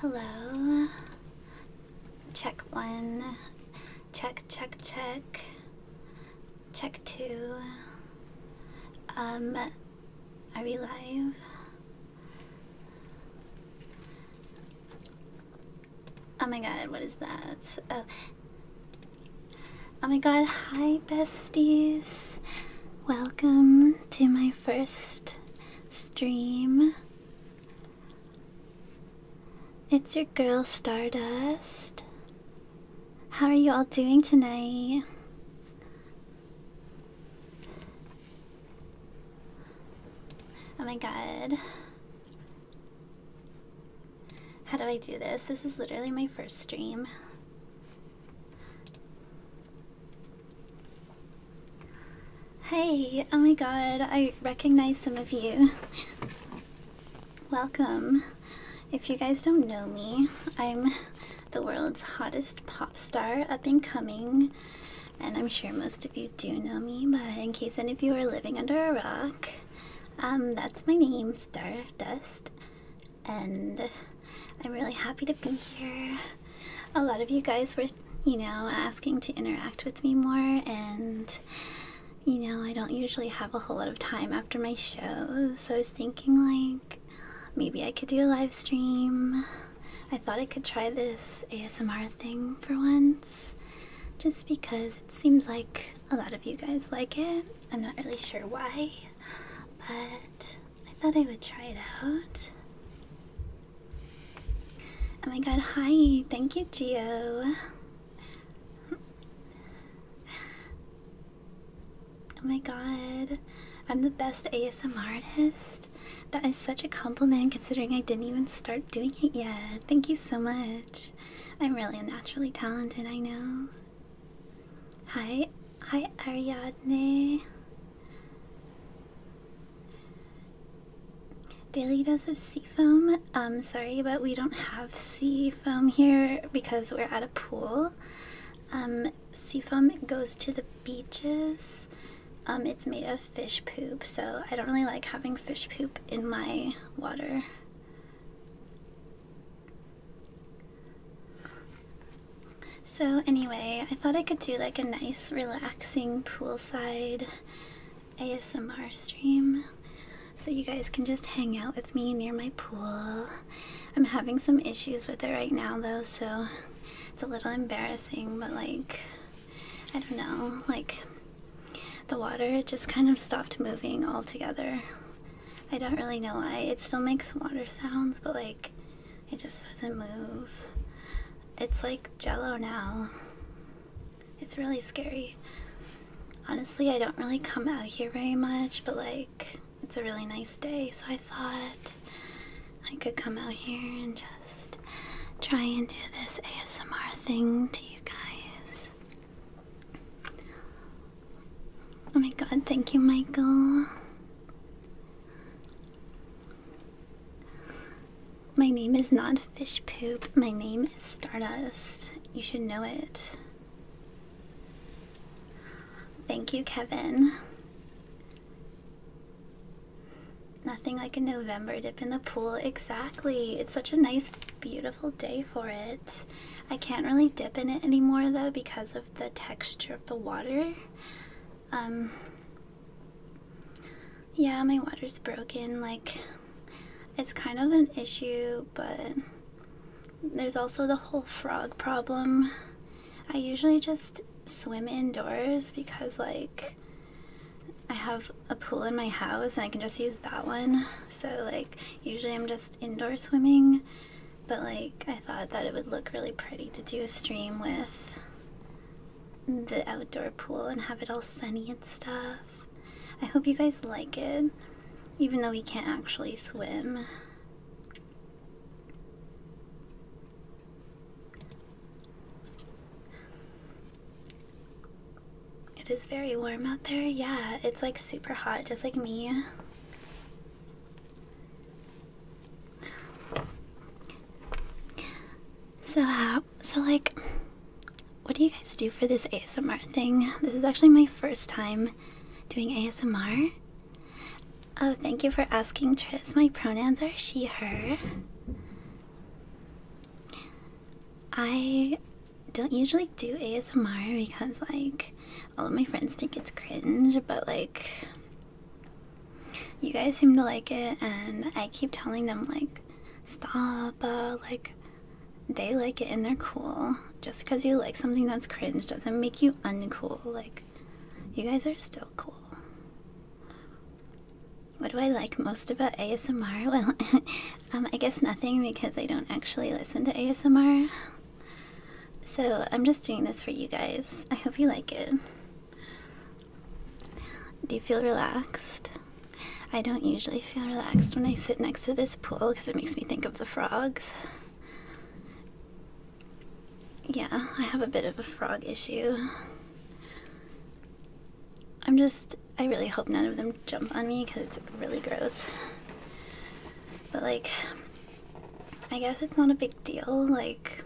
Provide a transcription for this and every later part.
Hello. Check one. Check, check, check. Check two. Um, are we live? Oh my god, what is that? Oh. Oh my god, hi besties. Welcome to my first stream. It's your girl Stardust. How are you all doing tonight? Oh my god. How do I do this? This is literally my first stream. Hey, oh my god, I recognize some of you. Welcome. If you guys don't know me, I'm the world's hottest pop star up and coming, and I'm sure most of you do know me, but in case any of you are living under a rock, um, that's my name, Stardust, and I'm really happy to be here. A lot of you guys were, you know, asking to interact with me more, and you know, I don't usually have a whole lot of time after my shows, so I was thinking, like, maybe I could do a live stream. I thought I could try this ASMR thing for once, just because it seems like a lot of you guys like it. I'm not really sure why, but I thought I would try it out. Oh my god, hi! Thank you, Geo. Oh my god, I'm the best ASMR artist. That is such a compliment considering I didn't even start doing it yet. Thank you so much. I'm really naturally talented, I know. Hi, hi Ariadne. Daily dose of sea foam. Um, sorry, but we don't have sea foam here because we're at a pool. Um, sea foam goes to the beaches. Um, it's made of fish poop, so I don't really like having fish poop in my water. So, anyway, I thought I could do like a nice, relaxing poolside ASMR stream so you guys can just hang out with me near my pool. I'm having some issues with it right now, though, so it's a little embarrassing, but like, I don't know, like, the water it just kind of stopped moving altogether. I don't really know why. It still makes water sounds, but like, it just doesn't move. It's like jello now. It's really scary. Honestly, I don't really come out here very much, but like, it's a really nice day, so I thought I could come out here and just try and do this ASMR thing to you guys. Oh my god, thank you, Michael. My name is not Fish Poop. My name is Stardust. You should know it. Thank you, Kevin. Nothing like a November dip in the pool. Exactly. It's such a nice, beautiful day for it. I can't really dip in it anymore, though, because of the texture of the water. Um, yeah, my water's broken. Like, it's kind of an issue, but there's also the whole frog problem. I usually just swim indoors because, like, I have a pool in my house and I can just use that one. So, like, usually I'm just indoor swimming, but, like, I thought that it would look really pretty to do a stream with the outdoor pool and have it all sunny and stuff. I hope you guys like it, even though we can't actually swim. It is very warm out there. Yeah, it's like super hot, just like me. So So like, what do you guys do for this ASMR thing? This is actually my first time doing ASMR. Oh, thank you for asking, Tris. My pronouns are she/her. I don't usually do ASMR because like all of my friends think it's cringe, but like you guys seem to like it and i keep telling them like stop uh, like they like it and they're cool just because you like something that's cringe doesn't make you uncool like you guys are still cool what do i like most about asmr well um, i guess nothing because i don't actually listen to asmr so i'm just doing this for you guys i hope you like it do you feel relaxed? I don't usually feel relaxed when I sit next to this pool because it makes me think of the frogs. Yeah, I have a bit of a frog issue. I'm just, I really hope none of them jump on me because it's really gross. But like, I guess it's not a big deal. Like,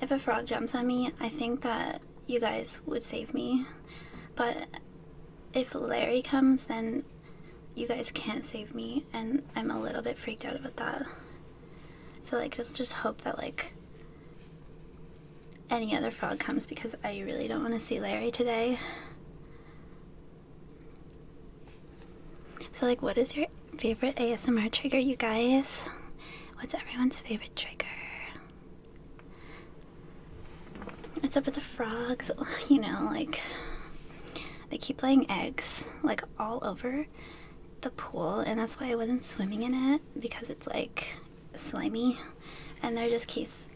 if a frog jumps on me, I think that you guys would save me. But if Larry comes, then you guys can't save me, and I'm a little bit freaked out about that. So, like, let's just hope that, like, any other frog comes because I really don't want to see Larry today. So, like, what is your favorite ASMR trigger, you guys? What's everyone's favorite? favorite trigger. What's up with the frogs? You know, like they keep laying eggs like all over the pool, and that's why I wasn't swimming in it because it's like slimy, and there just keeps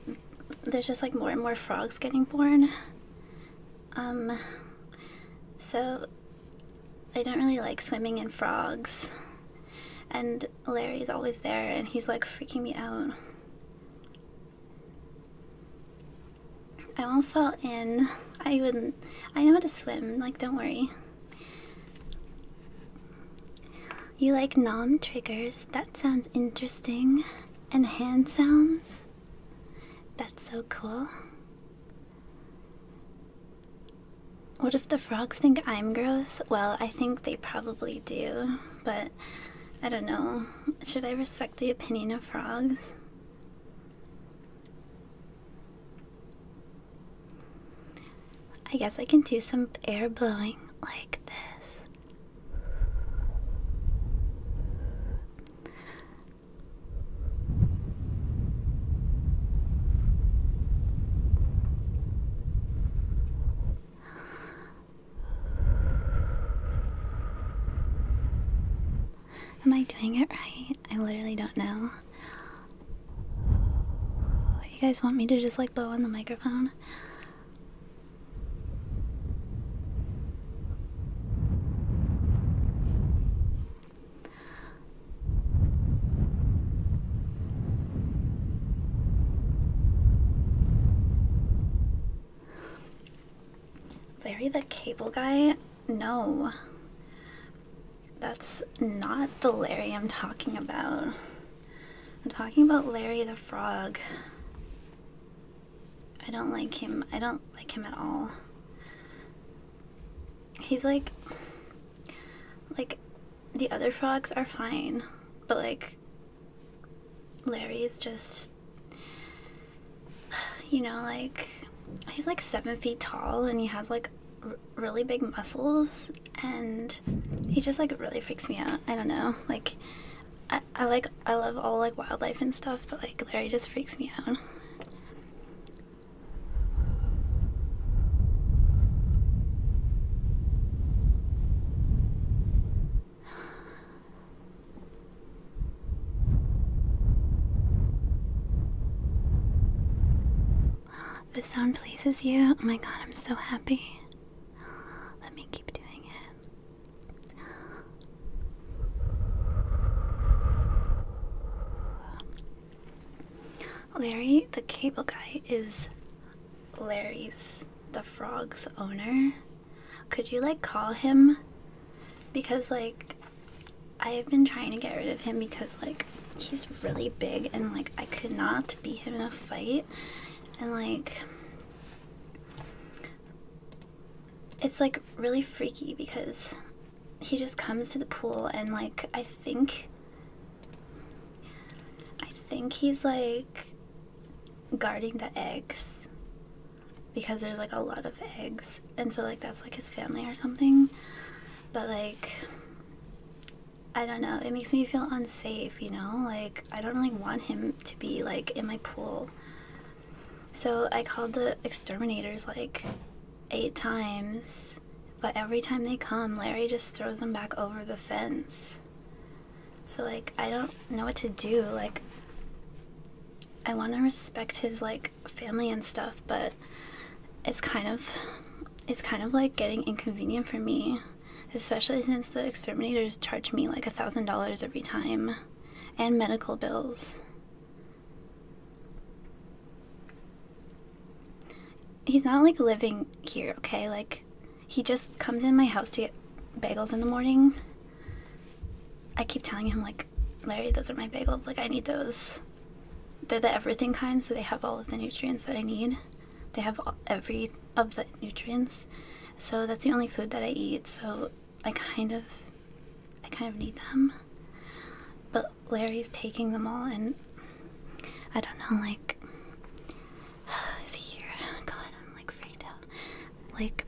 there's just like more and more frogs getting born. Um, so I don't really like swimming in frogs. And Larry's always there and he's like freaking me out. I won't fall in. I wouldn't. I know how to swim, like, don't worry. You like nom triggers? That sounds interesting. And hand sounds? That's so cool. What if the frogs think I'm gross? Well, I think they probably do, but I don't know. Should I respect the opinion of frogs? I guess I can do some air blowing like this. Am I doing it right? I literally don't know. You guys want me to just like blow on the microphone? Larry the Cable Guy? No. That's not the Larry I'm talking about. I'm talking about Larry the Frog. I don't like him. I don't like him at all. He's like like the other frogs are fine, but like Larry's just you know like he's like 7 feet tall and he has like really big muscles and he just like really freaks me out. I don't know. Like I, I like I love all like wildlife and stuff, but like Larry just freaks me out. The sound pleases you. Oh my god, I'm so happy. Let me keep doing it. Larry the cable guy is Larry's the frog's owner. Could you like call him? Because like I've been trying to get rid of him because like he's really big and like I could not beat him in a fight and like it's like really freaky because he just comes to the pool and like I think I think he's like guarding the eggs because there's like a lot of eggs and so like that's like his family or something but like I don't know it makes me feel unsafe you know like I don't really want him to be like in my pool so I called the exterminators like eight times but every time they come, Larry just throws them back over the fence. So, like, I don't know what to do. Like, I want to respect his, like, family and stuff, but it's kind of. It's kind of like getting inconvenient for me, especially since the exterminators charge me like a thousand dollars every time and medical bills he's not like living here, okay? Like he just comes in my house to get bagels in the morning. I keep telling him like, Larry, those are my bagels. Like I need those. They're the everything kind, so they have all of the nutrients that I need. They have every of the nutrients. So that's the only food that I eat. So I kind of I kind of need them. But Larry's taking them all and I don't know, like, is he here? God, I'm like freaked out. Like,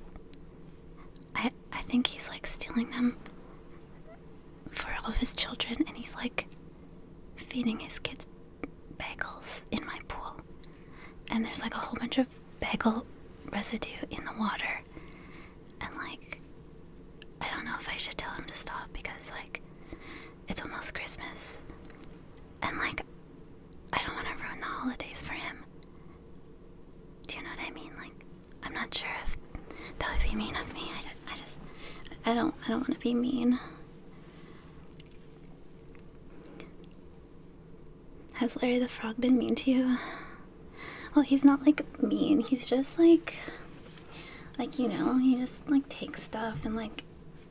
I I think he's like stealing them for all of his children, and he's like feeding his kids bagels in my pool. And there's like a whole bunch of bagel residue in the water, and like, I don't know if I should tell him to stop because like it's almost Christmas. And like, I don't want to ruin the holidays for him. Do you know what I mean? Like, I'm not sure if that would be mean of me. I, I just, I don't, I don't want to be mean. Has Larry the Frog been mean to you? Well, he's not like mean. He's just like, like you know, he just like takes stuff and like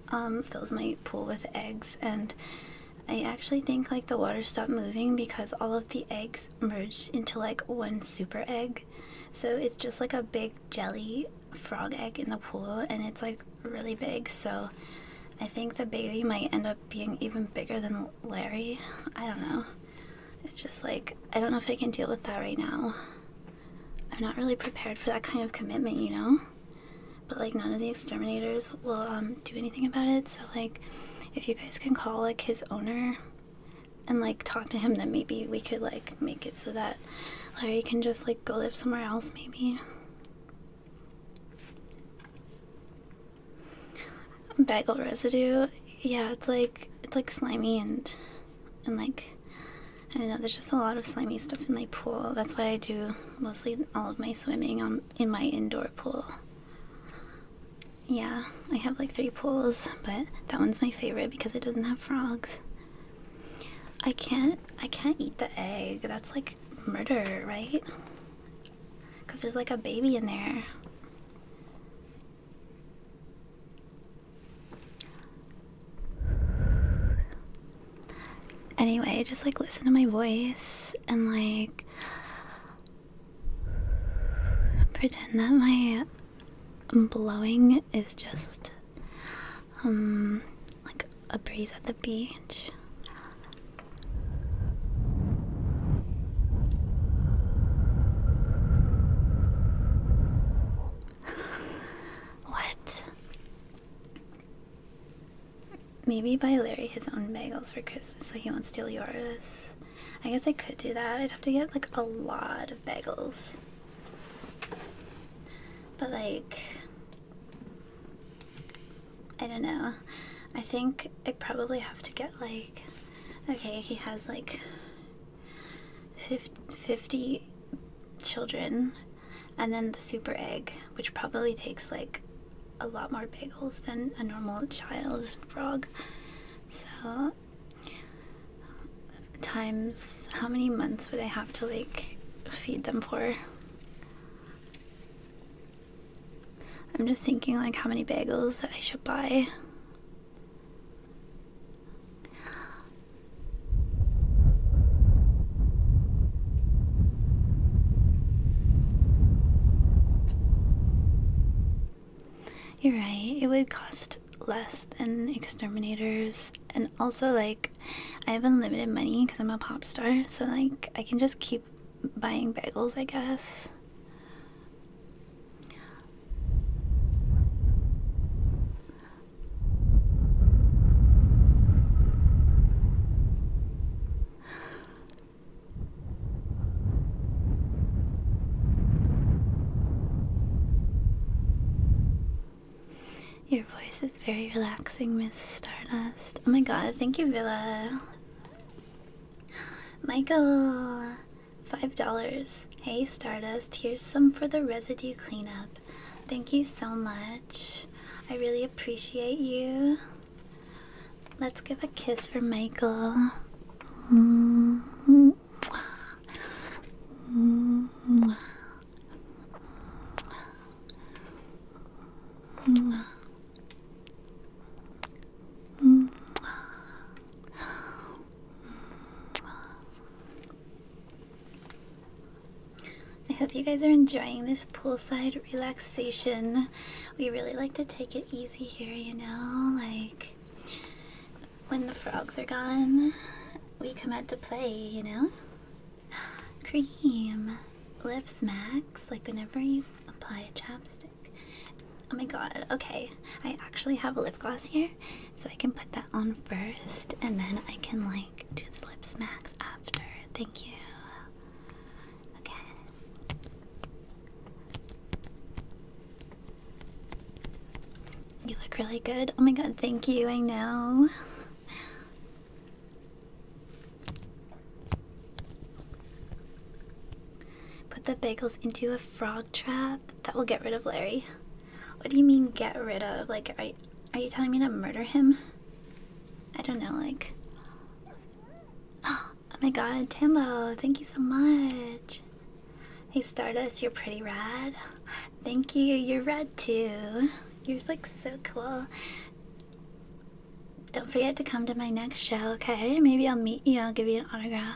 um, fills my pool with eggs and I actually think like the water stopped moving because all of the eggs merged into like one super egg. So it's just like a big jelly frog egg in the pool and it's like really big. So I think the baby might end up being even bigger than Larry. I don't know. It's just like, I don't know if I can deal with that right now. I'm not really prepared for that kind of commitment, you know? But like none of the exterminators will um, do anything about it, so like if you guys can call like his owner and like talk to him then maybe we could like make it so that Larry can just like go live somewhere else maybe. Bagel residue. Yeah, it's like it's like slimy and and like I don't know. There's just a lot of slimy stuff in my pool. That's why I do mostly all of my swimming on in my indoor pool. Yeah, I have like three pools, but that one's my favorite because it doesn't have frogs. I can't I can't eat the egg. That's like murder, right? Cuz there's like a baby in there. Anyway, just like listen to my voice and like pretend that my blowing is just um like a breeze at the beach. What? Maybe buy Larry his own bagels for Christmas so he won't steal yours. I guess I could do that. I'd have to get like a lot of bagels. But like, I don't know. I think I probably have to get like, okay, he has like 50 children and then the super egg, which probably takes like a lot more bagels than a normal child frog. So, times how many months would I have to like feed them for? I'm just thinking like how many bagels that I should buy. You're right, it would cost less than exterminators, and also, like, I have unlimited money because I'm a pop star, so, like, I can just keep buying bagels, I guess. Your voice is very relaxing, Miss Stardust. Oh my god, thank you, Villa. Michael, $5. Hey, Stardust, here's some for the residue cleanup. Thank you so much. I really appreciate you. Let's give a kiss for Michael. I hope you guys are enjoying this poolside relaxation. We really like to take it easy here, you know? Like, when the frogs are gone, we come out to play, you know? Cream, lip smacks, like whenever you apply a chapstick. Oh my god, okay. I actually have a lip gloss here, so I can put that on first and then I can like. To the lip smacks after. Thank you. Okay. You look really good. Oh my god, thank you. I know. Put the bagels into a frog trap. That will get rid of Larry. What do you mean get rid of? Like, I. Are you telling me to murder him? I don't know, like. Oh my god, Tambo, thank you so much. Hey Stardust, you're pretty rad. Thank you, you're rad too. Yours looks so cool. Don't forget to come to my next show, okay? Maybe I'll meet you, I'll give you an autograph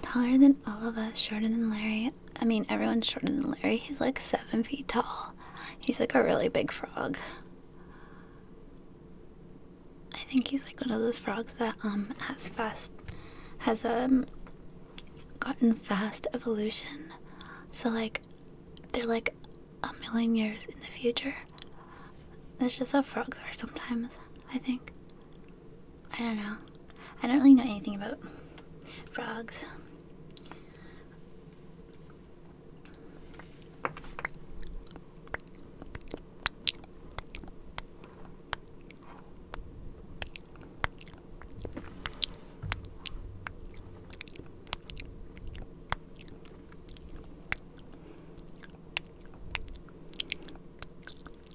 taller than all of us, shorter than Larry. I mean, everyone's shorter than Larry. He's like seven feet tall. He's like a really big frog. I think he's like one of those frogs that um has fast has um gotten fast evolution. So like they're like a million years in the future. That's just how frogs are sometimes, I think. I don't know. I don't really know anything about frogs.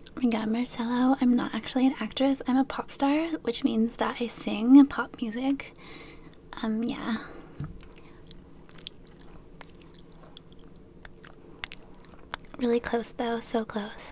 Oh my god, Marcelo, I'm not actually an actress. I'm a pop star, which means that I sing pop music. Um, yeah. Really close though, so close.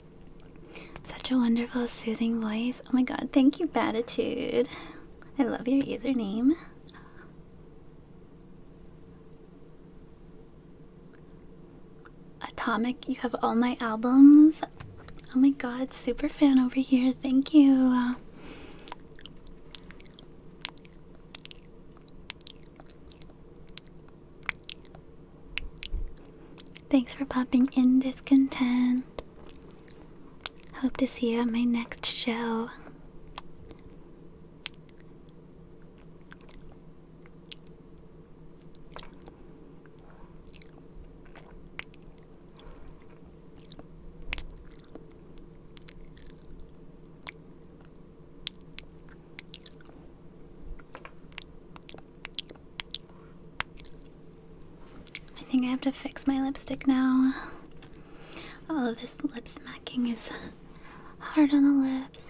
Such a wonderful, soothing voice. Oh my god, thank you, Batitude. I love your username. Atomic, you have all my albums. Oh my god, super fan over here. Thank you. Thanks for popping in, Discontent. Hope to see you at my next show. I think I have to fix my lipstick now. All of this lip smacking is hard on the lips.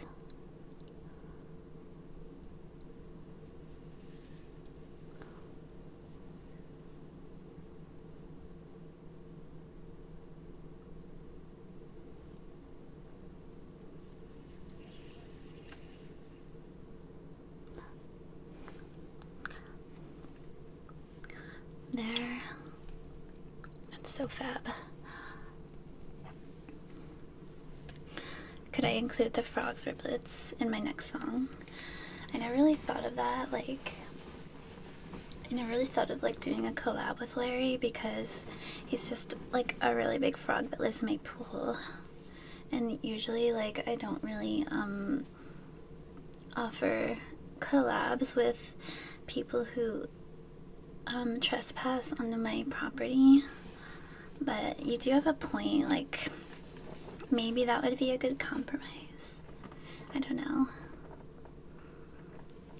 There. That's so fab. Could I include the frogs riblets in my next song? I never really thought of that, like I never really thought of like doing a collab with Larry because he's just like a really big frog that lives in my pool. And usually like I don't really um offer collabs with people who um, trespass onto my property. But you do have a point, like, maybe that would be a good compromise. I don't know.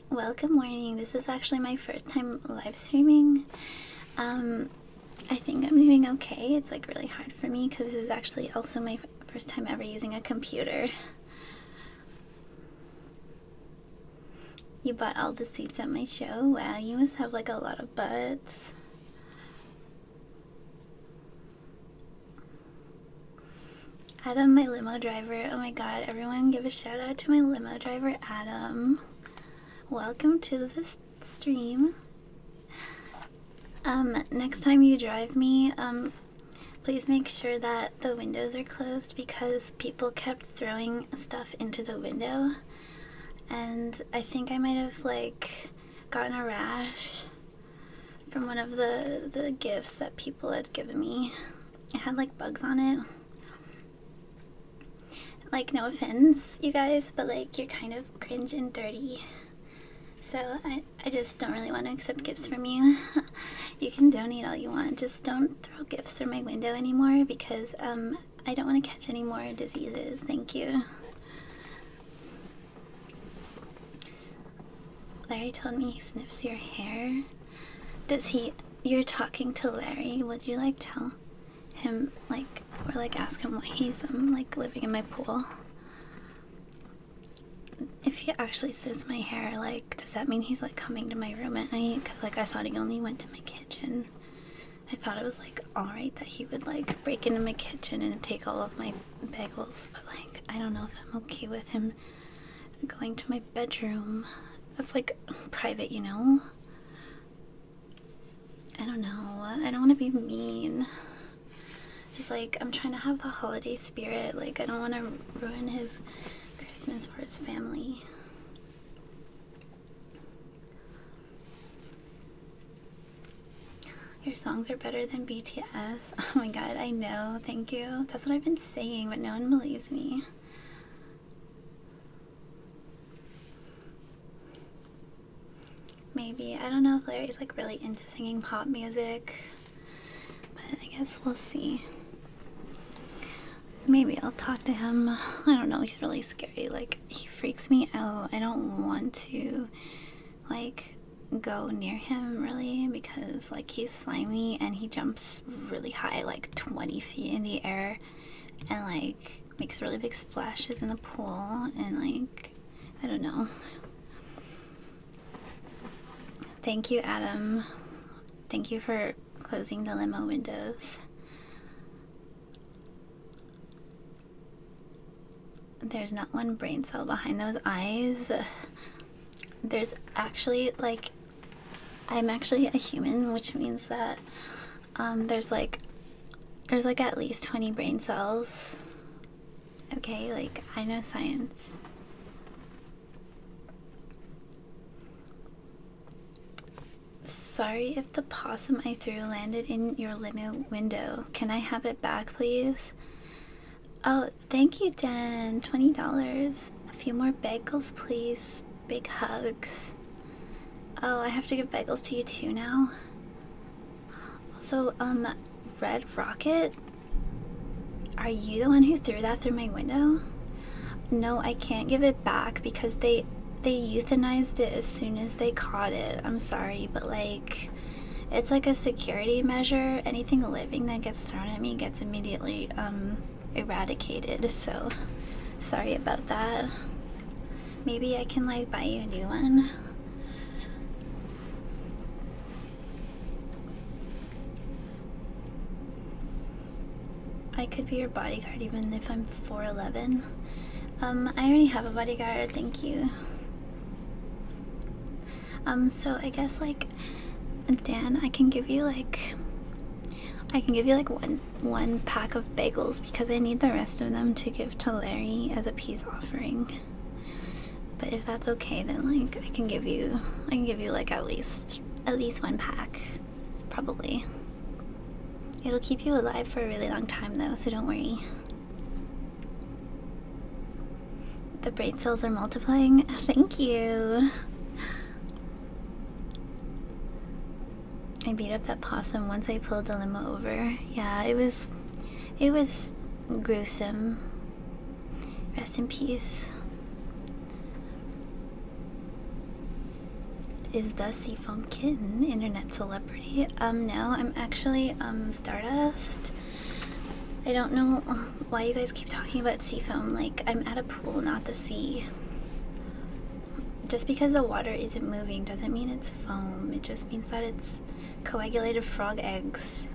Welcome, morning. This is actually my first time live streaming. Um, I think I'm doing okay. It's like really hard for me because this is actually also my first time ever using a computer. You bought all the seats at my show? Wow, you must have like a lot of butts. Adam, my limo driver. Oh my god, everyone give a shout out to my limo driver, Adam. Welcome to this stream. Um, next time you drive me, um, please make sure that the windows are closed because people kept throwing stuff into the window, and I think I might have like gotten a rash from one of the the gifts that people had given me. It had like bugs on it. Like, no offense, you guys, but like, you're kind of cringe and dirty. So I, I just don't really want to accept gifts from you. you can donate all you want. Just don't throw gifts through my window anymore because um I don't want to catch any more diseases. Thank you. Larry told me he sniffs your hair. Does he you're talking to Larry, would you like tell him like or like ask him why he's um like living in my pool? if he actually sniffs my hair, like, does that mean he's like coming to my room at night? Because, like, I thought he only went to my kitchen. I thought it was like alright that he would like break into my kitchen and take all of my bagels, but like, I don't know if I'm okay with him going to my bedroom. That's like private, you know? I don't know. I don't want to be mean is like I'm trying to have the holiday spirit. Like I don't want to ruin his Christmas for his family. Your songs are better than BTS. Oh my god, I know. Thank you. That's what I've been saying, but no one believes me. Maybe. I don't know if Larry's like really into singing pop music, but I guess we'll see. Maybe I'll talk to him. I don't know, he's really scary. Like, he freaks me out. I don't want to, like, go near him really because, like, he's slimy and he jumps really high, like 20 feet in the air, and, like, makes really big splashes in the pool and, like, I don't know. Thank you, Adam. Thank you for closing the limo windows. There's not one brain cell behind those eyes. There's actually like I'm actually a human, which means that um, there's like there's like at least 20 brain cells Okay, like, I know science. Sorry if the possum I threw landed in your limo window. Can I have it back, please? Oh, thank you, Dan. $20. A few more bagels, please. Big hugs. Oh, I have to give bagels to you too now? Also, um, Red Rocket, are you the one who threw that through my window? No, I can't give it back because they they euthanized it as soon as they caught it. I'm sorry, but like it's like a security measure. Anything living that gets thrown at me gets immediately um eradicated. So sorry about that. Maybe I can like buy you a new one. I could be your bodyguard even if I'm 4'11. Um, I already have a bodyguard, thank you. Um, so I guess like Dan, I can give you like I can give you like one one pack of bagels because I need the rest of them to give to Larry as a peace offering. But if that's okay, then like I can give you, I can give you like at least, at least one pack, probably. It'll keep you alive for a really long time though, so don't worry. The brain cells are multiplying. Thank you. I beat up that possum once I pulled the limo over. Yeah, it was, it was gruesome. Rest in peace. Is the foam Kitten internet celebrity? Um, no, I'm actually um Stardust. I don't know why you guys keep talking about sea foam. Like I'm at a pool, not the sea. Just because the water isn't moving doesn't mean it's foam. It just means that it's coagulated frog eggs.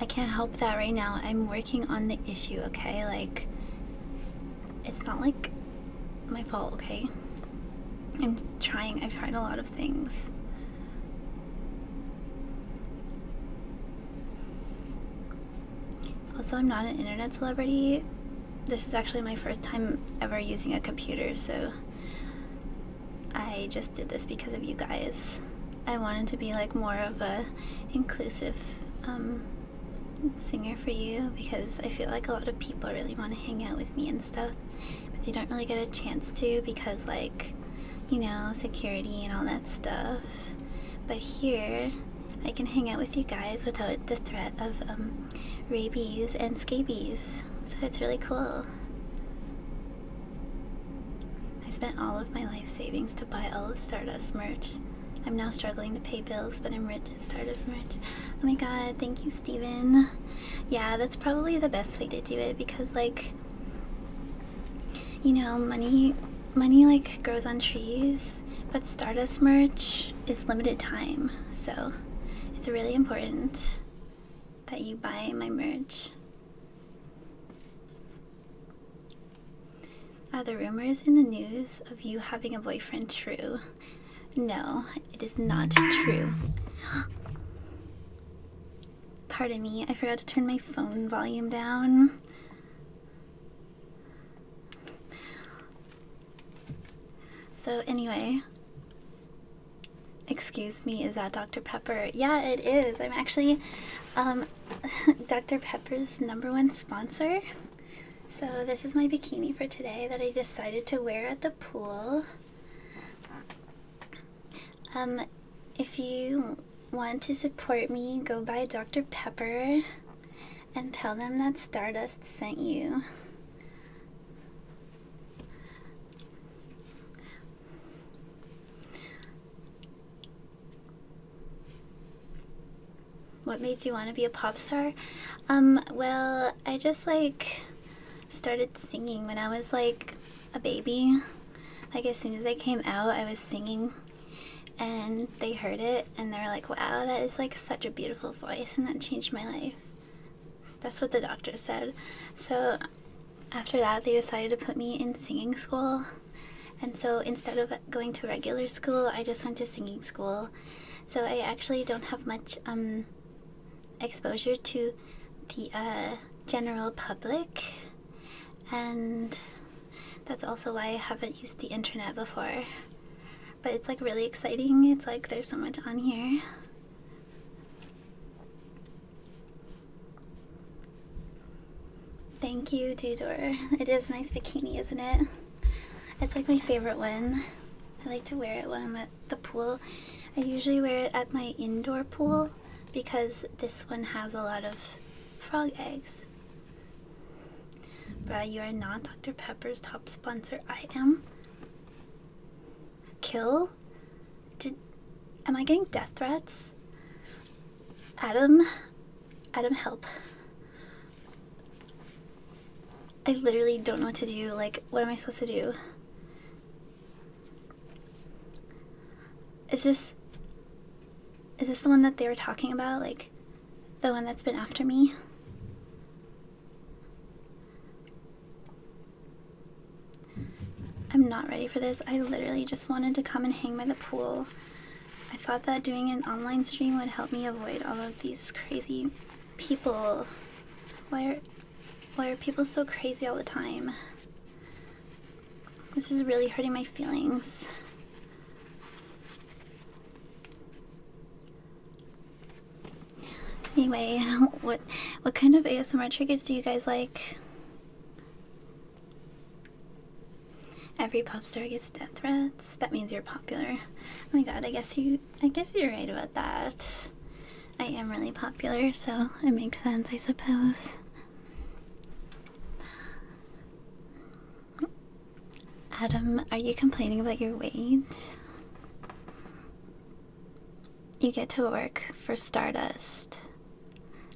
I can't help that right now. I'm working on the issue, okay? Like, it's not like my fault, okay? I'm trying. I've tried a lot of things. Also, I'm not an internet celebrity. This is actually my first time ever using a computer, so I just did this because of you guys. I wanted to be like more of a inclusive um, singer for you because I feel like a lot of people really want to hang out with me and stuff, but they don't really get a chance to because like, you know, security and all that stuff. But here, I can hang out with you guys without the threat of um, rabies and scabies, so it's really cool. I spent all of my life savings to buy all of Stardust merch. I'm now struggling to pay bills, but I'm rich at Stardust merch. Oh my god, thank you, Stephen. Yeah, that's probably the best way to do it because like you know, money money like grows on trees, but Stardust merch is limited time. So, it's really important that you buy my merch. Are the rumors in the news of you having a boyfriend true? No, it is not true. Pardon me, I forgot to turn my phone volume down. So, anyway, Excuse me, is that Dr. Pepper? Yeah, it is. I'm actually um, Dr. Pepper's number one sponsor. So, this is my bikini for today that I decided to wear at the pool. Um, if you want to support me, go buy Dr. Pepper and tell them that Stardust sent you. What made you want to be a pop star? Um, well, I just like started singing when I was like a baby. Like as soon as I came out, I was singing and they heard it and they were like, wow, that is like such a beautiful voice and that changed my life. That's what the doctor said. So after that, they decided to put me in singing school. And so instead of going to regular school, I just went to singing school. So I actually don't have much um, exposure to the uh, general public. And that's also why I haven't used the internet before. But it's like really exciting. It's like there's so much on here. Thank you, Dudor. It is nice bikini, isn't it? It's like my favorite one. I like to wear it when I'm at the pool. I usually wear it at my indoor pool because this one has a lot of frog eggs. Brad, you are not Dr. Pepper's top sponsor. I am. Kill did am I getting death threats? Adam Adam help. I literally don't know what to do. Like, what am I supposed to do? Is this Is this the one that they were talking about? Like the one that's been after me? I'm not ready for this. I literally just wanted to come and hang by the pool. I thought that doing an online stream would help me avoid all of these crazy people. Why are, why are people so crazy all the time? This is really hurting my feelings. Anyway, what what kind of ASMR triggers do you guys like? Every pop star gets death threats. That means you're popular. Oh my god, I guess you I guess you're right about that. I am really popular, so it makes sense, I suppose. Adam, are you complaining about your wage? You get to work for Stardust.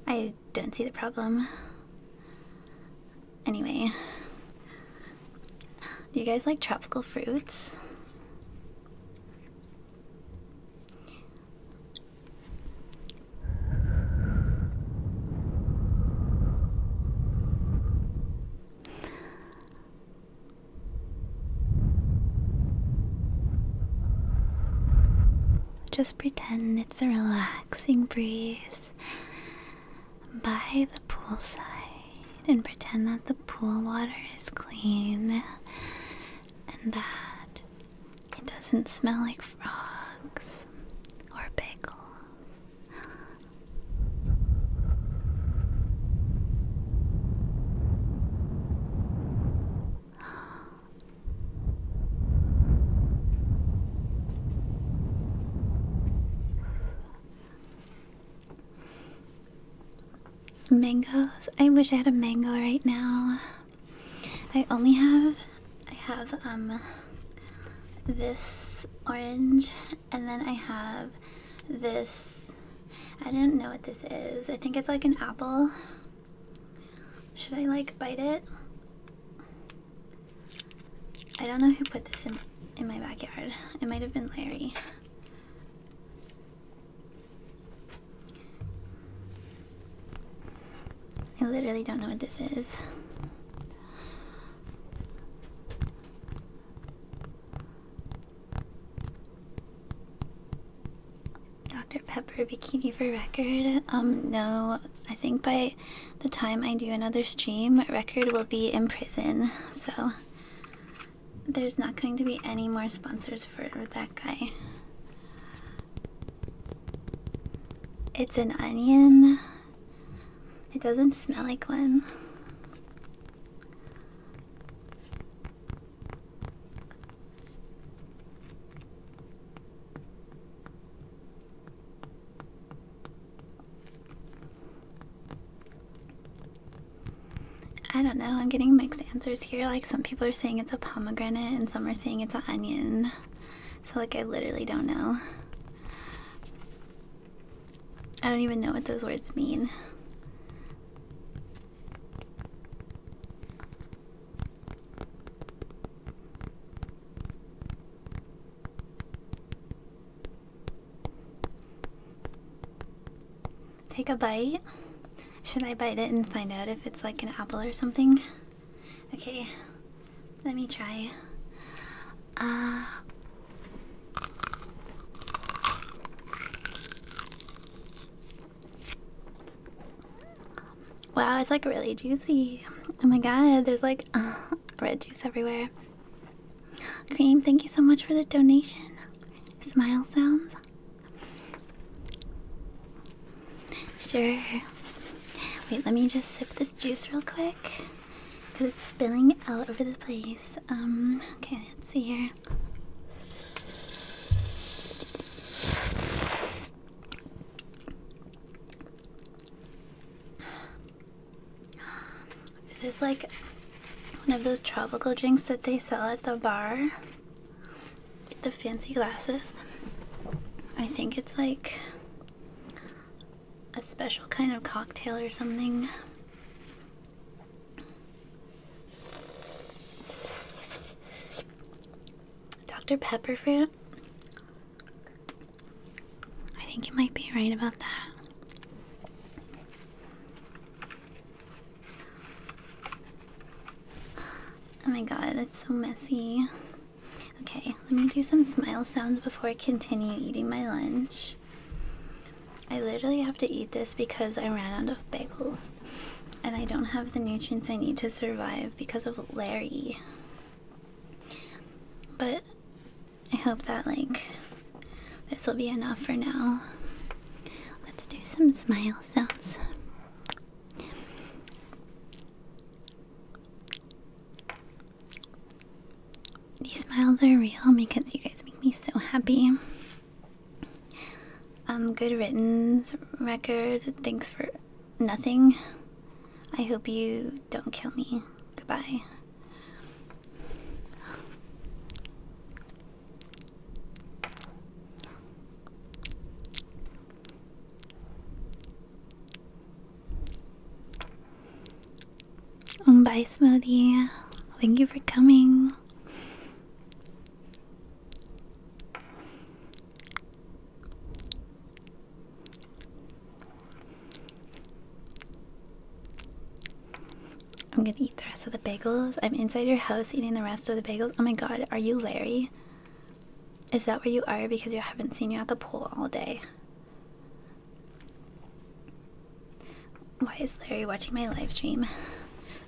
I don't see the problem. Anyway, do you guys like tropical fruits? Just pretend it's a relaxing breeze by the poolside and pretend that the pool water is clean and that it doesn't smell like frogs or bagels. Mangoes. I wish I had a mango right now. I only have I have um this orange and then I have this I didn't know what this is. I think it's like an apple should I like bite it? I don't know who put this in in my backyard. It might have been Larry. I literally don't know what this is. Dr. Pepper Bikini for record. Um, no, I think by the time I do another stream, record will be in prison. So there's not going to be any more sponsors for that guy. It's an onion. It doesn't smell like one. I don't know, I'm getting mixed answers here. Like, some people are saying it's a pomegranate, and some are saying it's an onion. So, like, I literally don't know. I don't even know what those words mean. Take a bite. Should I bite it and find out if it's like an apple or something? Okay, let me try. Uh, Wow, it's like really juicy. Oh my god, there's like red juice everywhere. Cream, thank you so much for the donation. Smile sounds. Sure. Wait, let me just sip this juice real quick. Because it's spilling all over the place. Um, okay, let's see here. Is This like one of those tropical drinks that they sell at the bar with the fancy glasses. I think it's like a special kind of cocktail or something. Dr. Pepper fruit I think you might be right about that. Oh my god, it's so messy. Okay, let me do some smile sounds before I continue eating my lunch. I literally have to eat this because I ran out of bagels and I don't have the nutrients I need to survive because of Larry. But I hope that, like, this will be enough for now. Let's do some smile sounds. These smiles are real because you guys make me so happy. Um, good riddance record. Thanks for Nothing. I hope you don't kill me. Goodbye. Bye, Smoothie. Thank you for coming. I'm gonna eat the rest of the bagels. I'm inside your house eating the rest of the bagels. Oh my god, are you Larry? Is that where you are? Because I haven't seen you at the pool all day. Why is Larry watching my live stream?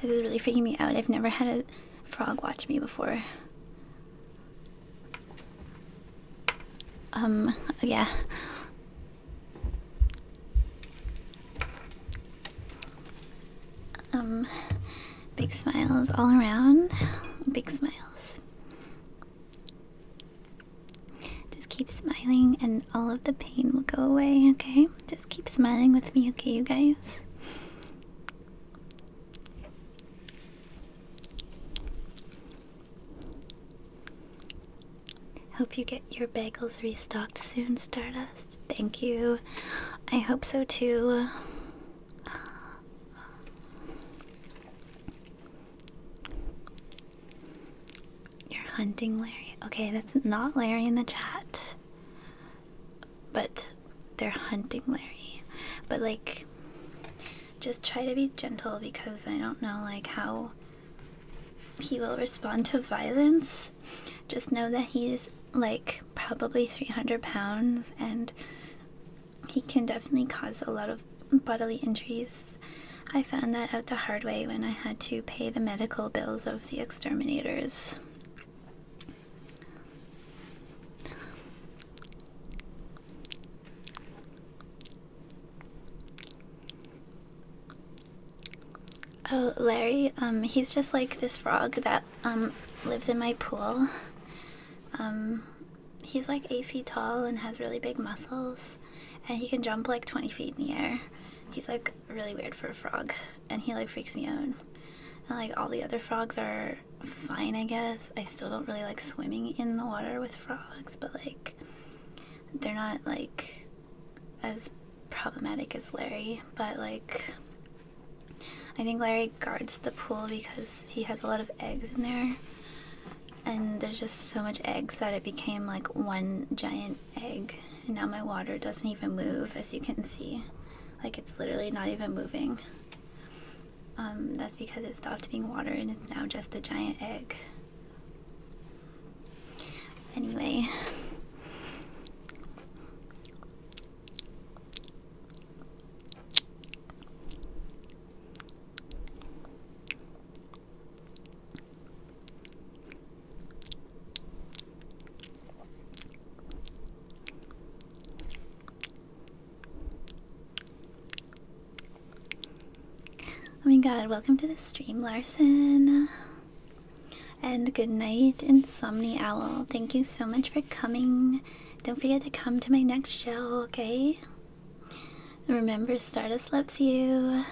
This is really freaking me out. I've never had a frog watch me before. Um, yeah. Um, big smiles all around. Big smiles. Just keep smiling and all of the pain will go away, okay? Just keep smiling with me, okay, you guys? Hope you get your bagels restocked soon, Stardust. Thank you. I hope so too. You're hunting Larry. Okay, that's not Larry in the chat. But they're hunting Larry. But like just try to be gentle because I don't know like how he will respond to violence. Just know that he's like probably 300 pounds and he can definitely cause a lot of bodily injuries. I found that out the hard way when I had to pay the medical bills of the exterminators. Oh, Larry, um, he's just like this frog that um lives in my pool. Um, he's like eight feet tall and has really big muscles, and he can jump like twenty feet in the air. He's like really weird for a frog, and he like freaks me out. And like all the other frogs are fine, I guess. I still don't really like swimming in the water with frogs, but like they're not like as problematic as Larry, but like I think Larry guards the pool because he has a lot of eggs in there. And there's just so much eggs that it became like one giant egg. And now my water doesn't even move, as you can see. Like it's literally not even moving. Um, that's because it stopped being water and it's now just a giant egg. Anyway. Oh my god, welcome to the stream, Larson. And good night, Insomni Owl. Thank you so much for coming. Don't forget to come to my next show, okay? Remember, Stardust loves you.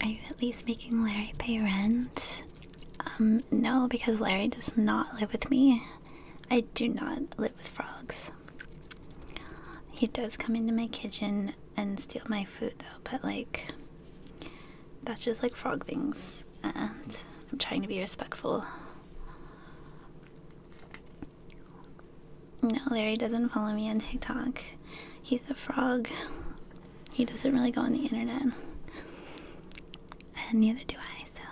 Are you at least making Larry pay rent? Um, no, because Larry does not live with me. I do not live with frogs. He does come into my kitchen and steal my food, though, but like, that's just like frog things, and I'm trying to be respectful. No, Larry doesn't follow me on TikTok. He's a frog. He doesn't really go on the internet. And neither do I, so.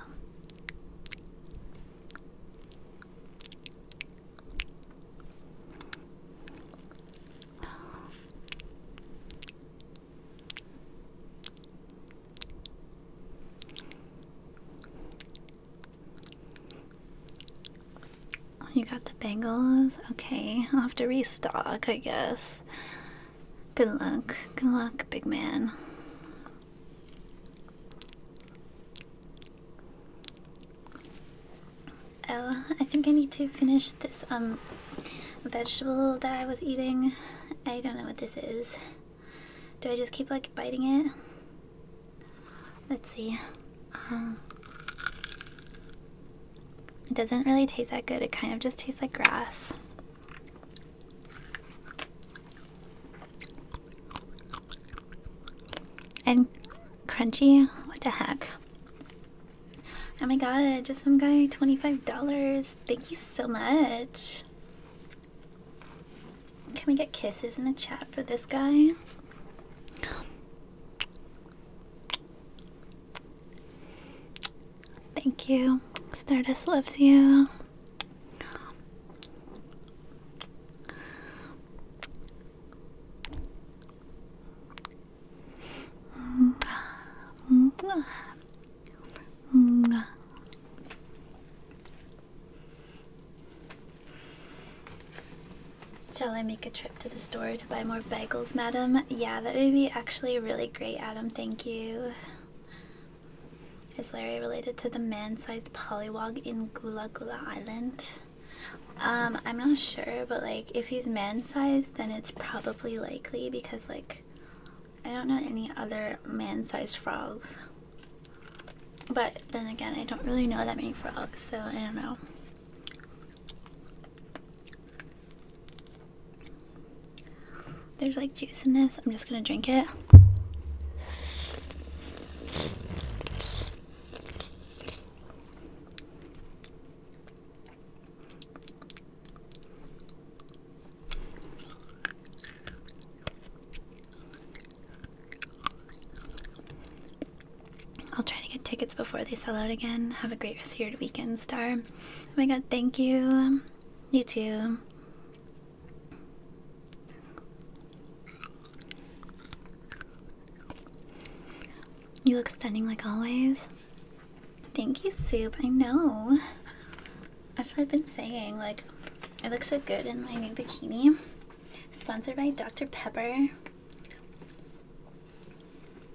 Oh, you got the Bengals, Okay, I'll have to restock, I guess. Good luck. Good luck, big man. Oh, I think I need to finish this um vegetable that I was eating. I don't know what this is. Do I just keep like biting it? Let's see. Um, it doesn't really taste that good. It kind of just tastes like grass. And crunchy. What the heck? Oh my god, just some guy $25. Thank you so much. Can we get kisses in the chat for this guy? Thank you. Stardust loves you. Shall I make a trip to the store to buy more bagels, madam? Yeah, that would be actually really great, Adam. Thank you. Is Larry related to the man-sized pollywog in Gula Gula Island? Um, I'm not sure, but like if he's man-sized, then it's probably likely because like I don't know any other man-sized frogs. But then again, I don't really know that many frogs, so I don't know. There's like juice in this. I'm just gonna drink it. I'll try to get tickets before they sell out again. Have a great rest of your weekend, Star. Oh my god, thank you. You too. You look stunning like always. Thank you, Soup. I know. As I've been saying. Like, I look so good in my new bikini sponsored by Dr. Pepper.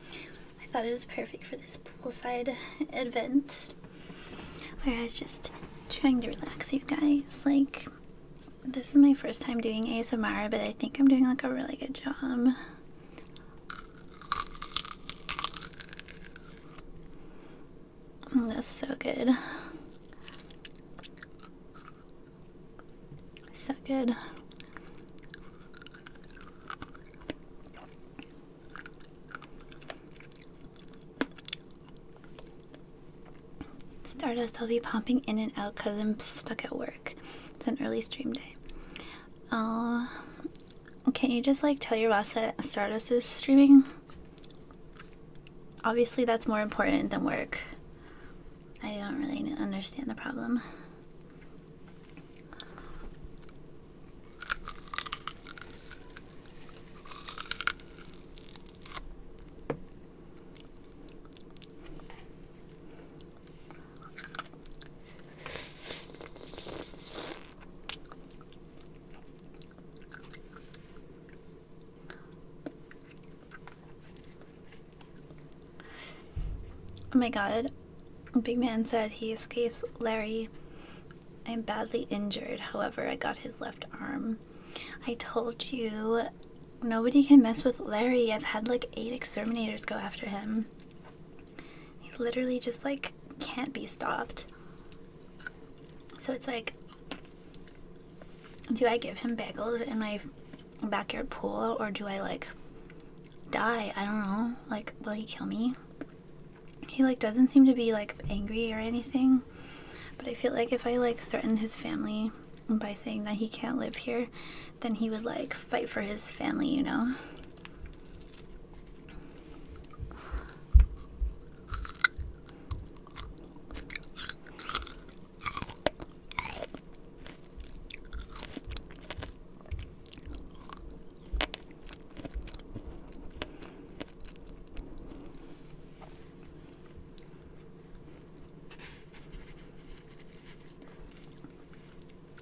I thought it was perfect for this poolside event where I was just trying to relax you guys. Like, this is my first time doing ASMR, but I think I'm doing like a really good job. Mm, that's so good. So good. Stardust, I'll be popping in and out because I'm stuck at work. It's an early stream day. Oh, can you just like tell your boss that Stardust is streaming? Obviously, that's more important than work. I don't really understand the problem. Oh my god. Big Man said he escapes Larry. I am badly injured, however, I got his left arm. I told you nobody can mess with Larry. I've had like eight exterminators go after him. He literally just like can't be stopped. So it's like do I give him bagels in my backyard pool or do I like die? I don't know. Like, will he kill me? He like doesn't seem to be like angry or anything, but I feel like if I like threatened his family by saying that he can't live here, then he would like fight for his family, you know.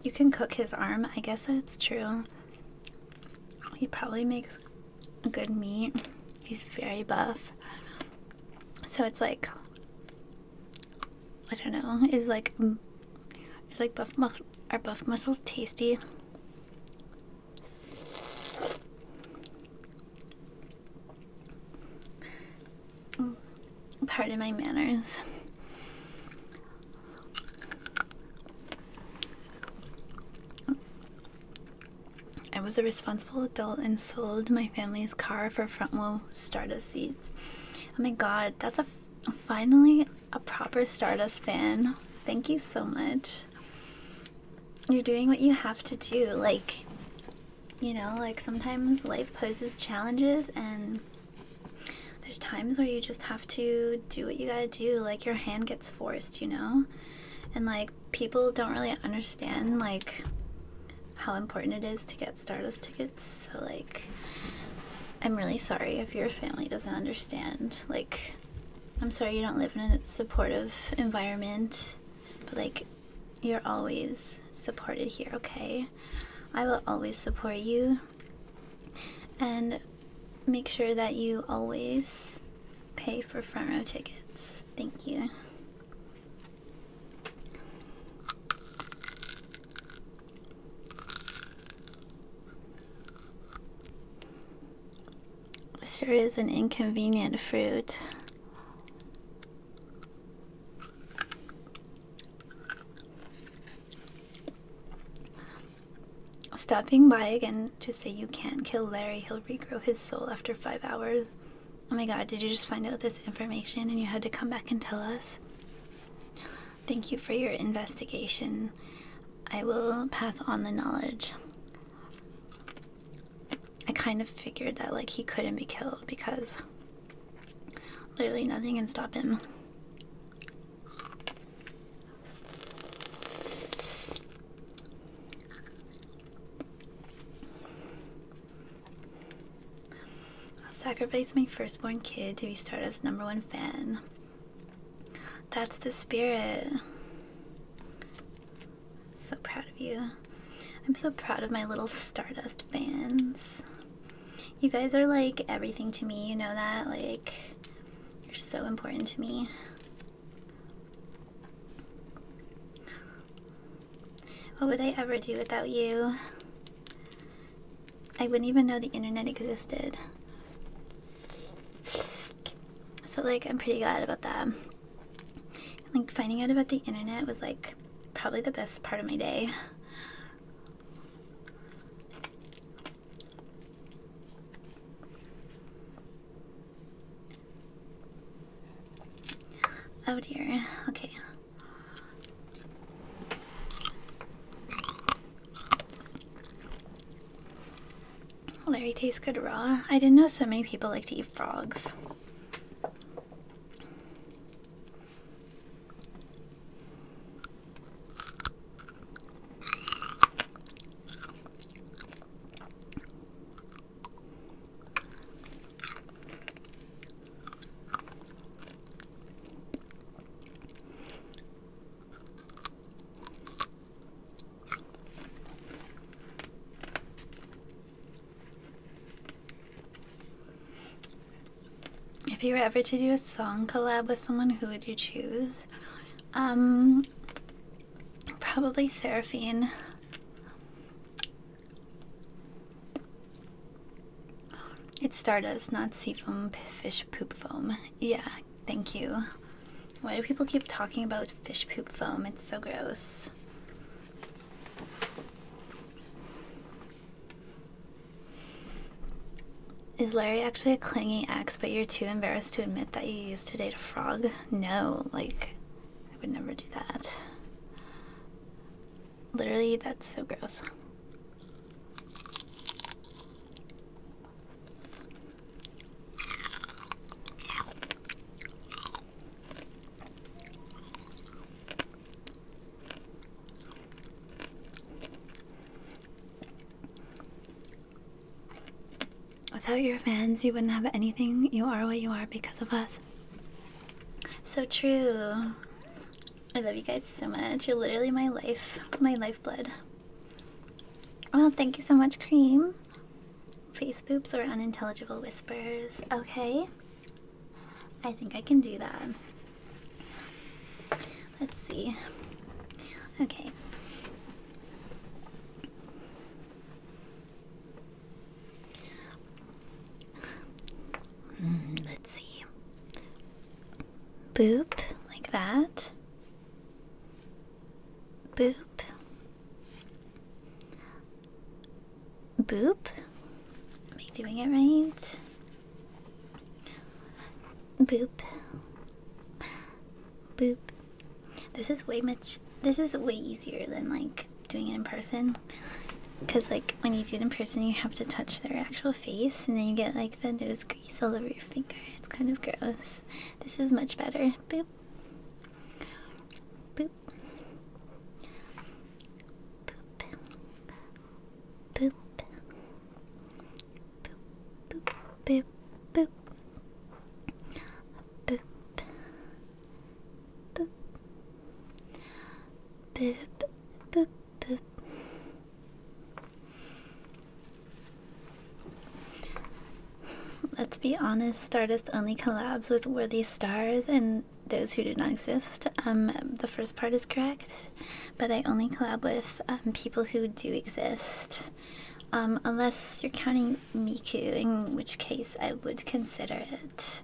You can cook his arm. I guess that's true. He probably makes good meat. He's very buff. So it's like I don't know. Is like is like buff muscle are buff mussels tasty? Pardon my manners. I was a responsible adult and sold my family's car for front row Stardust seats. Oh my god, that's a finally a proper Stardust fan. Thank you so much. You're doing what you have to do. Like, you know, like sometimes life poses challenges and there's times where you just have to do what you gotta do. Like, your hand gets forced, you know? And like people don't really understand like how important it is to get Stardust tickets. So like I'm really sorry if your family doesn't understand. Like I'm sorry you don't live in a supportive environment, but like you're always supported here, okay? I will always support you and make sure that you always pay for front row tickets. Thank you. Sure is an inconvenient fruit. Stopping by again to say you can't kill Larry, he'll regrow his soul after five hours. Oh my god, did you just find out this information and you had to come back and tell us? Thank you for your investigation. I will pass on the knowledge. I kind of figured that like he couldn't be killed because literally nothing can stop him. I'll sacrifice my firstborn kid to be Stardust's number one fan. That's the spirit. So proud of you. I'm so proud of my little Stardust fans. You guys are like everything to me, you know that? Like, you're so important to me. What would I ever do without you? I wouldn't even know the internet existed. So, like, I'm pretty glad about that. Like, finding out about the internet was, like, probably the best part of my day. Oh dear. Okay. Larry tastes good raw. I didn't know so many people like to eat frogs. If you were ever to do a song collab with someone, who would you choose? Um, probably Seraphine. It's stardust, not sea foam, fish poop foam. Yeah, thank you. Why do people keep talking about fish poop foam? It's so gross. Is Larry actually a clingy ex, but you're too embarrassed to admit that you used to date a frog? No, like, I would never do that. Literally, that's so gross. Without your fans, you wouldn't have anything. You are what you are because of us. So true. I love you guys so much. You're literally my life, my lifeblood. Well, thank you so much, Cream. Face poops or unintelligible whispers. Okay. I think I can do that. Let's see. Okay. Mm, let's see. Boop, like that. Boop. Boop. Am I doing it right? Boop. Boop. This is way much. This is way easier than like doing it in person because like when you do it in person you have to touch their actual face and then you get like the nose grease all over your finger it's kind of gross this is much better boop boop boop boop boop boop boop boop Let's be honest, Stardust only collabs with worthy stars and those who do not exist. Um, the first part is correct, but I only collab with um, people who do exist. Um, unless you're counting Miku, in which case I would consider it.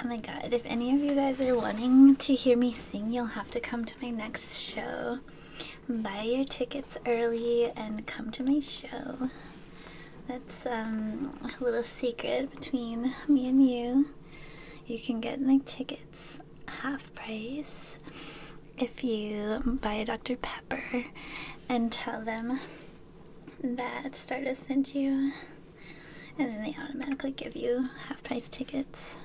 Oh my god, if any of you guys are wanting to hear me sing, you'll have to come to my next show. Buy your tickets early and come to my show. That's um, a little secret between me and you. You can get my tickets half price if you buy a Dr. Pepper and tell them that Stardust sent you, and then they automatically give you half price tickets.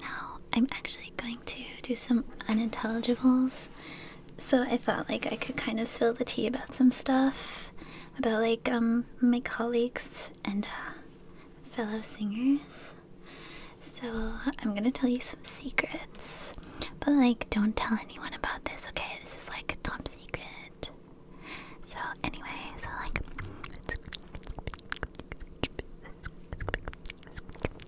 now I'm actually going to do some unintelligibles so I thought like I could kind of spill the tea about some stuff about like um my colleagues and uh, fellow singers. So I'm gonna tell you some secrets, but like don't tell anyone about this, okay? This is like top secret. So anyway, so like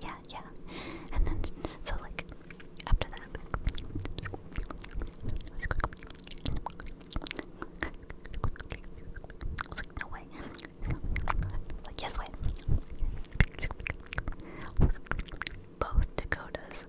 Yeah, yeah. And then, so like, after that, like, no way. Like, yes way. Both Dakotas.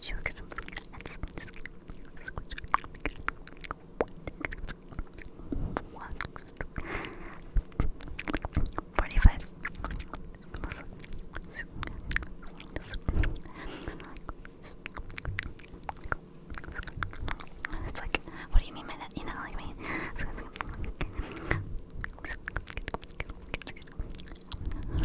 sugar Forty-five. It's like, what do you mean by that? You know, like me. And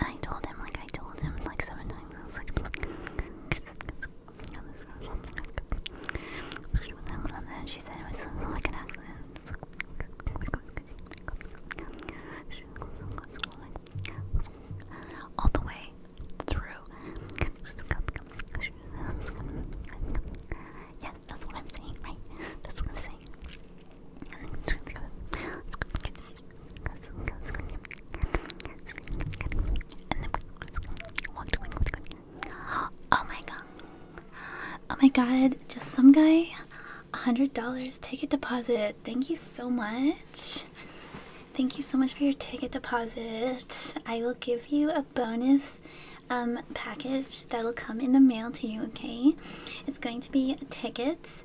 I told him, like I told him like seven times. I was like, and she said it was like an accident. All the way through. Yeah, that's what I'm saying, right? That's what I'm saying. Oh my god. Oh my god. Just some guy. $100 ticket deposit. Thank you so much. Thank you so much for your ticket deposit. I will give you a bonus um, package that'll come in the mail to you, okay? It's going to be tickets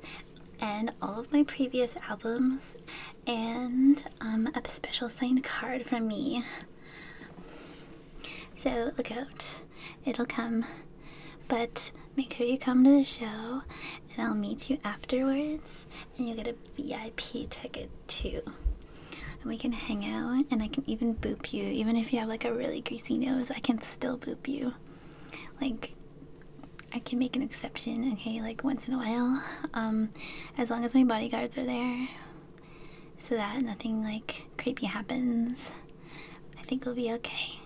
and all of my previous albums and um, a special signed card from me. So look out, it'll come. But make sure you come to the show and I'll meet you afterwards and you'll get a VIP ticket too we can hang out and I can even boop you. Even if you have like a really greasy nose, I can still boop you. Like I can make an exception, okay, like once in a while. Um as long as my bodyguards are there so that nothing like creepy happens. I think we'll be okay.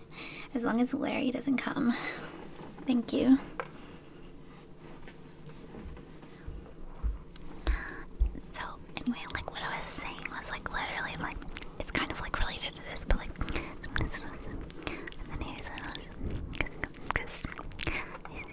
As long as Larry doesn't come. Thank you. So well, anyway, like what I was saying was like literally like it's kind of like related to this, but like and then he's because and then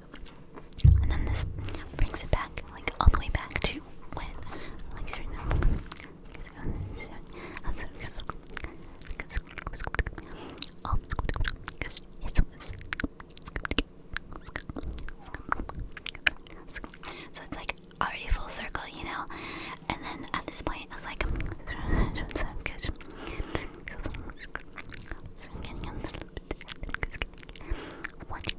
And then this brings it back, like all the way back to when, So it's like already full circle, you know? And then at this point, I was like,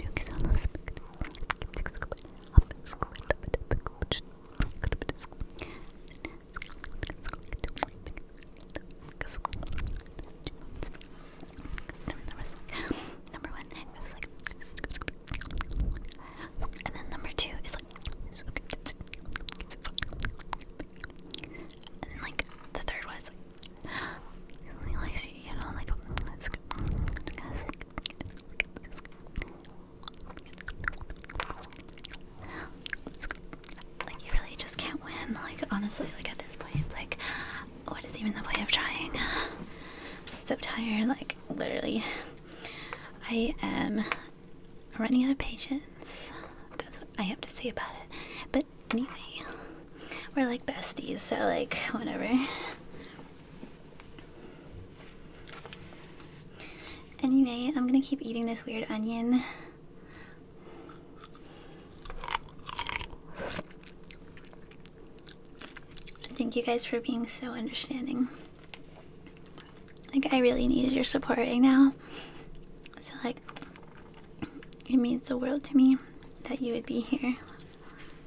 New and then number two is like, and like the third was like, he likes you, you know, like, like you really just can't win. Like honestly, like at this point, it's like, what is even the point of trying? so tired. Like literally, I am running out of patience. That's what I have to say about it. But anyway, we're like besties, so like whatever. Anyway, I'm gonna keep eating this weird onion. Thank you guys for being so understanding. Like, I really needed your support right now. So, like, it means the world to me that you would be here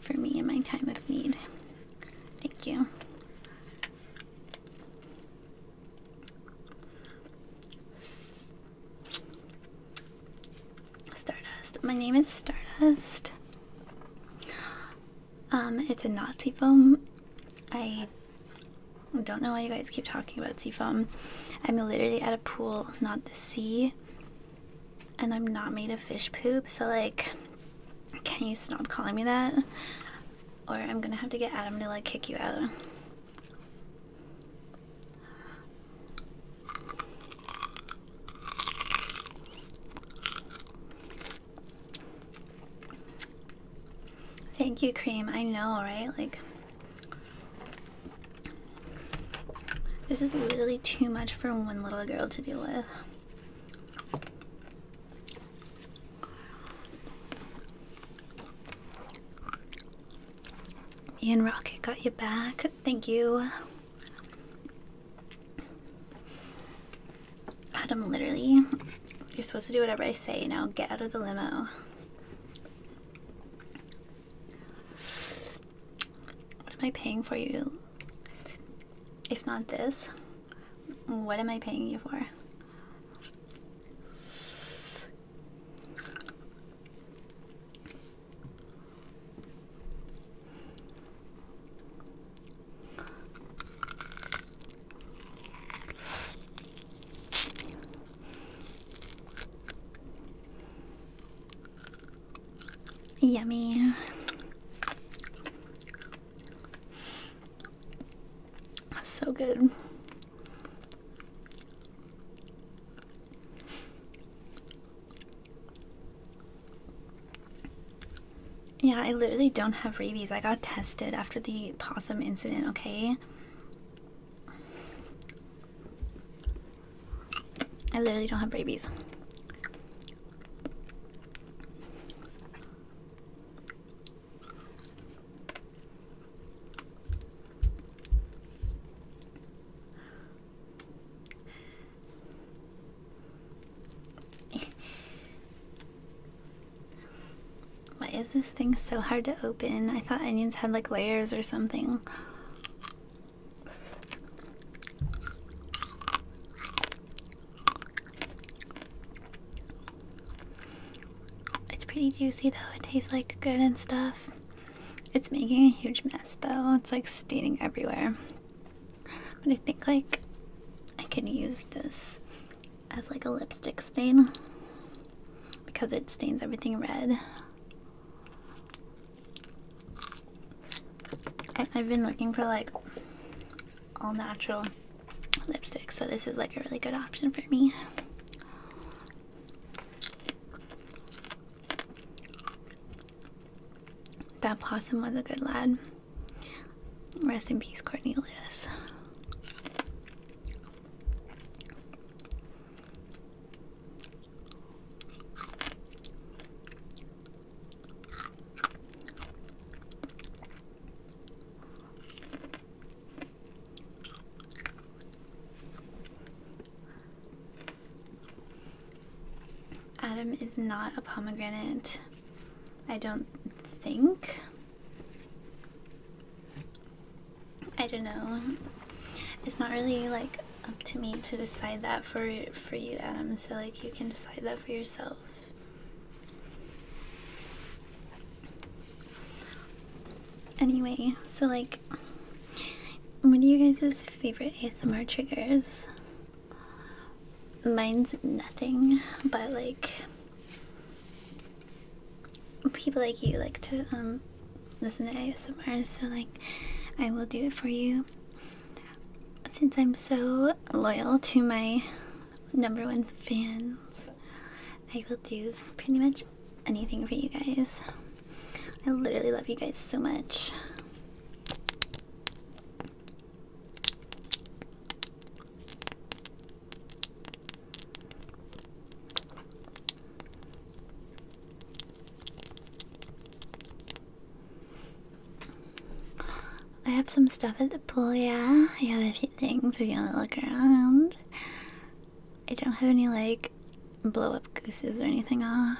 for me in my time of need. Thank you. Stardust. My name is Stardust. Um, it's a Nazi foam. I don't know why you guys keep talking about sea foam. I'm literally at a pool, not the sea and I'm not made of fish poop, so like, can you stop calling me that? Or I'm gonna have to get Adam to like kick you out. Thank you, Cream. I know, right? Like, this is literally too much for one little girl to deal with. Ian and Rocket got you back. Thank you. Adam, literally, you're supposed to do whatever I say. Now get out of the limo. What am I paying for you? If not this, what am I paying you for? Yummy. That's so good. Yeah, I literally don't have rabies. I got tested after the possum incident, okay? I literally don't have rabies. Why is this thing so hard to open? I thought onions had like layers or something. It's pretty juicy though. It tastes like good and stuff. It's making a huge mess though. It's like staining everywhere. But I think like I can use this as like a lipstick stain because it stains everything red. I've been looking for like all natural lipstick, so this is like a really good option for me. That possum was a good lad. Rest in peace, Cornelius. Adam is not a pomegranate, I don't think. I don't know. It's not really like up to me to decide that for for you, Adam. So like you can decide that for yourself. Anyway, so like, what are you guys' favorite ASMR triggers? Mine's nothing, but like, people like you like to um listen to ASMR, so like, I will do it for you since I'm so loyal to my number one fans, I will do pretty much anything for you guys. I literally love you guys so much. I have some stuff at the pool, yeah? I have a few things if you want to look around. I don't have any, like, blow up gooses or anything, uh.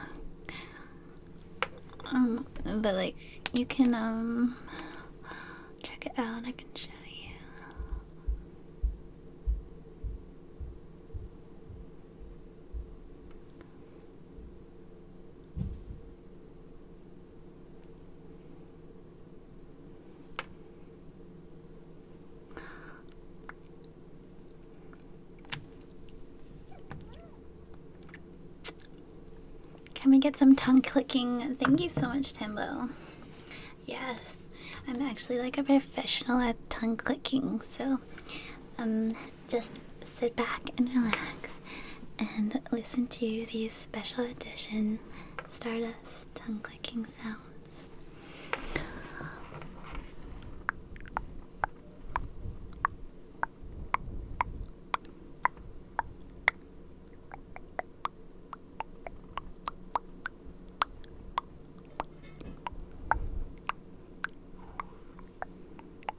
Um, but, like, you can, um, check it out. I can show you. Can we get some tongue clicking? Thank you so much, Timbo. Yes, I'm actually like a professional at tongue clicking, so um, just sit back and relax and listen to these special edition Stardust tongue clicking sounds.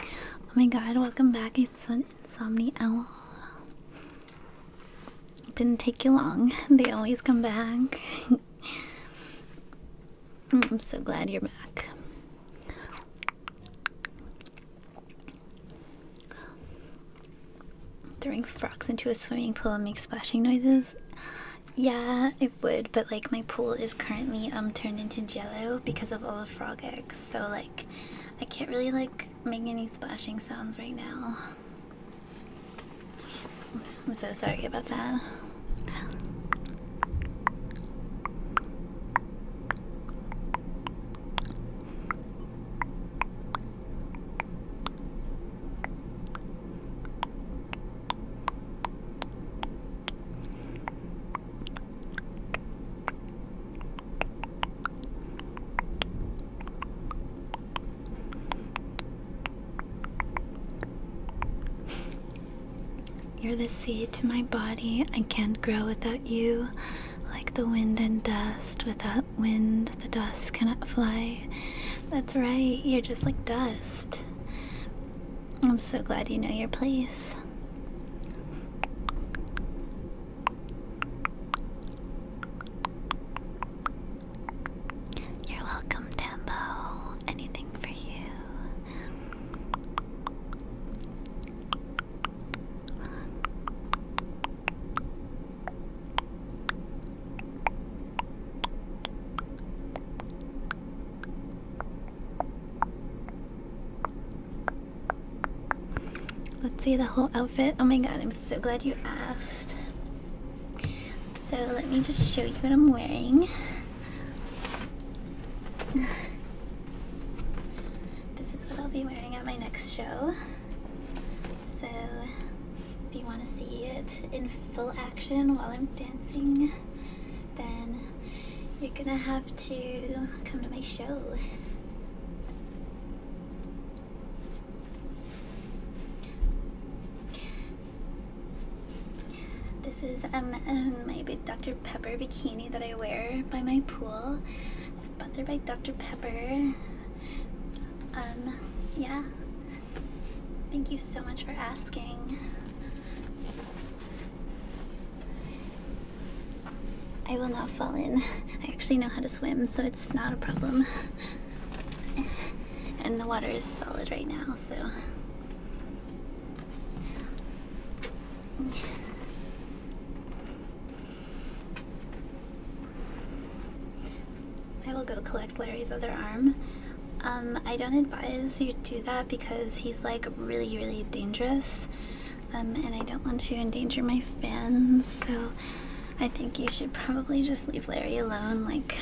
Oh my god, welcome back, it's an insomnia owl. It didn't take you long, they always come back. Mm, I'm so glad you're back. Throwing frogs into a swimming pool and make splashing noises. Yeah, it would, but like my pool is currently um turned into jello because of all the frog eggs. So like I can't really like make any splashing sounds right now. I'm so sorry about that. You're the seed to my body. I can't grow without you. Like the wind and dust, without wind the dust cannot fly. That's right, you're just like dust. I'm so glad you know your place. You're welcome, Tambo. Anything for you. Let's see the whole outfit. Oh my god, I'm so glad you asked. So, let me just show you what I'm wearing. This is what I'll be wearing at my next show. So, if you want to see it in full while I'm dancing, then you're gonna have to come to my show. This is um, um my Dr. Pepper bikini that I wear by my pool, sponsored by Dr. Pepper. Um, yeah, Thank you so much for asking. I will not fall in. I actually know how to swim, so it's not a problem. And the water is solid right now, so. I will go collect Larry's other arm. Um, I don't advise you do that because he's like really, really dangerous, um, and I don't want to endanger my fans. So I think you should probably just leave Larry alone. Like,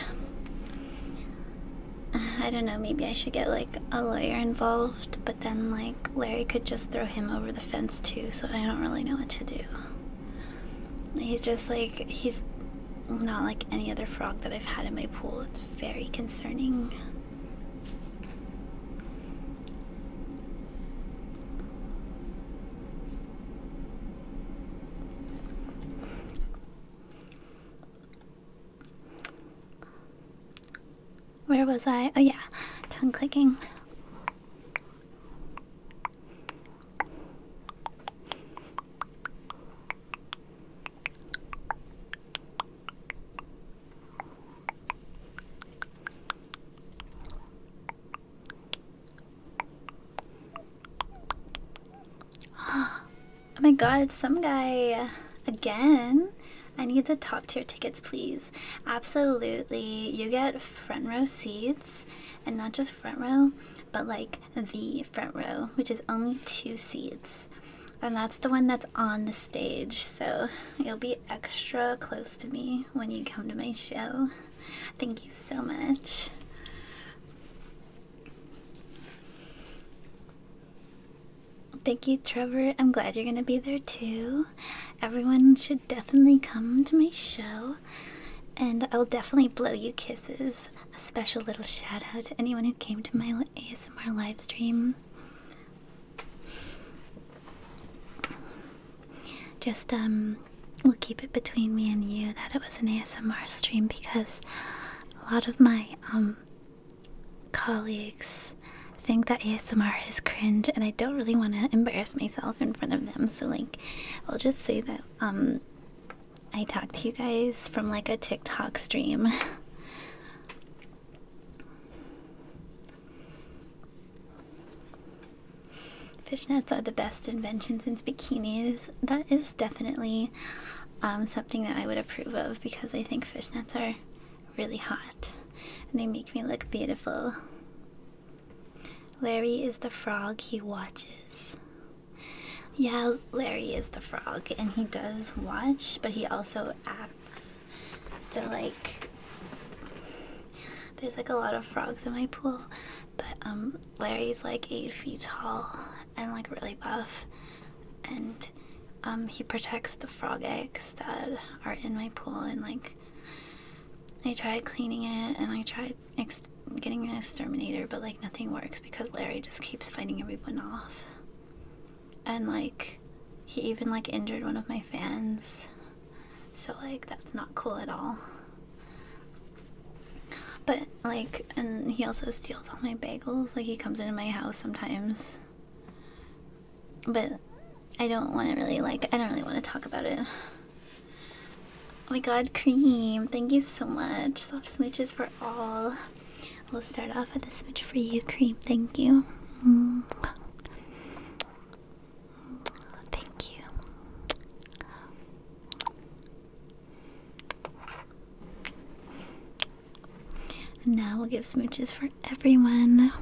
I don't know. Maybe I should get like a lawyer involved, but then like Larry could just throw him over the fence too. So I don't really know what to do. He's just like he's not like any other frog that I've had in my pool. It's very concerning. Where was I? Oh, yeah, tongue clicking oh my god, some guy again. I need the top tier tickets, please. Absolutely. You get front row seats and not just front row, but like the front row, which is only two seats. And that's the one that's on the stage, so you'll be extra close to me when you come to my show. Thank you so much. Thank you, Trevor. I'm glad you're going to be there too. Everyone should definitely come to my show, and I'll definitely blow you kisses a special little shout out to anyone who came to my ASMR live stream. Just, um, we'll keep it between me and you that it was an ASMR stream because a lot of my, um, colleagues think that ASMR is cringe and I don't really want to embarrass myself in front of them, so, like, I'll just say that, um, I talked to you guys from like a TikTok stream. Fishnets are the best invention since bikinis. That is definitely um, something that I would approve of because I think fishnets are really hot and they make me look beautiful. Larry is the frog he watches. Yeah, Larry is the frog and he does watch, but he also acts. So, like, there's like a lot of frogs in my pool, but um, Larry's like eight feet tall and like really buff, and um, he protects the frog eggs that are in my pool. And like, I tried cleaning it and I tried ex getting an exterminator, but like nothing works because Larry just keeps fighting everyone off. And like he even like injured one of my fans. So like that's not cool at all. But like and he also steals all my bagels. Like he comes into my house sometimes. But I don't want to really like I don't really want to talk about it. Oh my god, cream. Thank you so much. Soft smooches for all. We'll start off with a smooch for you, cream. Thank you. Thank you. now we'll give smooches for everyone.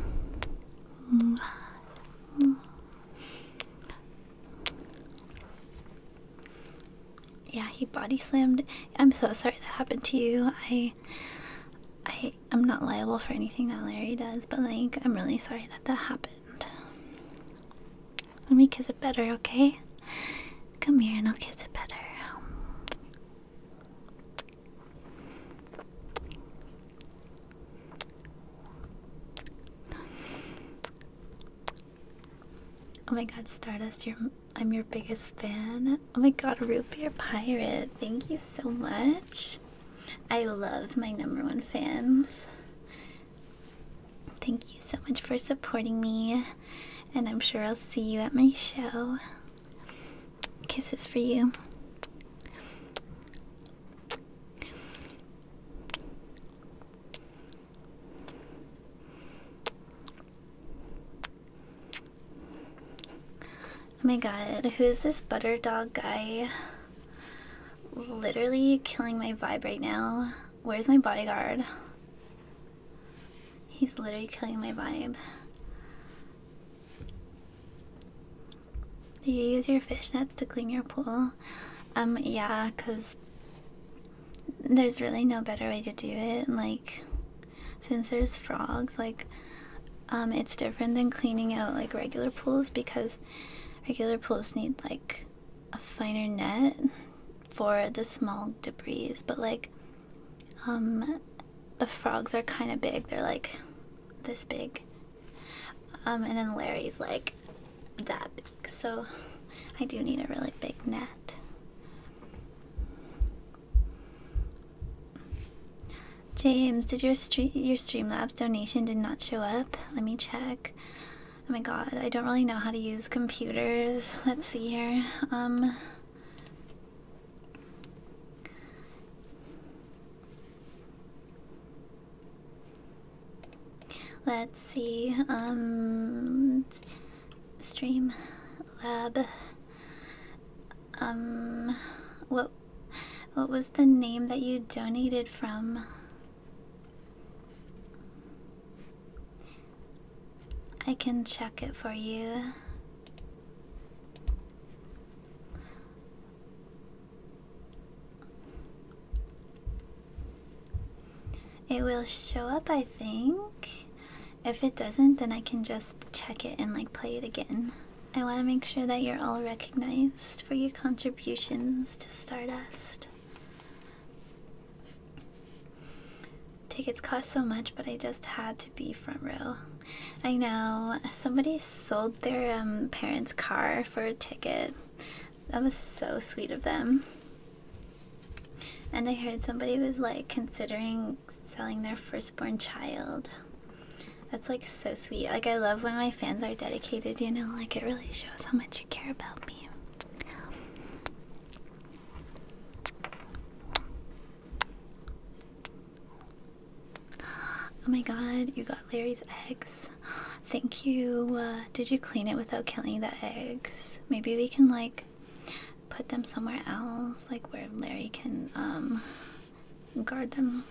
Yeah, he body slammed. I'm so sorry that happened to you. I, I, I'm not liable for anything that Larry does, but like, I'm really sorry that that happened. Let me kiss it better, okay? Come here, and I'll kiss it better. Oh my god, Stardust, you're I'm your biggest fan. Oh my god, Root Beer Pirate. Thank you so much. I love my number one fans. Thank you so much for supporting me, and I'm sure I'll see you at my show. Kisses for you. Oh my god, who's this butter dog guy? Literally killing my vibe right now. Where's my bodyguard? He's literally killing my vibe. Do you use your fish nets to clean your pool? Um, yeah, because there's really no better way to do it like since there's frogs like um it's different than cleaning out like regular pools because regular pools need like a finer net for the small debris but like um the frogs are kind of big they're like this big um and then larry's like that big so i do need a really big net James, did your stream your Streamlabs donation did not show up? Let me check. Oh my god, I don't really know how to use computers. Let's see here. Um Let's see. Um stream lab. Um, what what was the name that you donated from? I can check it for you. It will show up, I think. If it doesn't, then I can just check it and like play it again. I want to make sure that you're all recognized for your contributions to Stardust. Tickets cost so much, but I just had to be front row. I know somebody sold their um, parents' car for a ticket. That was so sweet of them. And I heard somebody was like considering selling their firstborn child. That's like so sweet. Like, I love when my fans are dedicated, you know, like, it really shows how much you care about me. Oh my god, you got Larry's eggs. Thank you. Uh, did you clean it without killing the eggs? Maybe we can, like, put them somewhere else, like where Larry can um guard them.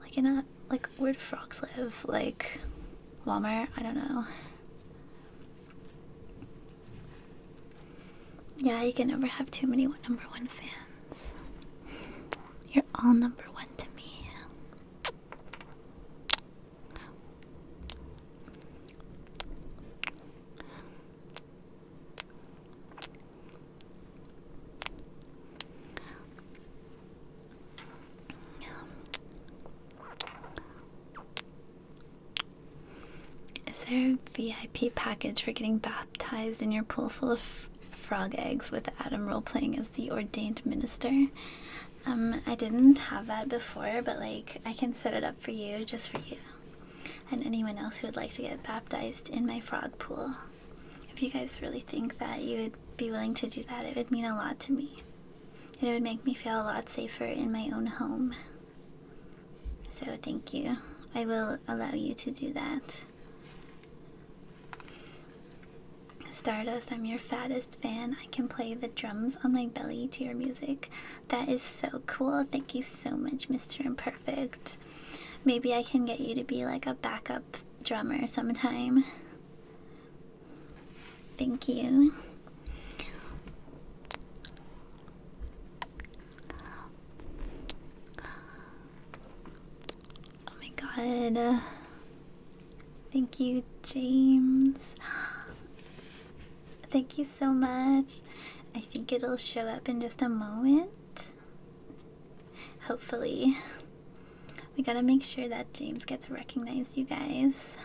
Like in a like where do frogs live? Like Walmart? I don't know. Yeah, you can never have too many number one fans. You're all number one to me. Is there a VIP package for getting baptized in your pool full of frog eggs with Adam role playing as the ordained minister? Um, I didn't have that before, but like I can set it up for you just for you and anyone else who would like to get baptized in my frog pool. If you guys really think that you would be willing to do that, it would mean a lot to me. And it would make me feel a lot safer in my own home. So thank you. I will allow you to do that. Stardust, I'm your fattest fan. I can play the drums on my belly to your music. That is so cool. Thank you so much, Mr. Imperfect. Maybe I can get you to be like a backup drummer sometime. Thank you. Oh my god. thank you, James. Thank you so much. I think it'll show up in just a moment. Hopefully. We gotta make sure that James gets recognized, you guys.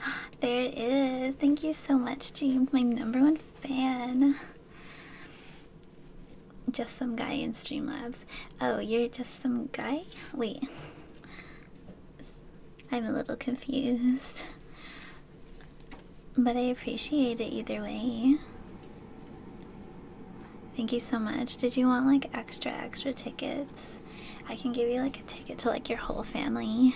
There it is. Thank you so much, James, my number one fan. Just some guy in Streamlabs. Oh, you're just some guy? Wait. I'm a little confused. But I appreciate it either way. Thank you so much. Did you want like extra, extra tickets? I can give you like a ticket to like your whole family.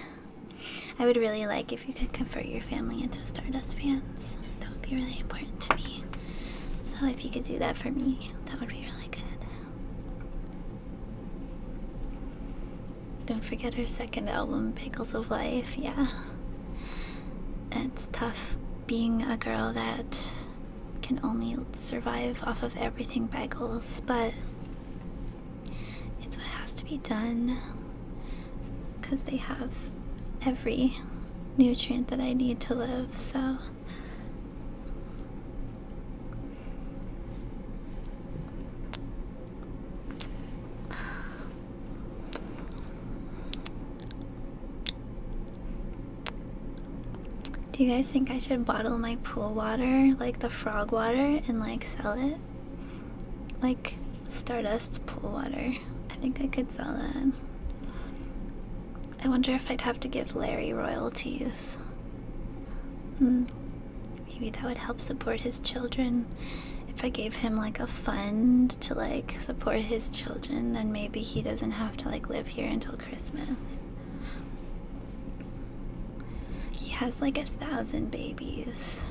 I would really like if you could convert your family into Stardust fans. That would be really important to me. So if you could do that for me, that would be really good. Don't forget her second album, Pickles of Life. Yeah. It's tough being a girl that can only survive off of everything bagels, but it's what has to be done because they have every nutrient that I need to live, so do you guys think I should bottle my pool water, like the frog water, and like sell it? Like Stardust's pool water. I think I could sell that. I wonder if I'd have to give Larry royalties. Hmm. Maybe that would help support his children. If I gave him like a fund to like support his children, then maybe he doesn't have to like live here until Christmas. He has like a thousand babies.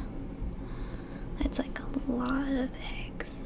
It's like a lot of eggs.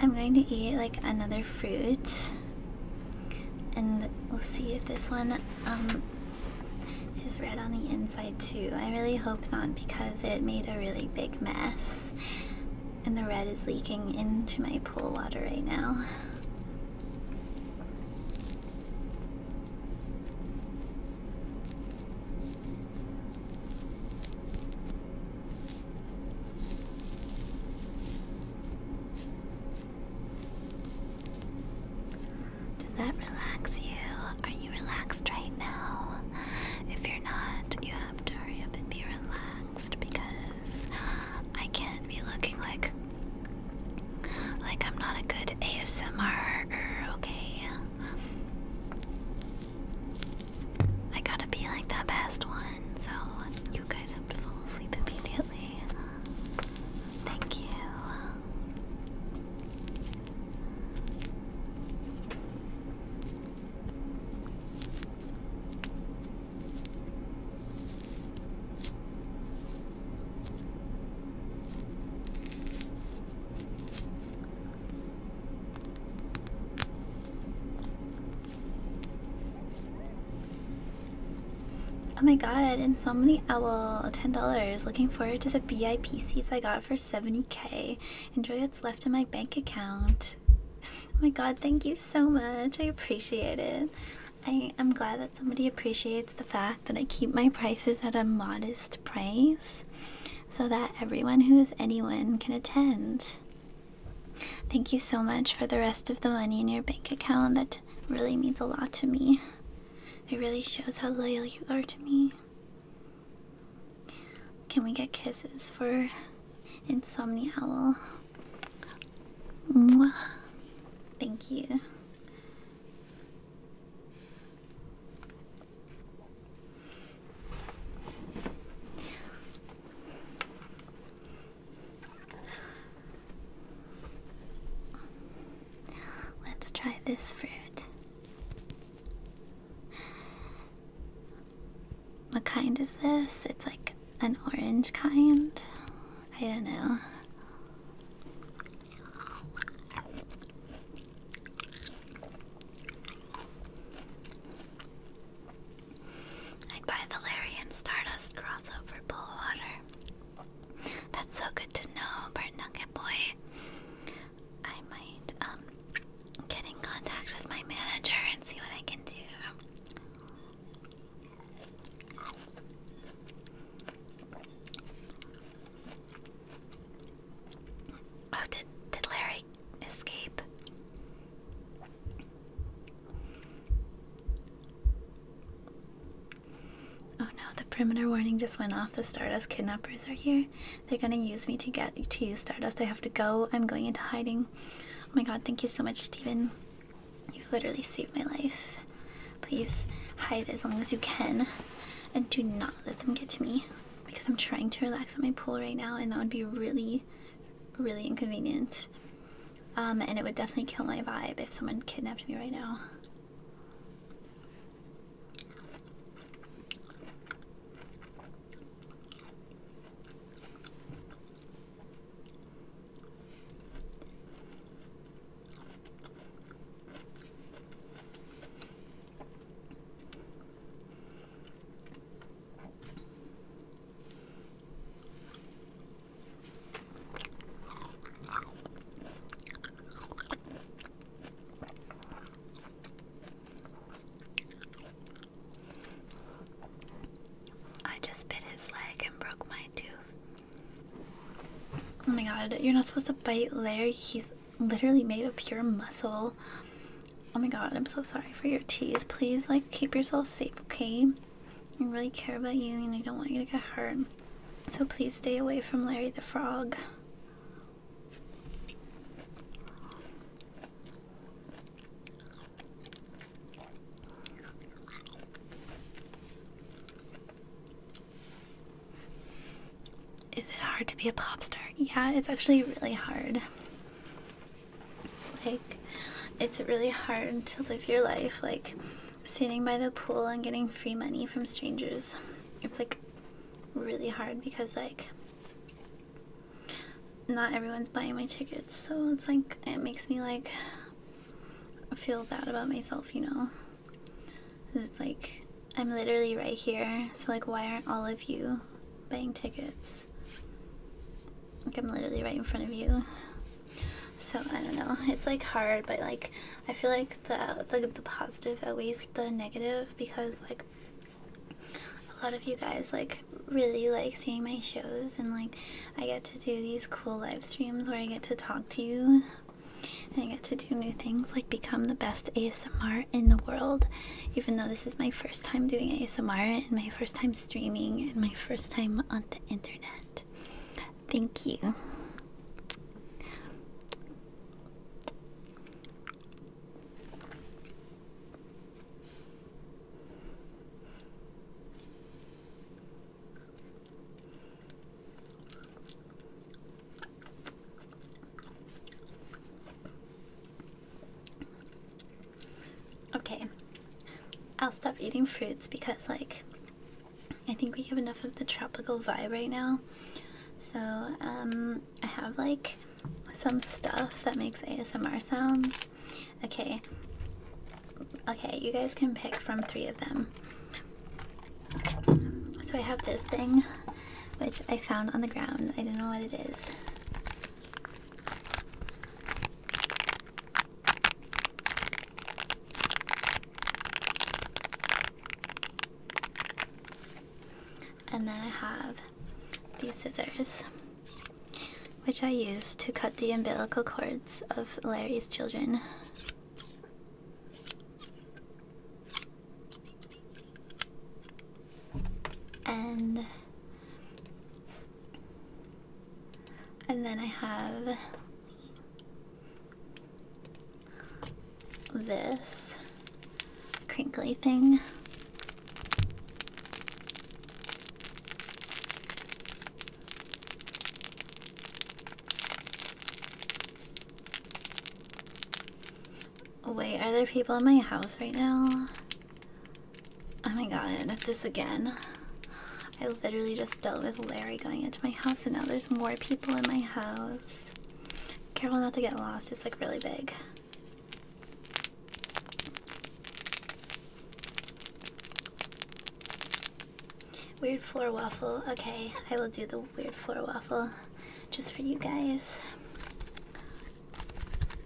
I'm going to eat like another fruit and we'll see if this one um, is red on the inside too. I really hope not because it made a really big mess and the red is leaking into my pool water right now. Did that relax you? Are you relaxed right now? If you're not, you have to hurry up and be relaxed because I can't be looking like like I'm not a good ASMR, okay? I gotta be like the best one, so you guys have to fall asleep immediately. Thank you. Oh my god, Insomni Owl, $10. Looking forward to the BIP seats I got for 70k. Enjoy what's left in my bank account. Oh my god, thank you so much. I appreciate it. I am glad that somebody appreciates the fact that I keep my prices at a modest price so that everyone who is anyone can attend. Thank you so much for the rest of the money in your bank account. That really means a lot to me. It really shows how loyal you are to me. Can we get kisses for Insomnia Owl? Mwah. Thank you. Let's try this fruit. What kind is this? It's like an orange kind. I don't know. I'd buy the Larry and Stardust crossover pool water. That's so good to know, Bert Nugget Boy. I might um get in contact with my manager and see what I can do. Oh, did did Larry escape? Oh no, the perimeter warning just went off. The Stardust kidnappers are here. They're gonna use me to get to you, Stardust. I have to go. I'm going into hiding. Oh my god, thank you so much, Steven. You literally saved my life. Please hide as long as you can and do not let them get to me because I'm trying to relax on my pool right now, and that would be really, really inconvenient. Um, and it would definitely kill my vibe if someone kidnapped me right now. I just bit his leg and broke my tooth. Oh my god, you're not supposed to bite Larry. He's literally made of pure muscle. Oh my god, I'm so sorry for your teeth. Please, like, keep yourself safe, okay? I really care about you and I don't want you to get hurt. So please stay away from Larry the Frog. Is it hard to be a pop star? Yeah, it's actually really hard. Like, it's really hard to live your life, like, sitting by the pool and getting free money from strangers. It's like really hard because, like, not everyone's buying my tickets, so it's like it makes me like feel bad about myself, you know. It's like I'm literally right here, so like, why aren't all of you buying tickets? Like, I'm literally right in front of you. So I don't know. It's like hard, but like, I feel like the the, the positive outweighs the negative because like a lot of you guys like really like seeing my shows and like I get to do these cool live streams where I get to talk to you and I get to do new things like become the best ASMR in the world even though this is my first time doing ASMR and my first time streaming and my first time on the internet. Thank you. Okay. I'll stop eating fruits because, like, I think we have enough of the tropical vibe right now. So, um, I have, like, some stuff that makes ASMR sounds. Okay. Okay, you guys can pick from three of them. So, I have this thing which I found on the ground. I don't know what it is. And then I have these scissors, which I use to cut the umbilical cords of Larry's children and and then I have this crinkly thing. Wait, are there people in my house right now? Oh my god, this again. I literally just dealt with Larry going into my house and now there's more people in my house. Careful not to get lost, it's like really big. Weird floor waffle. Okay, I will do the weird floor waffle just for you guys.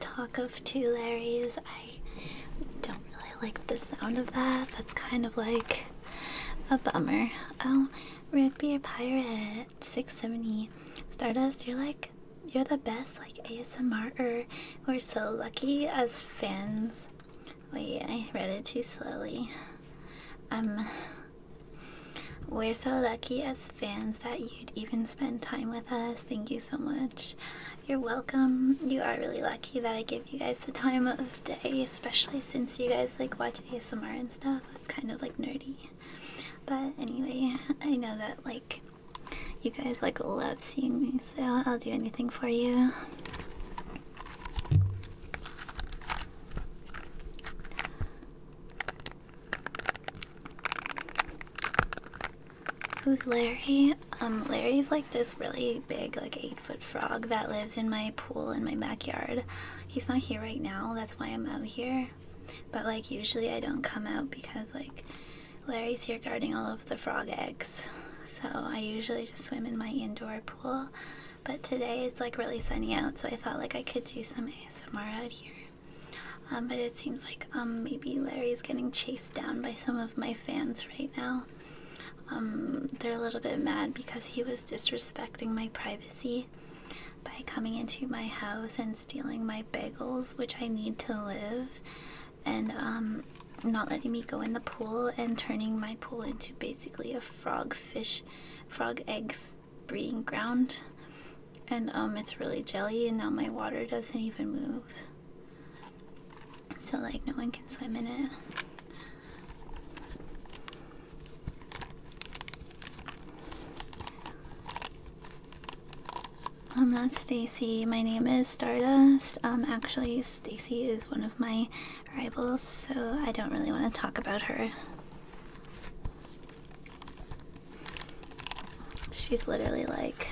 talk of two Larrys. I don't really like the sound of that. That's kind of like a bummer. Oh, Rigby or Pirate, 670. Stardust, you're like, you're the best, like ASMR. -er. We're so lucky as fans. Wait, I read it too slowly. Um, we're so lucky as fans that you'd even spend time with us. Thank you so much. You're welcome. You are really lucky that I give you guys the time of day, especially since you guys like watch ASMR and stuff. It's kind of like nerdy. But anyway, I know that like you guys like love seeing me, so I'll do anything for you. Who's Larry? Um, Larry's like this really big, like eight foot frog that lives in my pool in my backyard. He's not here right now, that's why I'm out here. But like usually I don't come out because like Larry's here guarding all of the frog eggs. So I usually just swim in my indoor pool. But today it's like really sunny out, so I thought like I could do some ASMR out here. Um, but it seems like um, maybe Larry's getting chased down by some of my fans right now. Um, they're a little bit mad because he was disrespecting my privacy by coming into my house and stealing my bagels, which I need to live, and um, not letting me go in the pool and turning my pool into basically a frog fish, frog egg breeding ground and um it's really jelly and now my water doesn't even move so like no one can swim in it I'm um, not Stacy. My name is Stardust. Um, actually, Stacy is one of my rivals, so I don't really want to talk about her. She's literally like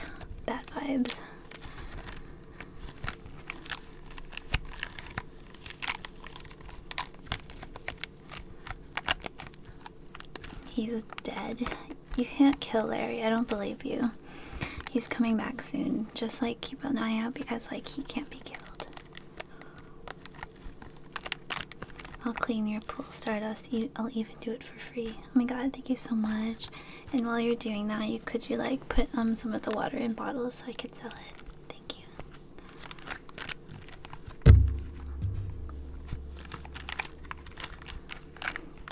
bad vibes. He's dead. You can't kill Larry. I don't believe you. He's coming back soon. Just like keep an eye out because like he can't be killed. I'll clean your pool stardust, I'll even do it for free. Oh my god, thank you so much. And while you're doing that, you could you like put um some of the water in bottles so I could sell it. Thank you.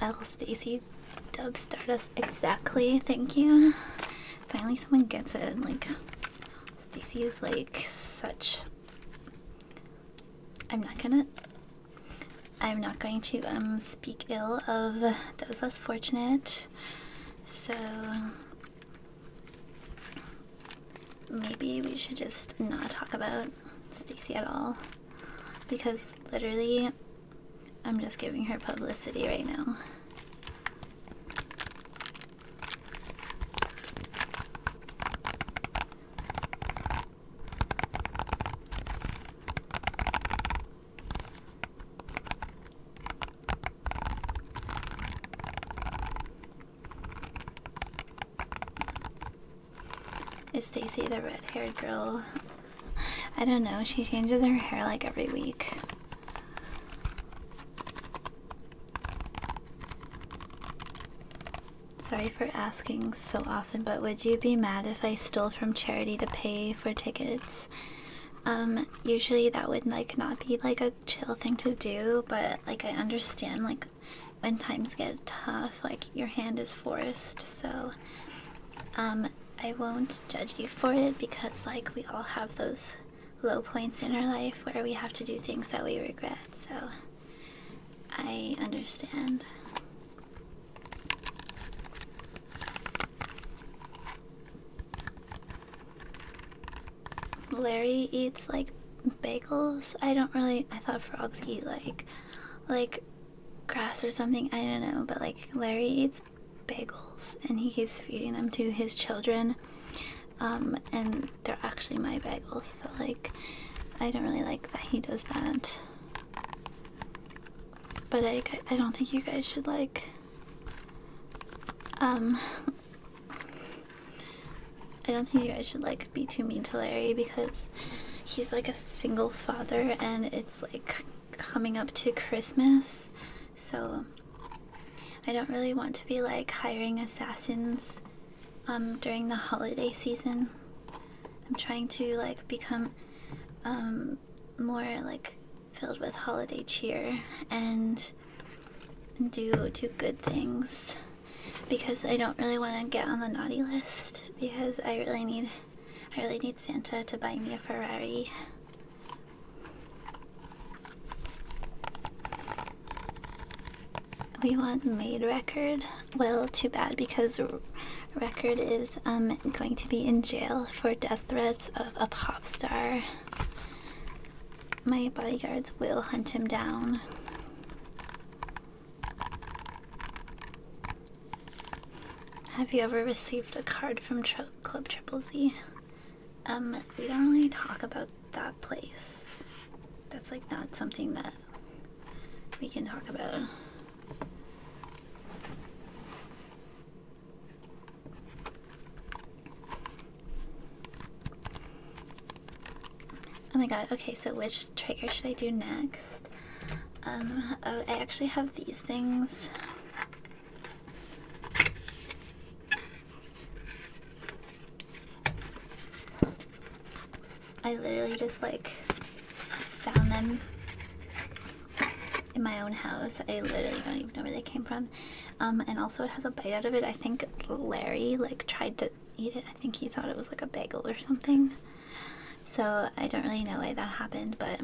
L Stacy dub Stardust exactly, thank you. Finally someone gets it. Like Stacy is like such I'm not gonna. I'm not going to um speak ill of those less fortunate. So maybe we should just not talk about Stacy at all because literally I'm just giving her publicity right now. Is Stacy the red-haired girl? I don't know. She changes her hair like every week. Sorry for asking so often, but would you be mad if I stole from charity to pay for tickets? Um, usually that would like not be like a chill thing to do, but like I understand like when times get tough, like your hand is forced, so um, I won't judge you for it because like we all have those low points in our life where we have to do things that we regret, so I understand. Larry eats like bagels. I don't really. I thought frogs eat like, like, grass or something. I don't know. But like Larry eats bagels, and he keeps feeding them to his children. Um, and they're actually my bagels. So like, I don't really like that he does that. But I, I don't think you guys should like um I don't think you guys should like be too mean to Larry because he's like a single father and it's like coming up to Christmas. So I don't really want to be like hiring assassins um during the holiday season. I'm trying to like become um, more like filled with holiday cheer and do do good things because I don't really want to get on the naughty list because I really need I really need Santa to buy me a Ferrari. We want made record. Well, too bad because Record is um, going to be in jail for death threats of a pop star. My bodyguards will hunt him down. Have you ever received a card from Club Triple Z? Um, we don't really talk about that place. That's like not something that we can talk about. Oh my god, okay, so which trigger should I do next? Um, oh, I actually have these things. I literally just like found them in my own house. I literally don't even know where they came from. Um, and also it has a bite out of it. I think Larry like tried to eat it. I think he thought it was like a bagel or something. So I don't really know why that happened, but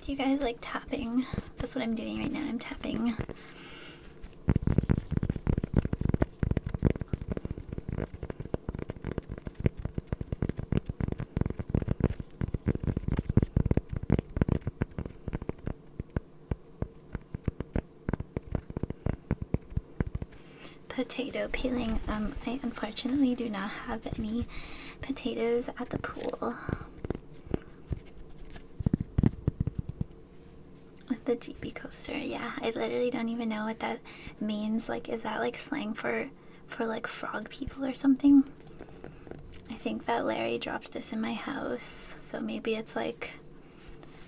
do you guys like tapping? That's what I'm doing right now. I'm tapping. Potato peeling. Um, I unfortunately do not have any potatoes at the pool. With the GB coaster, yeah. I literally don't even know what that means. Like, is that like slang for for like frog people or something? I think that Larry dropped this in my house, so maybe it's like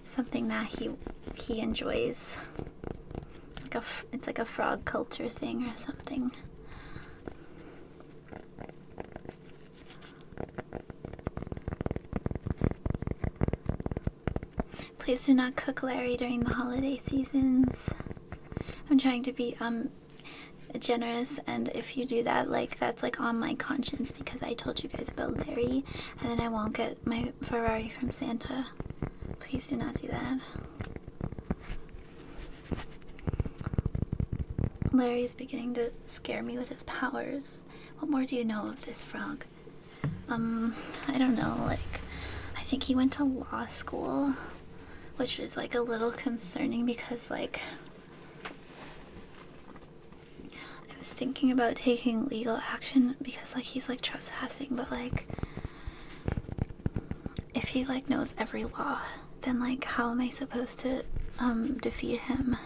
something that he he enjoys. Like a, it's like a frog culture thing or something. Please do not cook Larry during the holiday seasons. I'm trying to be um generous and if you do that like that's like on my conscience because I told you guys about Larry and then I won't get my Ferrari from Santa. Please do not do that. Larry is beginning to scare me with his powers. What more do you know of this frog? Um, I don't know, like, I think he went to law school, which is like a little concerning because, like, I was thinking about taking legal action because, like, he's like trespassing, but, like, if he like knows every law, then like how am I supposed to um defeat him?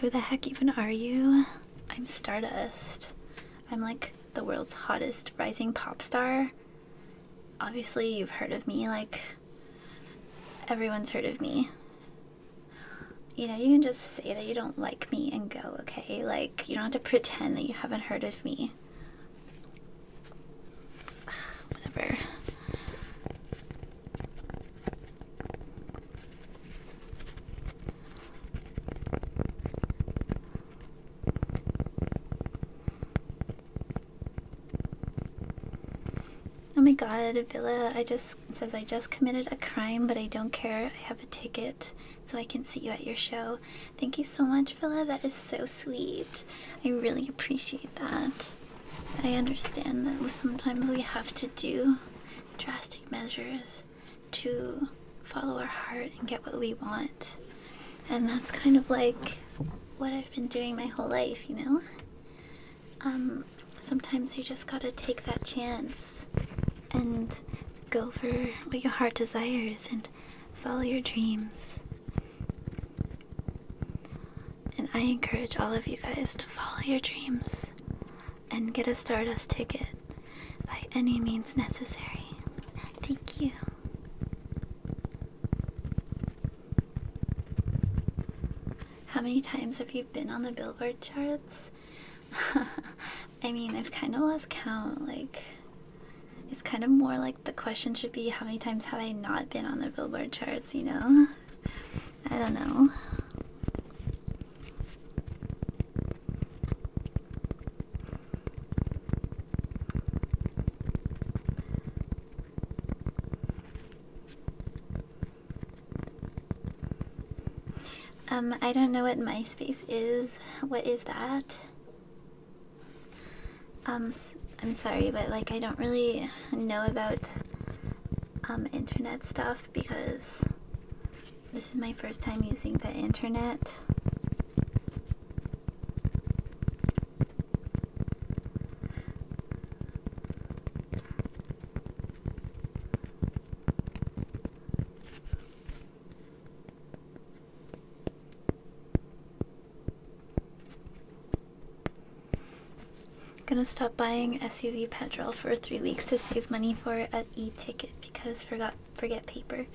Who the heck even are you? I'm Stardust. I'm like the world's hottest rising pop star. Obviously, you've heard of me, like, everyone's heard of me. You know, you can just say that you don't like me and go, okay? Like, you don't have to pretend that you haven't heard of me. whatever. Oh my god, Villa, I just says I just committed a crime, but I don't care. I have a ticket so I can see you at your show. Thank you so much, Villa. That is so sweet. I really appreciate that. I understand that sometimes we have to do drastic measures to follow our heart and get what we want. And that's kind of like what I've been doing my whole life, you know? Um, sometimes you just gotta take that chance and go for what your heart desires and follow your dreams. And I encourage all of you guys to follow your dreams and get a Stardust ticket by any means necessary. Thank you. How many times have you been on the Billboard charts? I mean, I've kind of lost count. Like, it's kind of more like the question should be how many times have I not been on the Billboard charts, you know? I don't know. Um, I don't know what MySpace is. What is that? Um, I'm sorry, but like I don't really know about um internet stuff because this is my first time using the internet. Gonna stop buying SUV petrol for three weeks to save money for a ticket because forgot forget paper.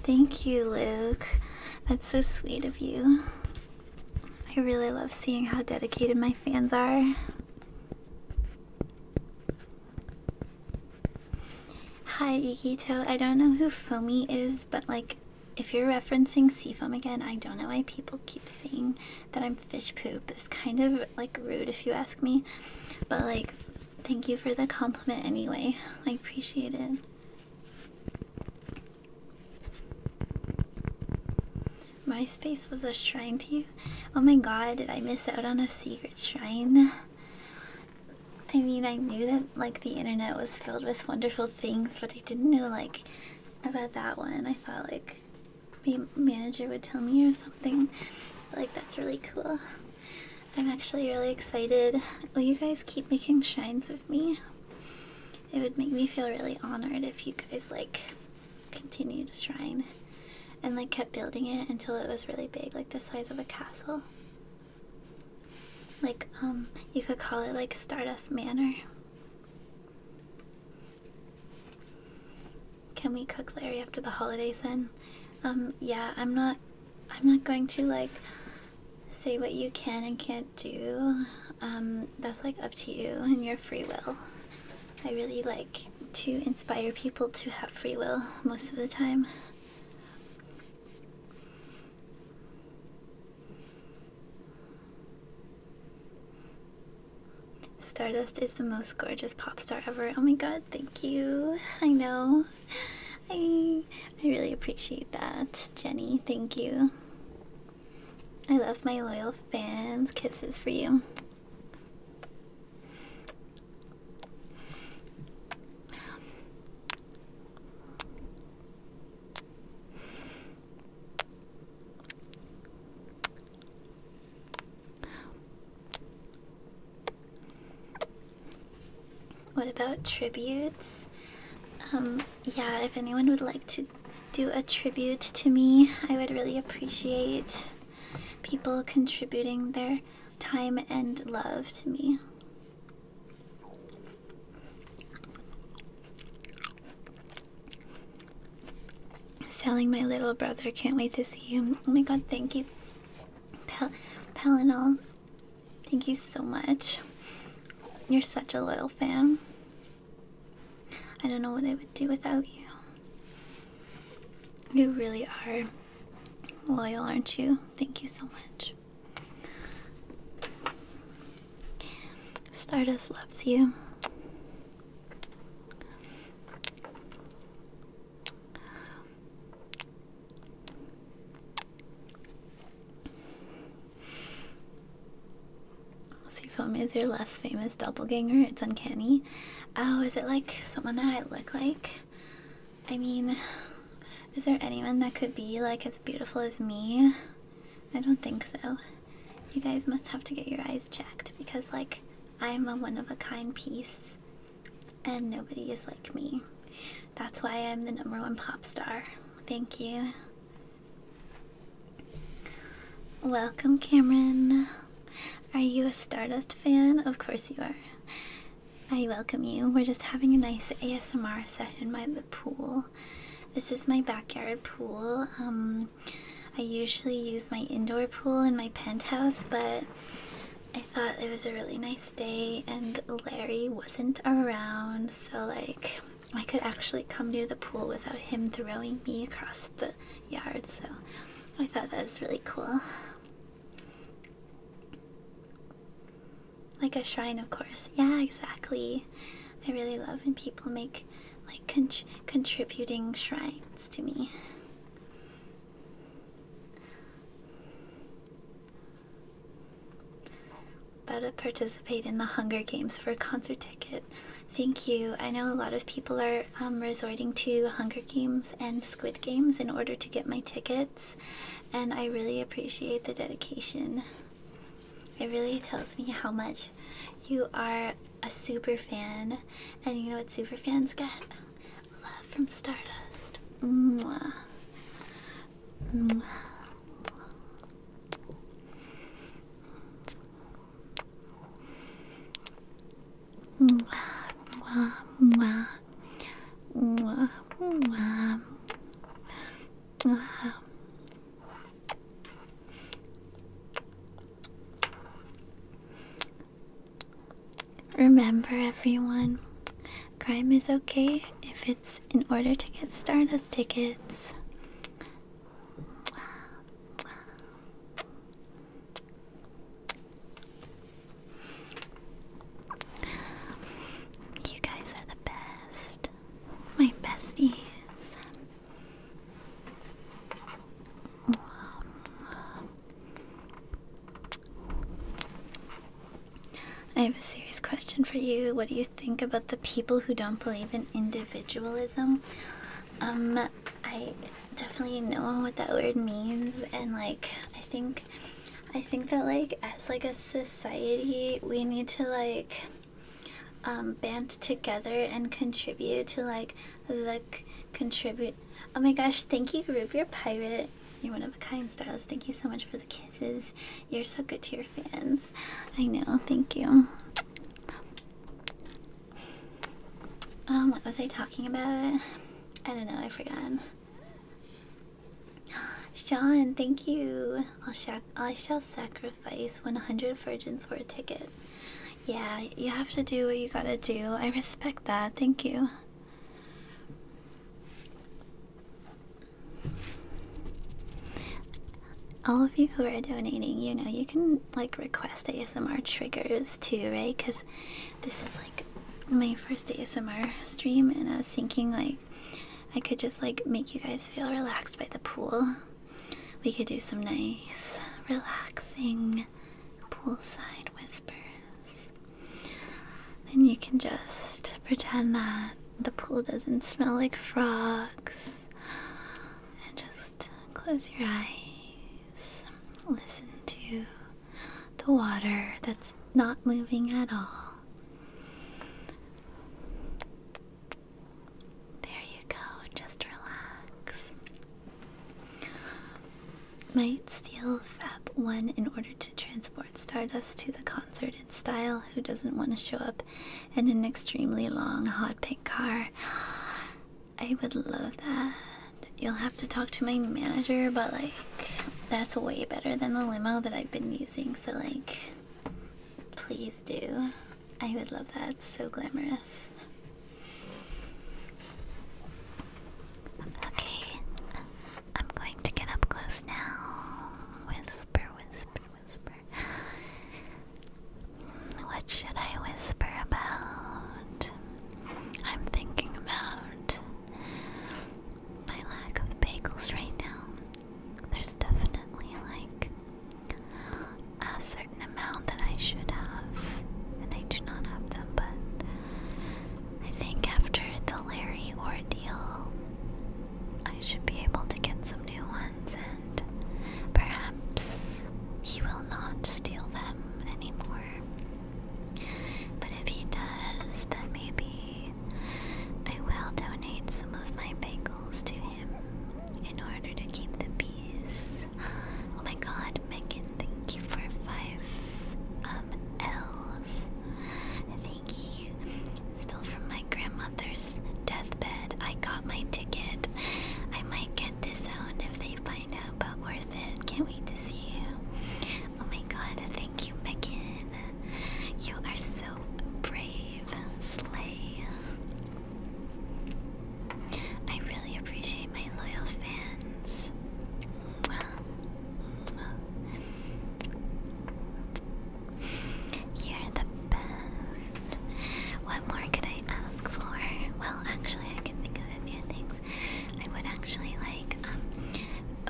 Thank you, Luke. That's so sweet of you. I really love seeing how dedicated my fans are. Hi, Ikito. I don't know who Foamy is, but like, if you're referencing Seafoam again, I don't know why people keep saying that I'm fish poop. It's kind of like rude if you ask me, but like, thank you for the compliment anyway. I appreciate it. MySpace was a shrine to you? Oh my god, did I miss out on a secret shrine? I mean, I knew that like the internet was filled with wonderful things, but I didn't know like about that one. I thought like the manager would tell me or something. Like that's really cool. I'm actually really excited. Will you guys keep making shrines with me? It would make me feel really honored if you guys like continued to shrine and like kept building it until it was really big, like the size of a castle. Like, um, you could call it like Stardust Manor. Can we cook Larry after the holidays then? Um, yeah, I'm not I'm not going to like say what you can and can't do. Um, that's like up to you and your free will. I really like to inspire people to have free will most of the time. Stardust is the most gorgeous pop star ever. Oh my god, thank you. I know. I I really appreciate that, Jenny. Thank you. I love my loyal fans. Kisses for you. What about tributes? Um, yeah, if anyone would like to do a tribute to me, I would really appreciate people contributing their time and love to me. Selling my little brother, can't wait to see you. Oh my god, thank you. Pel Pelinol. Thank you so much. You're such a loyal fan. I don't know what I would do without you. You really are loyal, aren't you? Thank you so much. Stardust loves you. See, Sufumi is your less famous doppelganger. It's uncanny. Oh, is it like someone that I look like? I mean, is there anyone that could be like as beautiful as me? I don't think so. You guys must have to get your eyes checked because, like, I'm a one of a kind piece and nobody is like me. That's why I'm the number one pop star. Thank you. Welcome, Cameron. Are you a Stardust fan? Of course you are. I welcome you. We're just having a nice ASMR session by the pool. This is my backyard pool. Um, I usually use my indoor pool in my penthouse, but I thought it was a really nice day and Larry wasn't around, so like I could actually come near the pool without him throwing me across the yard, so I thought that was really cool. Like a shrine, of course. Yeah, exactly. I really love when people make like contributing shrines to me. About to participate in the Hunger Games for a concert ticket. Thank you. I know a lot of people are um, resorting to Hunger Games and Squid Games in order to get my tickets, and I really appreciate the dedication. It really tells me how much you are a super fan, and you know what super fans get? Love from Stardust. Mwah. Remember, everyone, crime is okay if in order to get Stardust tickets. You guys are the best. My besties. I have a serious question for you. What do you think about the people who don't believe in individualism? Um, I definitely know what that word means, and like, I think, I think that like, as like a society, we need to like, um, band together and contribute to like, the contribute. Oh my gosh! Thank you, group. You're pirate. You're one of a kind, Styles. Thank you so much for the kisses. You're so good to your fans. I know, thank you. Um, what was I talking about? I don't know, I forgot. Sean, thank you. I'll shac I shall sacrifice 100 virgins for a ticket. Yeah, you have to do what you gotta do. I respect that. Thank you all of you who are donating, you know, you can like request ASMR triggers too, right? Because this is like my first ASMR stream, and I was thinking like I could just like make you guys feel relaxed by the pool. We could do some nice, relaxing poolside whispers. and you can just pretend that the pool doesn't smell like frogs. And just close your eyes. Listen to the water that's not moving at all. There you go, just relax. Might steal Fab 1 in order to transport Stardust to the concert style who doesn't want to show up in an extremely long hot pink car i would love that you'll have to talk to my manager but like that's way better than the limo that i've been using so like please do i would love that it's so glamorous Okay, I'm going to get up close now. Whisper, whisper, whisper. What should I whisper about? I'm thinking about my lack of bagels right now. There's definitely like a certain amount that I should have, and I do not have them, but I think after the Larry ordeal, I should be able to get some new ones and perhaps he will not steal them anymore. But if he does, then maybe I will donate some of my bagels to him in order to keep the peace. Oh my god, Megan, thank you for five um L's. Thank you me. Still from my grandmother's deathbed. I got my ticket. I might get disowned if they find out, about worth it. Can't wait to see you. Oh my god, thank you, Megan. You are so brave. Slay. I really appreciate my loyal fans. You're the best. What more could I ask for? Well, actually, I can think of a few things. I would actually like um,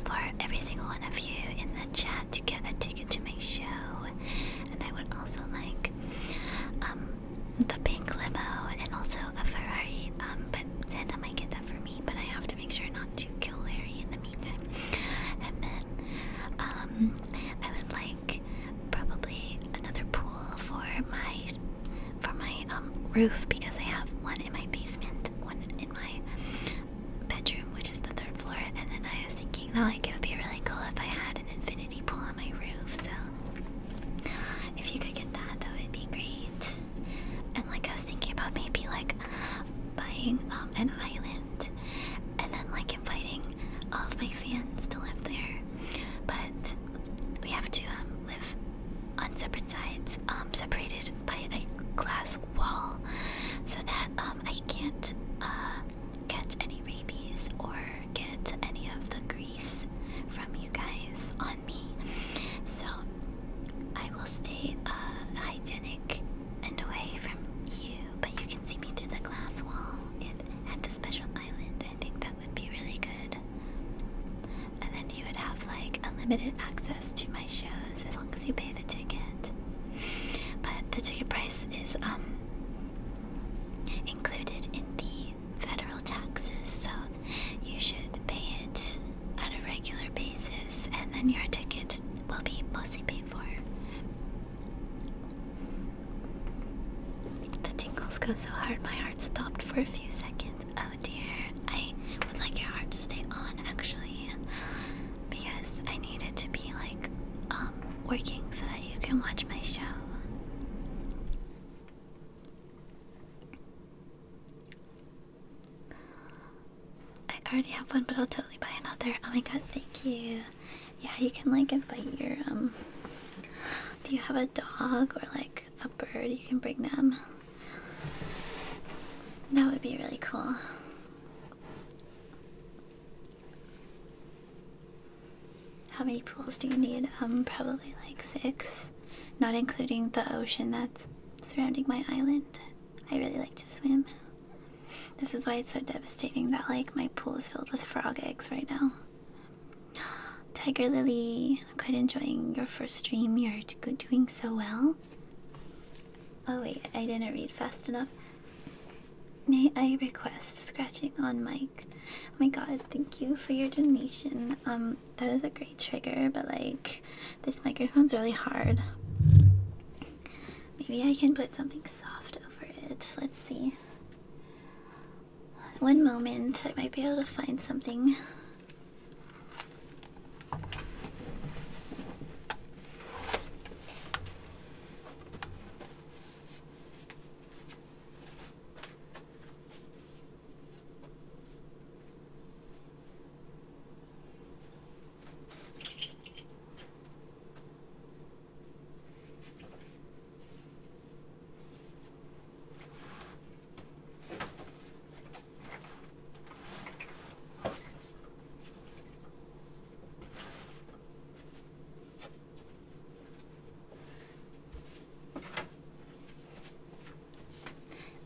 for every single one of you in the chat to get a ticket to my show, and I would also like um, the pink limo and also a Ferrari. Um, but Santa might get that for me, but I have to make sure not to kill Larry in the meantime. And then I would like probably another pool for my for my um roof because I have one in my basement, one in my bedroom, which is the third floor, and then I was thinking that oh, like it would be really cool if I had an infinity pool on my roof. So if you could get that, that would be great. And like I was thinking about maybe like buying um an island and then like I'm fighting all of my fans to live there, but we have to um, live on separate sides, um, separated by a glass wall, so that um, I can't uh, catch any rabies or get any of the grease from you guys on me. So I will stay uh, hygienic and away from you but you can see me through the glass wall and at the special island. I think that would be really good. And then you would have like unlimited access to my shows as long as you pay the ticket. But the ticket price is um included in the federal taxes, so you should pay it on a regular basis, and then your ticket will be mostly paid for. The tingles go so hard, my heart stopped for a few seconds. Oh dear. I would like your heart to stay on actually, because I need it to be like um, working so that you can watch my show. I already have one, but I'll totally buy another. Oh my god, thank you yeah, you can like invite your um. Do you have a dog or like a bird? You can bring them. That would be really cool. How many pools do you need? Um, probably like six, not including the ocean that's surrounding my island. I really like to swim. This is why it's so devastating that like my pool is filled with frog eggs right now. Tiger Lily, I'm quite enjoying your first stream. You're doing so well. Oh wait, I didn't read fast enough. May I request scratching on mic? Oh my god, thank you for your donation. Um, that is a great trigger, but like, this microphone's really hard. Maybe I can put something soft over it. Let's see. One moment, I might be able to find something.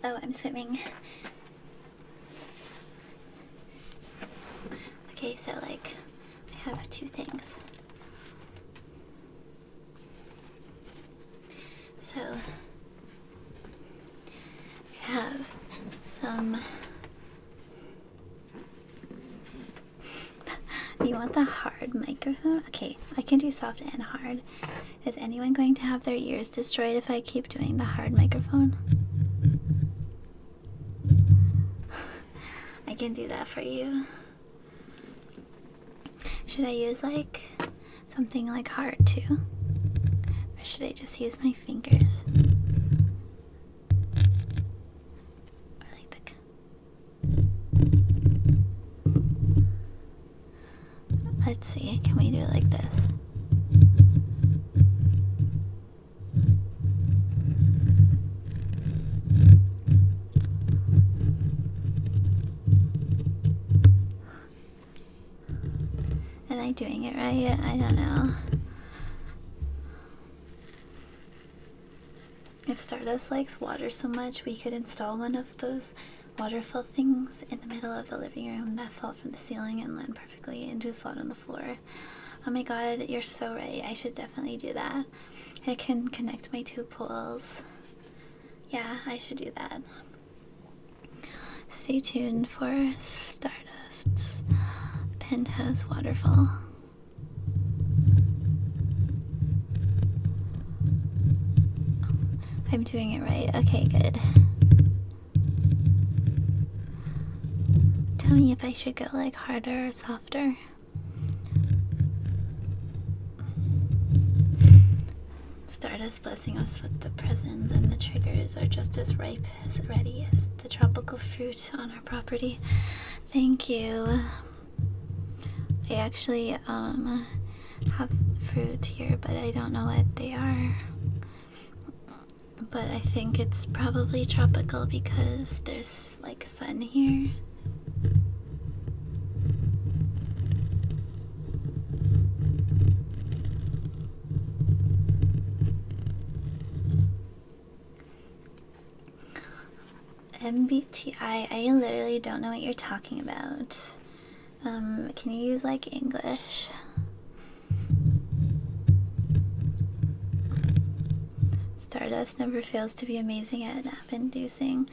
Oh, I'm swimming. Okay, so like I have two things. So, I have some. you want the hard microphone? Okay, I can do soft and hard. Is anyone going to have their ears destroyed if I keep doing the hard microphone? I can do that for you. Should I use like something like hard too? Or should I just use my fingers? Let's see, can we do it like this? Am I doing it right? I don't know. If Stardust likes water so much, we could install one of those waterfall things in the middle of the living room that fall from the ceiling and land perfectly into a slot on the floor. Oh my god, you're so right. I should definitely do that. I can connect my two poles. Yeah, I should do that. Stay tuned for Stardust's Penthouse Waterfall. I'm doing it right. Okay, good. Tell me if I should go like harder or softer. Stardust blessing us with the presents, and the triggers are just as ripe as ready as the tropical fruit on our property. Thank you. I actually um, have fruit here, but I don't know what they are. But I think it's probably tropical because there's like sun here. MBTI, I literally don't know what you're talking about. Um, can you use like English? Stardust never fails to be amazing at inducing.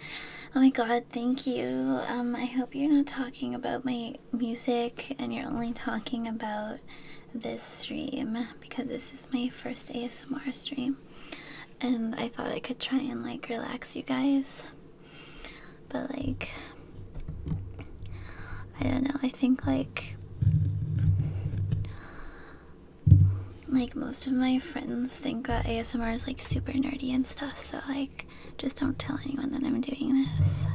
Oh my god, thank you. Um, I hope you're not talking about my music and you're only talking about this stream because this is my first ASMR stream and I thought I could try and like relax you guys. But like I don't know, I think like like most of my friends think that ASMR is like super nerdy and stuff, so like just don't tell anyone that I'm doing this.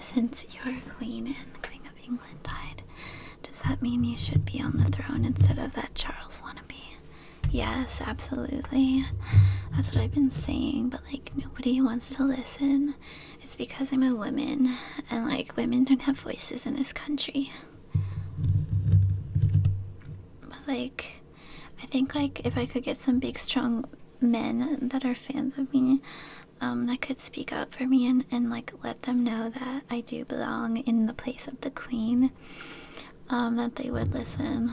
Since your queen and the queen of England died, does that mean you should be on the throne instead of that Charles wannabe? Yes, absolutely. That's what I've been saying, but like nobody wants to listen. It's because I'm a woman, and like women don't have voices in this country. But like, I think like if I could get some big, strong men that are fans of me, um, that could speak up for me and and like let them know that I do belong in the place of the queen, um, that they would listen.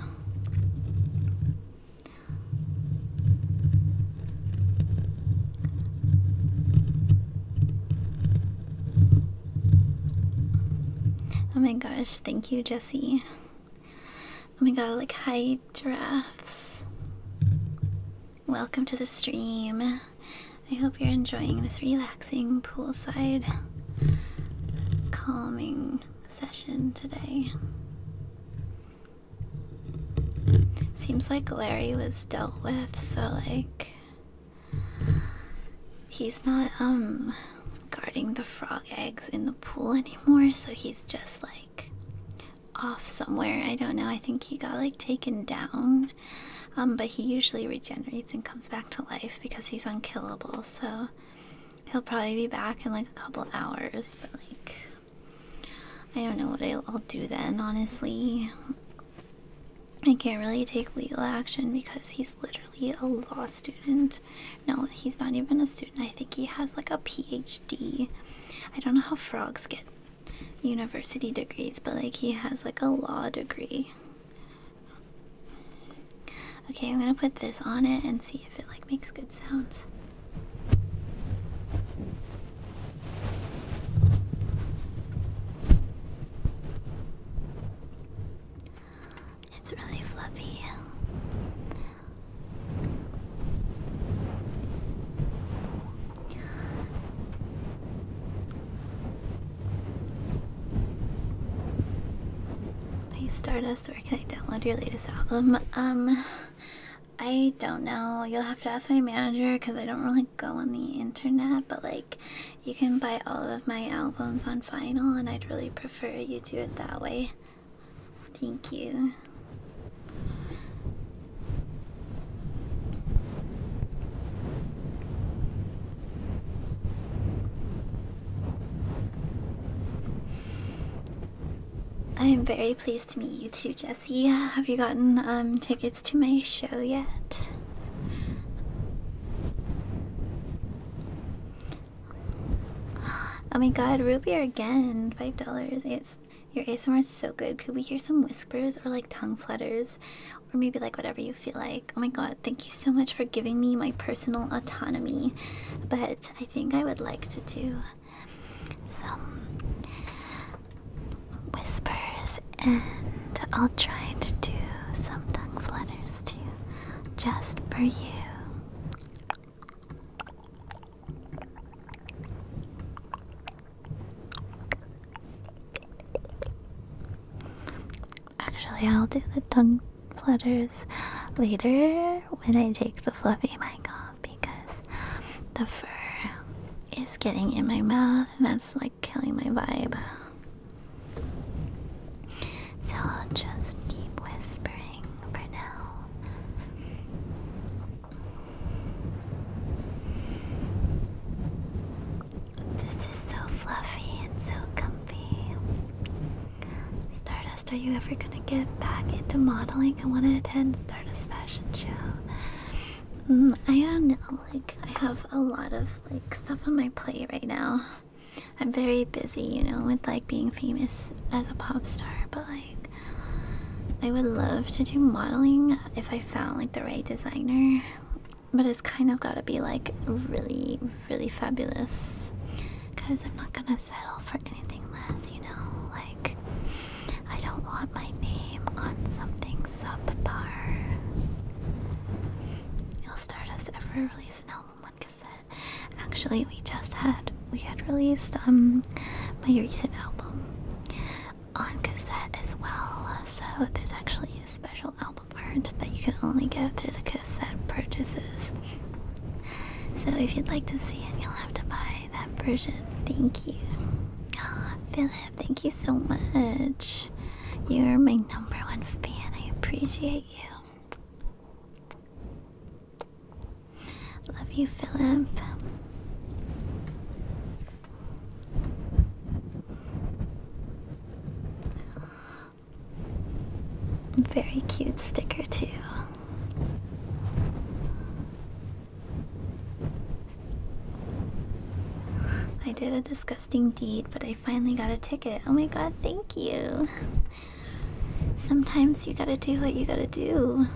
Oh my gosh, thank you, Jesse. Oh my god, like, hi, giraffes. Welcome to the stream. I hope you're enjoying this relaxing poolside calming session today. Seems like Larry was dealt with, so like he's not um guarding the frog eggs in the pool anymore, so he's just like off somewhere. I don't know. I think he got like taken down. Um but he usually regenerates and comes back to life because he's unkillable, so he'll probably be back in like a couple hours, but like I don't know what I'll, do then, honestly. I can't really take legal action because he's literally a law student. No, he's not even a student. I think he has like a PhD. I don't know how frogs get university degrees, but like he has like a law degree. Okay, I'm gonna put this on it and see if it like it makes good sounds. It's really fluffy. Hey Stardust, where can I download your latest album? Um, I don't know. You'll have to ask my manager because I don't really go on the internet. But like, you can buy all of my albums on vinyl, and I'd really prefer you do it that way. Thank you. I am very pleased to meet you too, Jess. See, have you gotten um, tickets to my show yet? Oh my god, Rupier again. Five dollars. It's your ASMR is so good. Could we hear some whispers or like tongue flutters? Or maybe like whatever you feel like. Oh my god, thank you so much for giving me my personal autonomy. But I think I would like to do some whispers, and I'll try to do some tongue flutters too, just for you. Actually, I'll do the tongue flutters later when I take the fluffy mic off because the fur is getting in my mouth, and that's like killing my vibe. So I'll just keep whispering for now. This is so fluffy and so comfy. Stardust, are you ever gonna get back into modeling? I want to attend Stardust Fashion Show. Mm, I don't know. Like I have a lot of like stuff on my plate right now. I'm very busy, you know, with like being famous as a pop star, but like I would love to do modeling if I found like the right designer. But it's kind of got to be like really really fabulous cuz I'm not going to settle for anything less, you know. Like I don't want my name on something subpar. You'll start us ever release an album on cassette. Actually, we just had we had released um my recent album on cassette as well. So there's actually a special album art that you can only get through the cassette purchases. So if you'd like to see it, you'll have to buy that version. Thank you. Ah, Philip, thank you so much. You're my number one fan. I appreciate you. Love you, Philip. Very cute sticker, too. I did a disgusting deed, but I finally got a ticket. Oh my god, thank you. Sometimes you gotta do what you gotta do.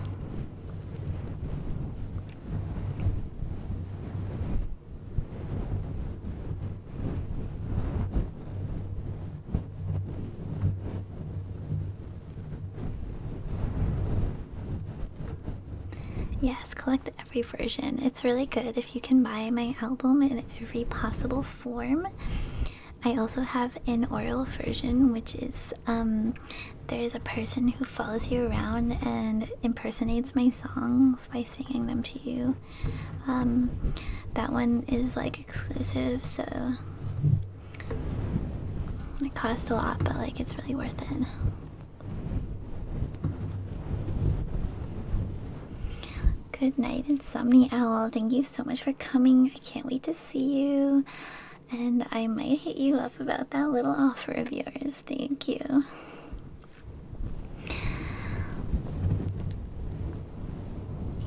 Yes, collect every version. It's really good if you can buy my album in every possible form. I also have an oral version, which is um, there's a person who follows you around and impersonates my songs by singing them to you. Um, that one is like exclusive, so it costs a lot, but like it's really worth it. Good night, Insomni Owl. Thank you so much for coming. I can't wait to see you. And I might hit you up about that little offer of yours. Thank you.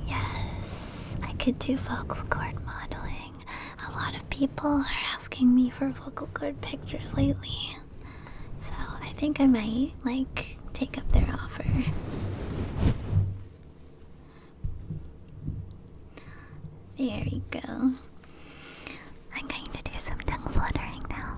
Yes, I could do vocal cord modeling. A lot of people are asking me for vocal cord pictures lately. So I think I might, like, take up their offer. There you go. I'm going to do some tongue fluttering now.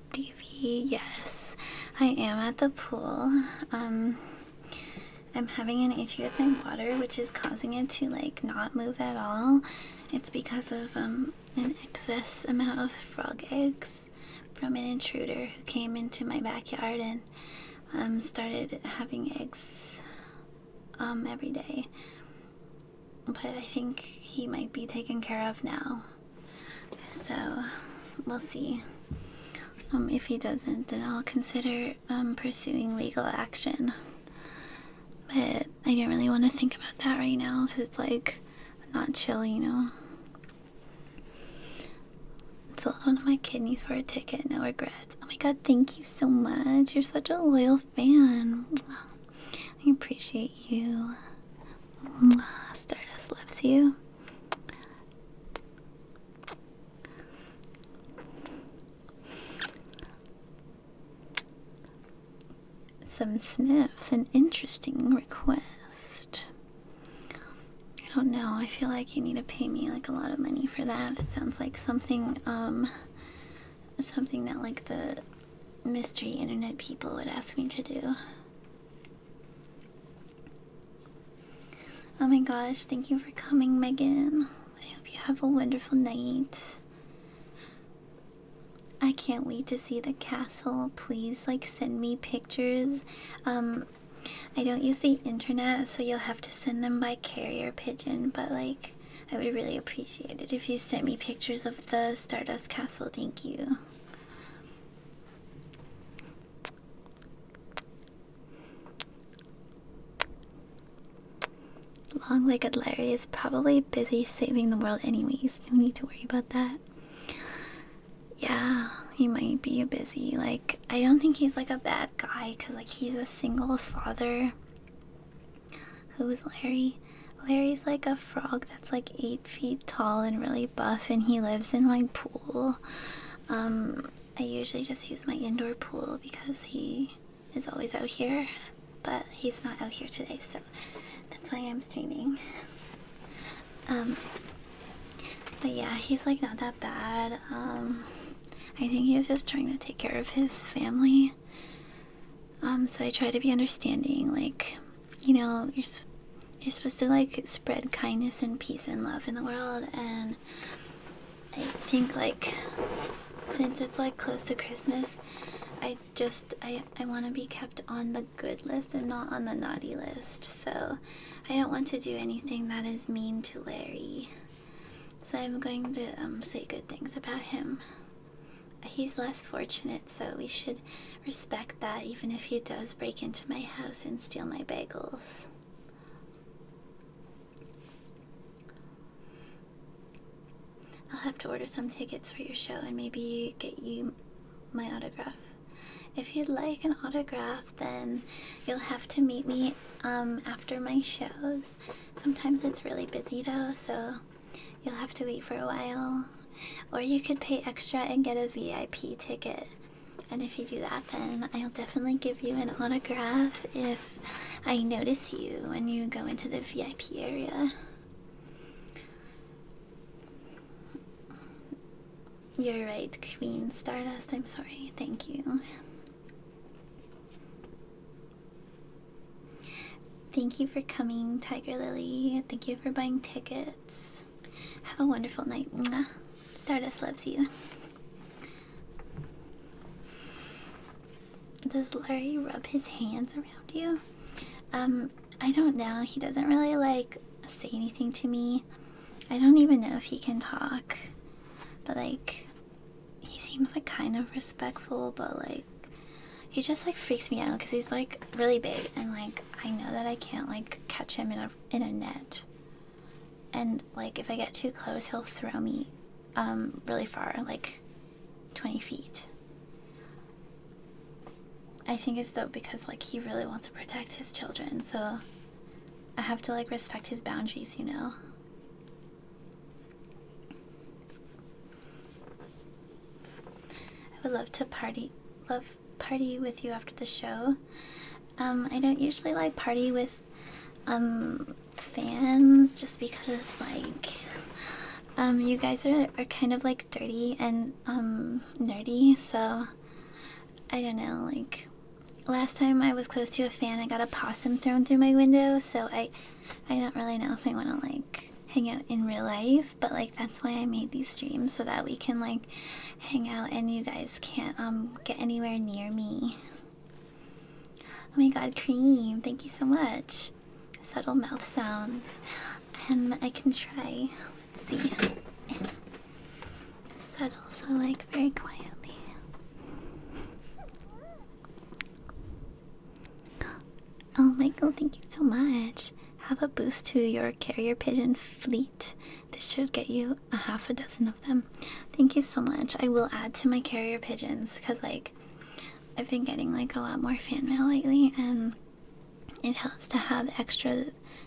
D.V. Yes, I am at the pool. Um, I'm having an issue with my water, which is causing it to like not move at all. It's because of um an excess amount of frog eggs from an intruder who came into my backyard and um started having eggs um every day. But I think he might be taken care of now. So we'll see. Um, if he doesn't, then I'll consider um, pursuing legal action. But I don't really want to think about that right now because it's like not chill, you know. Sold one of my kidneys for a ticket, no regrets. Oh my god, thank you so much. You're such a loyal fan. I appreciate you. Stardust loves you. Some sniffs, an interesting request. I don't know, I feel like you need to pay me like a lot of money for that. It sounds like something, um, something that like the mystery internet people would ask me to do. Oh my gosh, thank you for coming, Megan. I hope you have a wonderful night. I can't wait to see the castle. Please, like, send me pictures. Um, I don't use the internet, so you'll have to send them by carrier pigeon, but like, I would really appreciate it if you sent me pictures of the Stardust Castle. Thank you. Long legged Larry is probably busy saving the world, anyways. No need to worry about that. Yeah, he might be busy. Like, I don't think he's like a bad guy because, like, he's a single father. Who's Larry? Larry's like a frog that's like eight feet tall and really buff, and he lives in my pool. Um, I usually just use my indoor pool because he is always out here, but he's not out here today, so that's why I'm streaming. um, but yeah, he's like not that bad. Um, I think he's just trying to take care of his family. Um, so I try to be understanding, like, you know, you you're supposed to like spread kindness and peace and love in the world, and I think like since it's like close to Christmas, I just I I want to be kept on the good list and not on the naughty list. So I don't want to do anything that is mean to Larry. So I'm going to um say good things about him. He's less fortunate, so we should respect that even if he does break into my house and steal my bagels. I'll have to order some tickets for your show and maybe get you my autograph. If you'd like an autograph, then you'll have to meet me um, after my shows. Sometimes it's really busy though, so you'll have to wait for a while. Or you could pay extra and get a VIP ticket. And if you do that, then I'll definitely give you an autograph if I notice you when you go into the VIP area. You're right, Queen Stardust. I'm sorry. Thank you. Thank you for coming, Tiger Lily. Thank you for buying tickets. Have a wonderful night. Stardust loves you. Does Larry rub his hands around you? Um, I don't know. He doesn't really like say anything to me. I don't even know if he can talk. But like he seems like kind of respectful, but like he just like freaks me out because he's like really big and like I know that I can't like catch him in a in a net and like if I get too close, he'll throw me um, really far, like 20 feet. I think it's though because like he really wants to protect his children, so I have to like respect his boundaries, you know. I would love to party, love party with you after the show. Um, I don't usually like party with um, fans just because like um, you guys are are kind of like dirty and um nerdy, so I don't know, like last time I was close to a fan I got a possum thrown through my window, so I I don't really know if I wanna like hang out in real life, but like that's why I made these streams so that we can like hang out and you guys can't um, get anywhere near me. Oh my god, cream, thank you so much. Subtle mouth sounds. and um, I can try. Let's see. Subtle, so like very quietly. Oh Michael, thank you so much. Have a boost to your carrier pigeon fleet this should get you a half a dozen of them. Thank you so much. I will add to my carrier pigeons because, like, I've been getting like a lot more fan mail lately, and it helps to have extra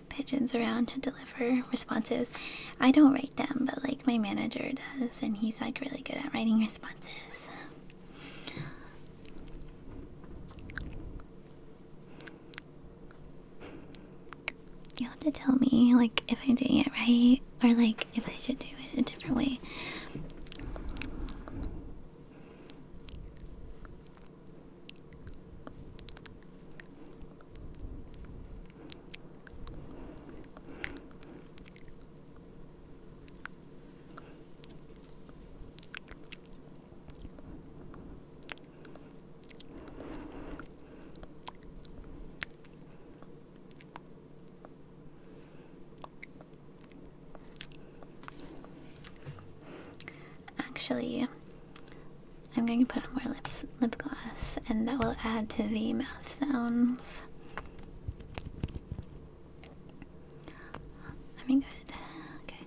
pigeons around to deliver responses. I don't write them, but like my manager does, and he's like really good at writing responses. You have to tell me, like, if I'm doing it right, or like if I should do it a different way. Actually, I'm going to put on more lips lip gloss and that will add to the mouth sounds. I mean good. Okay.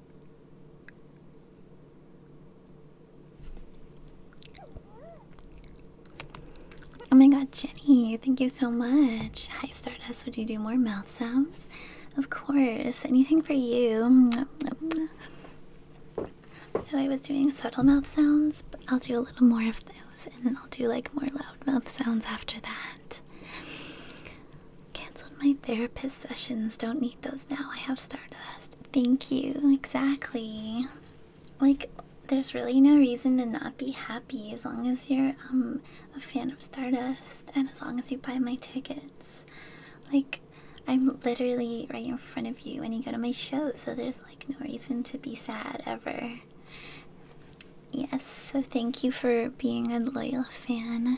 Oh my god, Jenny, thank you so much. Hi, Stardust. Would you do more mouth sounds? Of course, anything for you. So, I was doing subtle mouth sounds, but I'll do a little more of those and then I'll do like more loud mouth sounds after that. Cancelled my therapist sessions. Don't need those now. I have Stardust. Thank you. Exactly. Like, there's really no reason to not be happy as long as you're um, a fan of Stardust and as long as you buy my tickets. Like, I'm literally right in front of you when you go to my show, so there's like no reason to be sad ever. Yes, so thank you for being a loyal fan.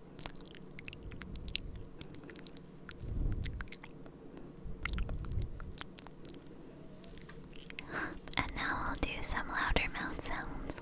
And now I'll do some louder mouth sounds.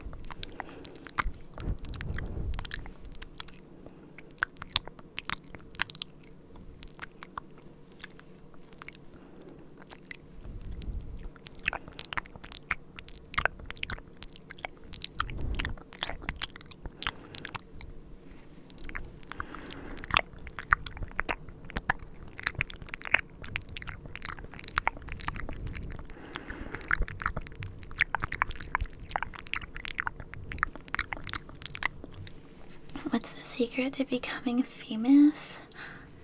What's the secret to becoming famous?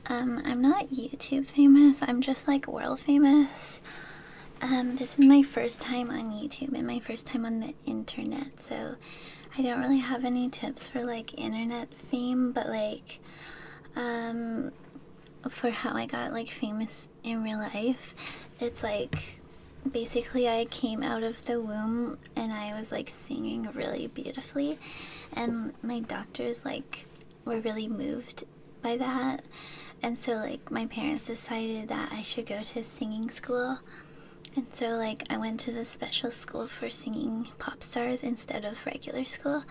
Um, I'm not YouTube famous, I'm just like world famous. Um, this is my first time on YouTube and my first time on the internet, so I don't really have any tips for like internet fame, but like, um, for how I got like famous in real life, it's like basically I came out of the womb and I was like singing really beautifully, and my doctors like were really moved by that and so like my parents decided that I should go to singing school and so like I went to the special school for singing pop stars instead of regular school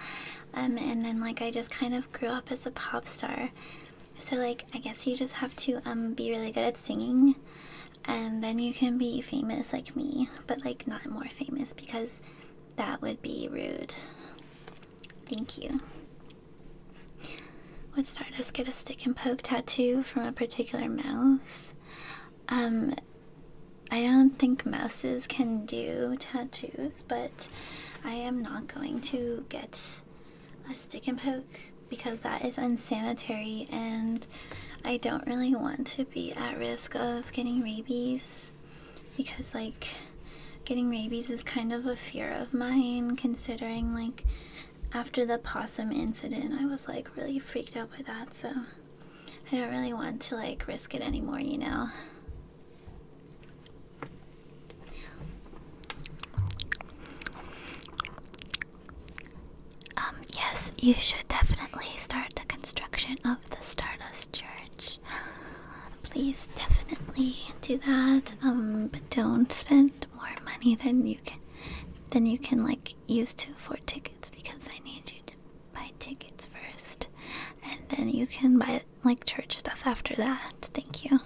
um and then like I just kind of grew up as a pop star so like I guess you just have to um be really good at singing and then you can be famous like me but like not more famous because that would be rude. Thank you. Would Stardust get a stick and poke tattoo from a particular mouse? Um, I don't think mouses can do tattoos, but I am not going to get a stick and poke because that is unsanitary and I don't really want to be at risk of getting rabies because, like, getting rabies is kind of a fear of mine considering, like, after the possum incident, I was like really freaked out by that, so I don't really want to like risk it anymore, you know. Um, yes, you should definitely start the construction of the Stardust Church. Please definitely do that. Um, but don't spend more money than you can than you can like use to afford tickets because I need you to buy tickets first and then you can buy like church stuff after that. Thank you.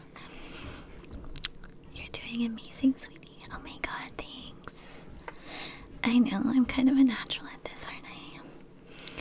You're doing amazing, sweetie. Oh my god, thanks. I know, I'm kind of a natural at this, aren't I?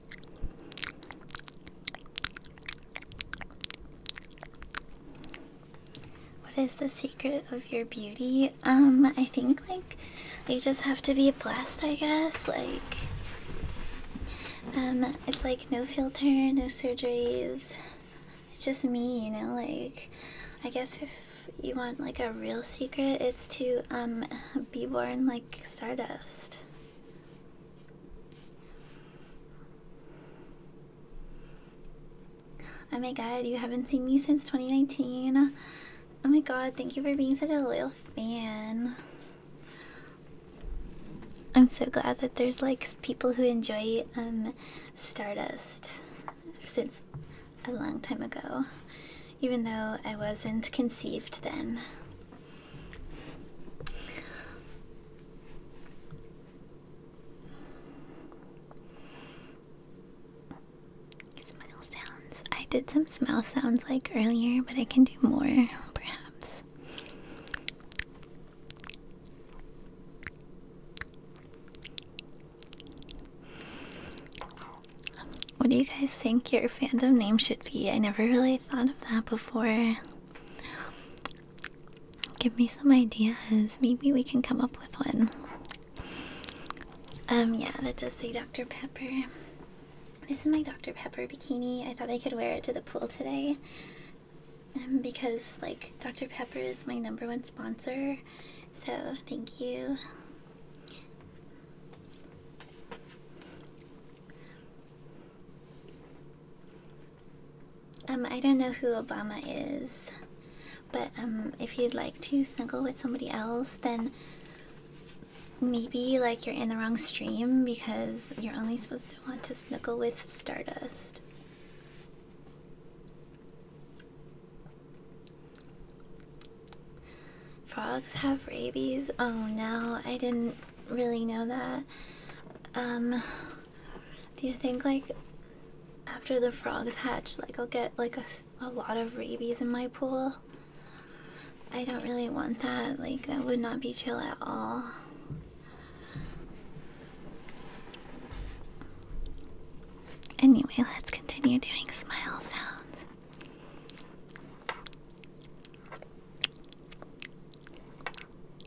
What is the secret of your beauty? Um, I think like you just have to be blessed, I guess. Like, um, it's like no filter, no surgeries. It's just me, you know. Like, I guess if you want like a real secret, it's to um be born like stardust. Oh my god, you haven't seen me since 2019. Oh my god, thank you for being such a loyal fan. I'm so glad that there's like people who enjoy um Stardust since a long time ago. Even though I wasn't conceived then. Smile sounds. I did some smile sounds like earlier, but I can do more, perhaps. What do you guys think your fandom name should be? I never really thought of that before. Give me some ideas. Maybe we can come up with one. Um, yeah, that does say Dr. Pepper. This is my Dr. Pepper bikini. I thought I could wear it to the pool today. Um, because, like, Dr. Pepper is my number one sponsor. So, thank you. Um, I don't know who Obama is, but um, if you'd like to snuggle with somebody else, then maybe like you're in the wrong stream because you're only supposed to want to snuggle with Stardust. Frogs have rabies. Oh no, I didn't really know that. Um, do you think like after the frogs hatch, like I'll get like a, a lot of rabies in my pool? I don't really want that. Like that would not be chill at all. Anyway, let's continue doing smile sounds.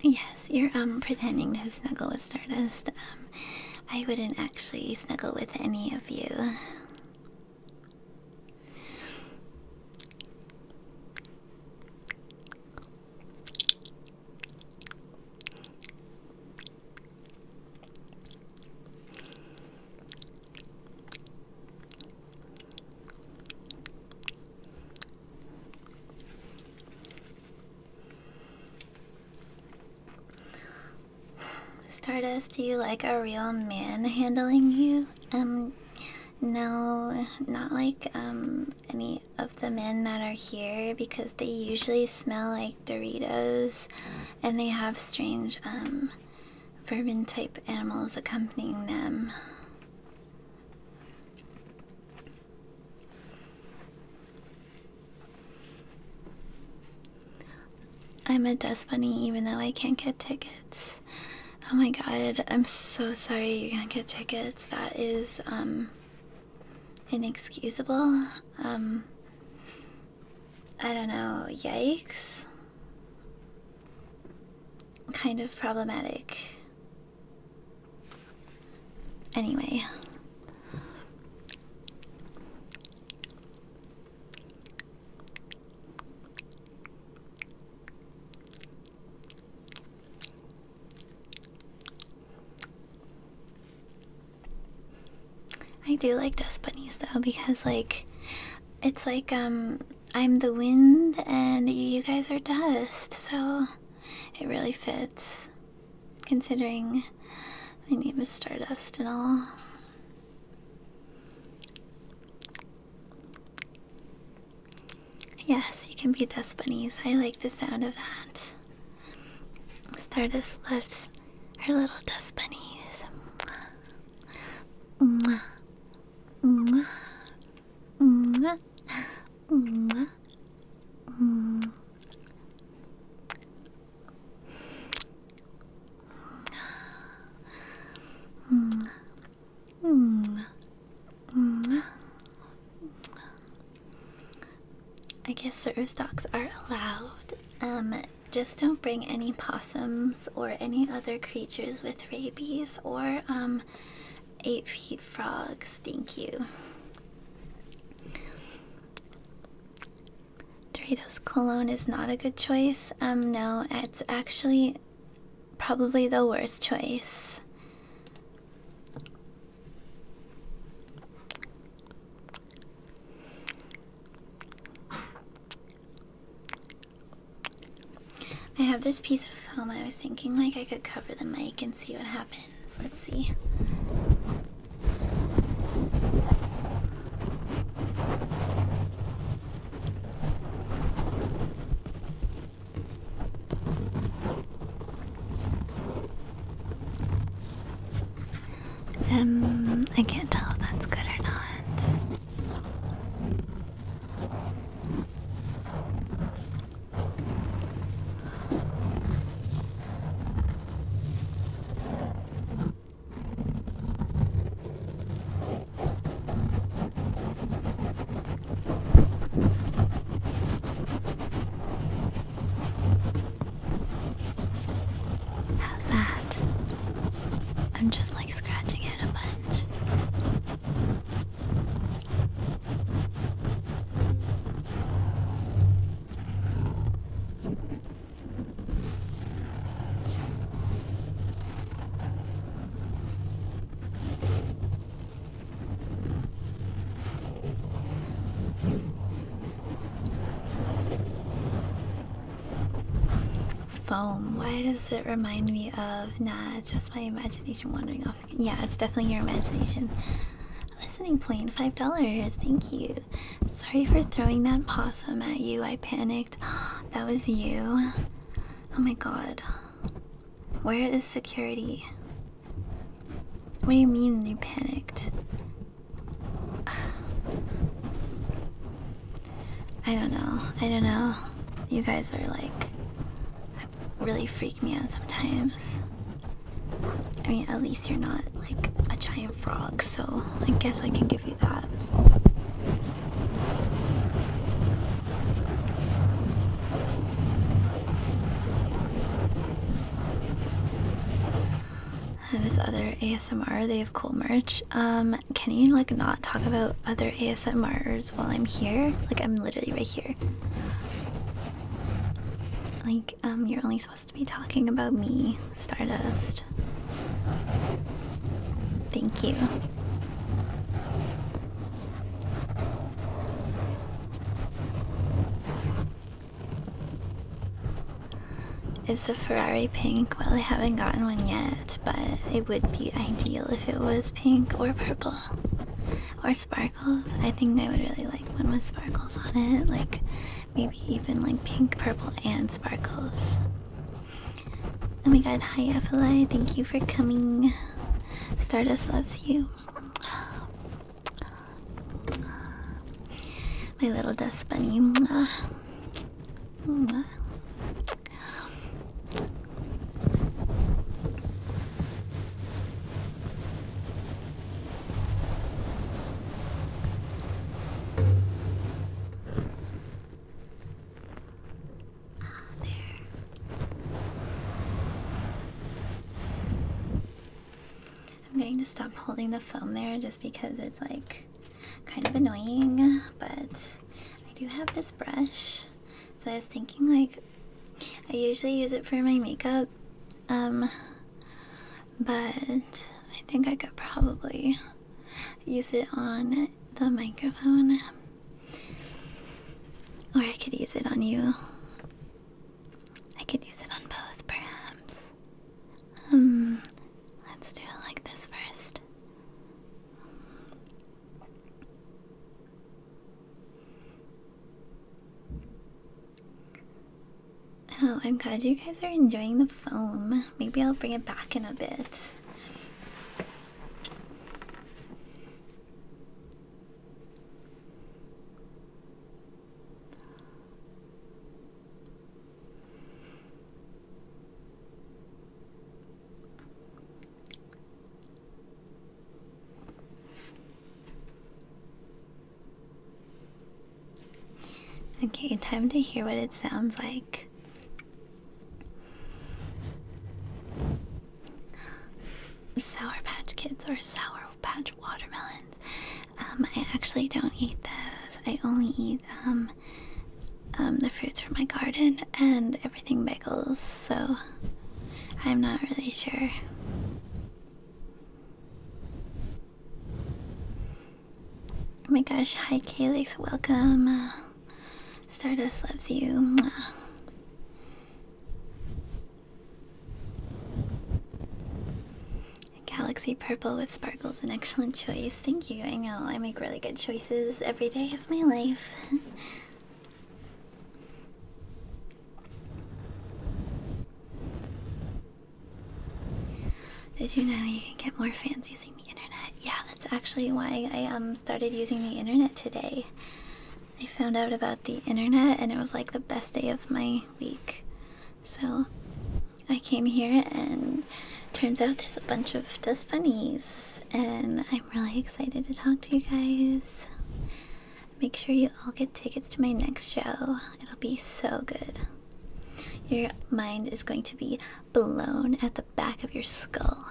Yes, you're um pretending to snuggle with Stardust. Um, I wouldn't actually snuggle with any of you. Stardust, do you like a real man handling you? Um, no, not like um any of the men that are here because they usually smell like Doritos, and they have strange um vermin type animals accompanying them. I'm a dust bunny even though I can't get tickets. Oh my god, I'm so sorry you can't get tickets. That is um inexcusable. Um I don't know, yikes kind of problematic. Anyway. I do like dust bunnies though because like it's like um I'm the wind and you guys are dust, so it really fits considering my name is Stardust and all. Yes, you can be dust bunnies. I like the sound of that. Stardust loves her little dust bunnies. Mwah. Mwah. Mwah. Mwah. Mm. Mm. Mm. Mm. I guess service dogs are allowed. Um, just don't bring any possums or any other creatures with rabies or um, Eight feet frogs, thank you. Doritos cologne is not a good choice. Um, no, it's actually probably the worst choice. I have this piece of film. I was thinking like I could cover the mic and see what happens. Let's see. Um, I can't tell if that's good or not. How's that? I'm just like scratching it a bunch. Foam. Why does it remind me of? Nah, it's just my imagination wandering off Yeah, it's definitely your imagination. Listening point, five dollars. Thank you. Sorry for throwing that possum at you. I panicked. That was you. Oh my god. Where is security? What do you mean you panicked? I don't know. I don't know. You guys are like really freak me out sometimes. I mean, at least you're not like a giant frog, so I guess I can give you that. Uh, this other ASMR, they have cool merch. Um, can you like not talk about other ASMR while I'm here. Like, I'm literally right here. Like, um, you're only supposed to be talking about me, Stardust. Thank you. It's a Ferrari pink? Well, I haven't gotten one yet, but it would be ideal if it was pink or purple or sparkles. I think I would really like one with sparkles on it, like maybe even like pink, purple, and sparkles. Oh my god, hi Apple, thank you for coming. Stardust loves you. My little dust bunny. Ah, I'm going to stop holding the foam there just because it's like kind of annoying, but I do have this brush so I was thinking like I usually use it for my makeup um but I think I could probably use it on the microphone or I could use it on you I could use it on both perhaps um let's do it like this first Oh, I'm glad you guys are enjoying the foam. Maybe I'll bring it back in a bit. Okay, time to hear what it sounds like. Sour Patch Kids or Sour Patch Watermelons. Um, I actually don't eat those. I only eat um, um, the fruits from my garden, and everything bagels, so I'm not really sure. Oh my gosh, hi Calix, welcome. Stardust loves you. Mwah. Galaxy Purple with Sparkle's an excellent choice. Thank you. I know I make really good choices every day of my life. Did you know you can get more fans using the internet? Yeah, that's actually why I um started using the internet today. I found out about the internet and it was like the best day of my week. So I came here and turns out there's a bunch of dust bunnies and I'm really excited to talk to you guys. Make sure you all get tickets to my next show. It'll be so good. Your mind is going to be blown at the back of your skull.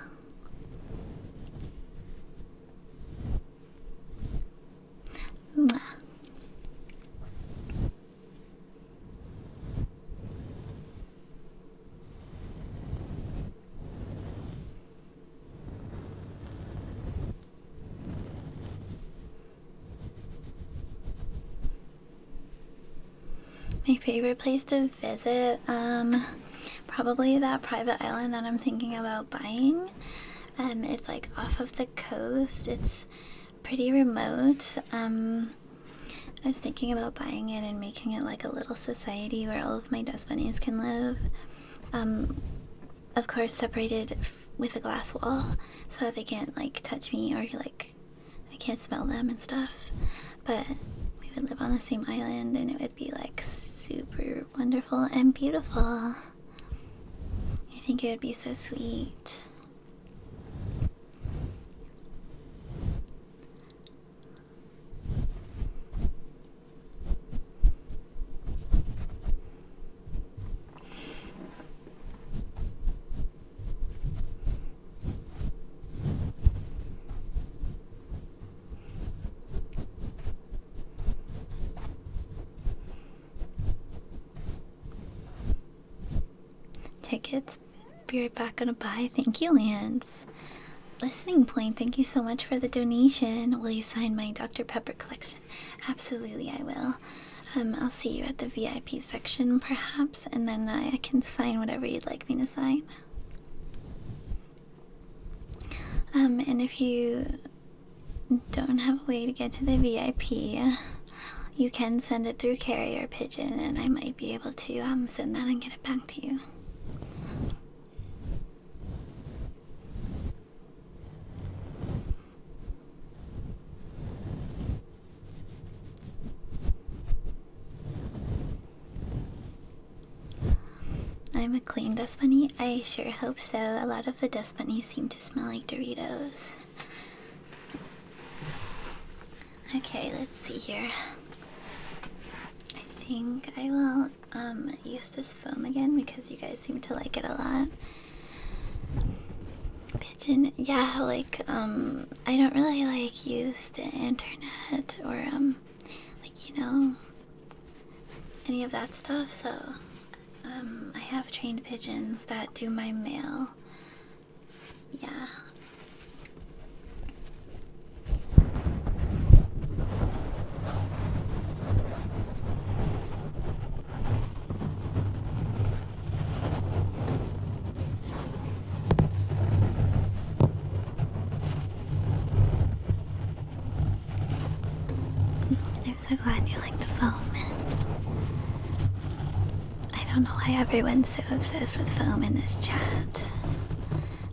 My favorite place to visit, um, probably that private island that I'm thinking about buying. Um, it's like off of the coast. It's pretty remote. Um, I was thinking about buying it and making it like a little society where all of my dust bunnies can live. Um, of course separated with a glass wall so that they can't like touch me or like I can't smell them and stuff. But we would live on the same island and it would be like super wonderful and beautiful. I think it would be so sweet. Tickets. Be right back on a buy. Thank you, Lance. Listening Point, thank you so much for the donation. Will you sign my Dr. Pepper? collection. Absolutely, I will. Um, I'll see you at the VIP section, perhaps, and then I, can sign whatever you'd like me to sign. Um, and if you don't have a way to get to the VIP, you can send it through Carrier Pigeon, and I might be able to um, send that and get it back to you. I'm a clean dust bunny. I sure hope so. A lot of the dust bunnies seem to smell like Doritos. Okay, let's see here. I think I will um, use this foam again because you guys seem to like it a lot. Pigeon, yeah, like um, I don't really like use the internet or um, like you know, any of that stuff. So I have trained pigeons that do my mail. Yeah. I'm so glad you like the foam. I don't know why everyone's so obsessed with foam in this chat.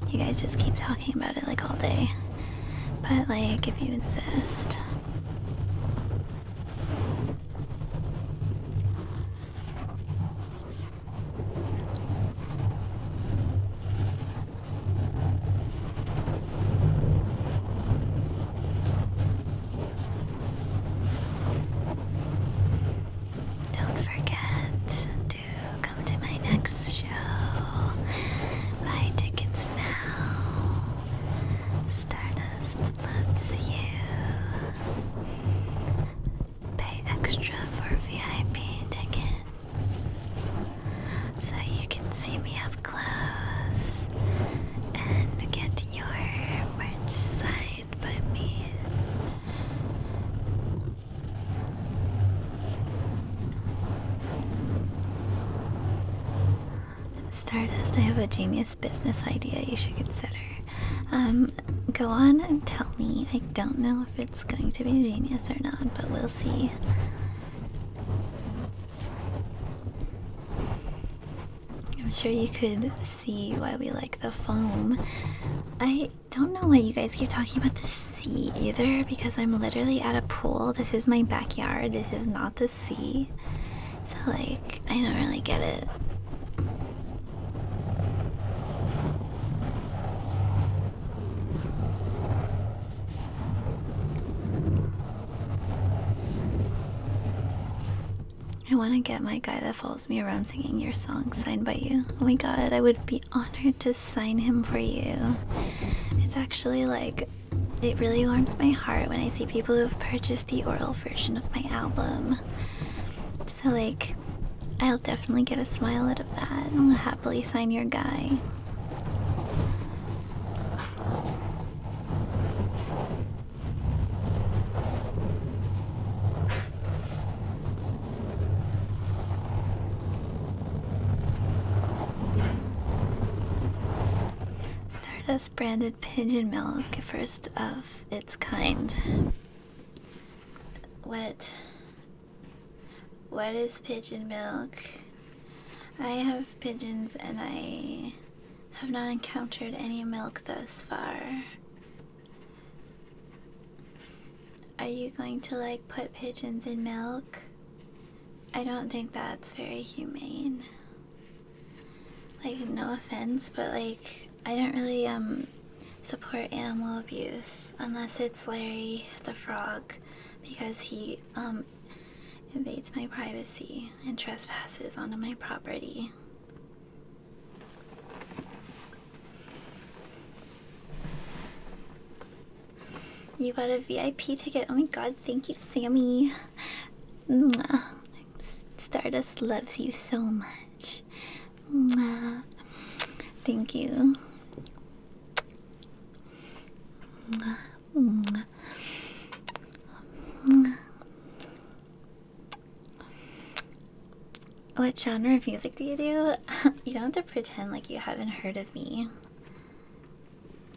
You guys just keep talking talking about it like all day. But, like, if you insist. Don't forget to come to my next Buy tickets now. Stardust loves you. Pay extra for VIP tickets so you can see me up close and get your merch signed by me. Stardust, I have a genius business idea you should consider. Um, go on and tell me. I don't know if it's going to be genius or not, but we'll see. I'm sure you could see why we like the foam. I don't know why you guys keep talking about the sea either, because I'm literally at a pool. This is my backyard. This is not the sea. So, like, I don't really get it. I want to get my guy that follows me around singing your song signed by you. Oh my god, I would be honored to sign him for you. It's actually like it. really warms my heart when I see people who have purchased the oral version of my album. So, like, I'll definitely get a smile out of that and will happily sign your guy. Stardust branded pigeon milk, first of its kind. What? What is pigeon milk? I have pigeons and I have not encountered any milk thus far. Are you going to like put pigeons in milk? I don't think that's very humane. Like, no offense, but like, I don't really, um, support animal abuse unless it's Larry the frog because he, um, invades my privacy and trespasses onto my property. You got a VIP ticket. Oh my god, thank you, Sammy. Stardust loves you so much. Thank you. What genre of music do you do? you don't have to pretend like you haven't heard of me.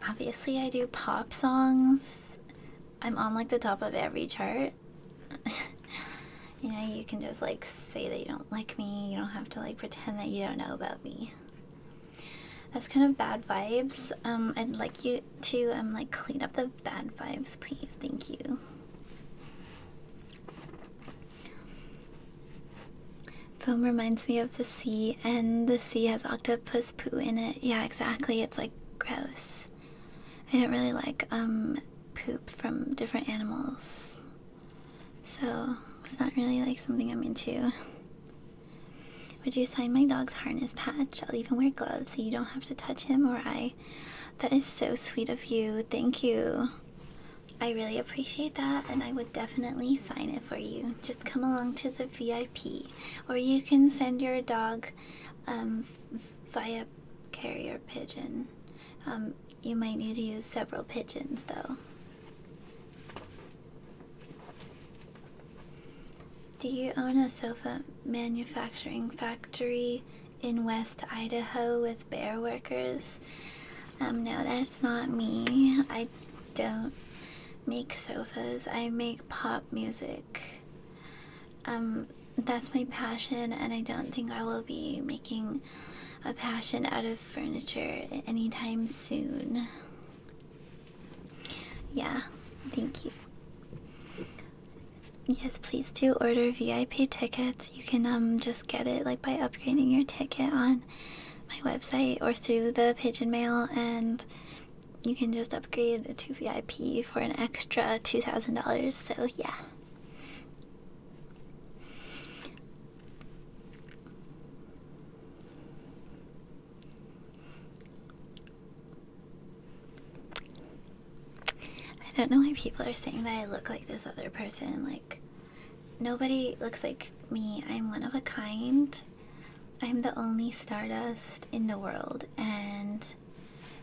Obviously, I do pop songs. I'm on like the top of every chart. you know, you can just like say that you don't like me, you don't have to like pretend that you don't know about me. That's kind of bad vibes. Um, I'd like you to um like clean up the bad vibes, please. Thank you. Foam reminds me of the sea and the sea has octopus poo in it. Yeah, exactly. It's like gross. I don't really like um poop from different animals. So it's not really like something I'm into. Would you sign my dog's harness patch? I'll even wear gloves so you don't have to touch him or I. That is so sweet of you. Thank you. I really appreciate that, and I would definitely sign it for you. Just come along to the VIP or you can send your dog um, via carrier pigeon. Um, you might need to use several pigeons though. Do you own a sofa manufacturing factory in West Idaho with bear workers? Um, no, that's not me. I don't make sofas. I make paw music. Um, that's my passion, and I don't think I will be making a passion out of furniture anytime soon. Yeah, thank you. Yes, please do order VIP tickets. You can um just get it like by upgrading your ticket on my website or through the pigeon mail and you can just upgrade to VIP for an extra $2,000, so yeah. I don't know why people are saying that I look like this other person. Like, nobody looks like me. I'm one of a kind. I'm the only Stardust in the world, and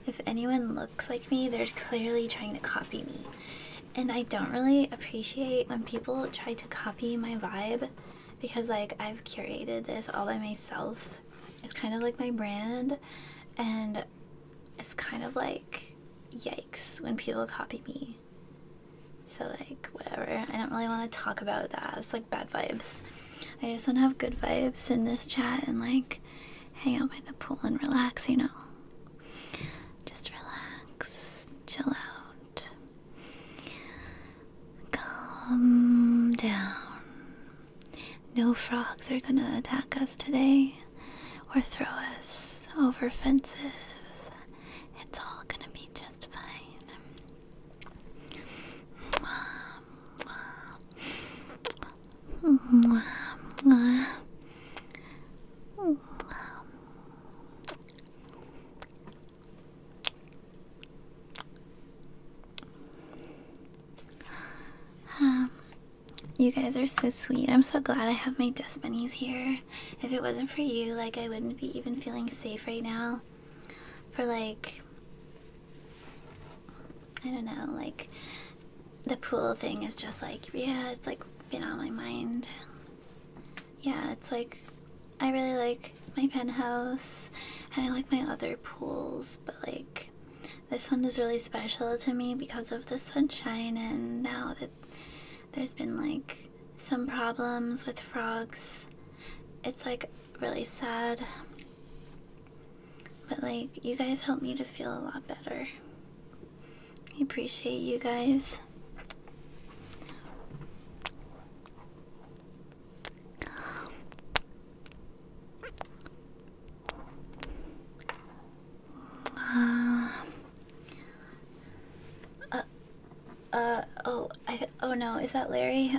if anyone looks like me, they're clearly trying to copy me. And I don't really appreciate when people try to copy my vibe because, like, I've curated this all by myself. It's kind of like my brand, and it's kind of like yikes when people copy me. So, like, whatever. I don't really want to talk about that. It's like bad vibes. I just want to have good vibes in this chat and like hang out by the pool and relax, you know. Just relax, chill out, calm down. No frogs are gonna attack us today or throw us over fences. It's all gonna be just fine. Um, you guys are so sweet. I'm so glad I have my dust bunnies here. If it wasn't for you, like I wouldn't be even feeling safe right now for like I don't know, like the pool thing is just like yeah, it's like been on my mind. Yeah, it's like I really like my penthouse and I like my other pools, but like this one is really special to me because of the sunshine and now that there's been like some problems with frogs. It's like really sad. But, like, you guys helped me to feel a lot better. I appreciate you guys. Uh, uh, uh, oh, I, oh no, is that Larry?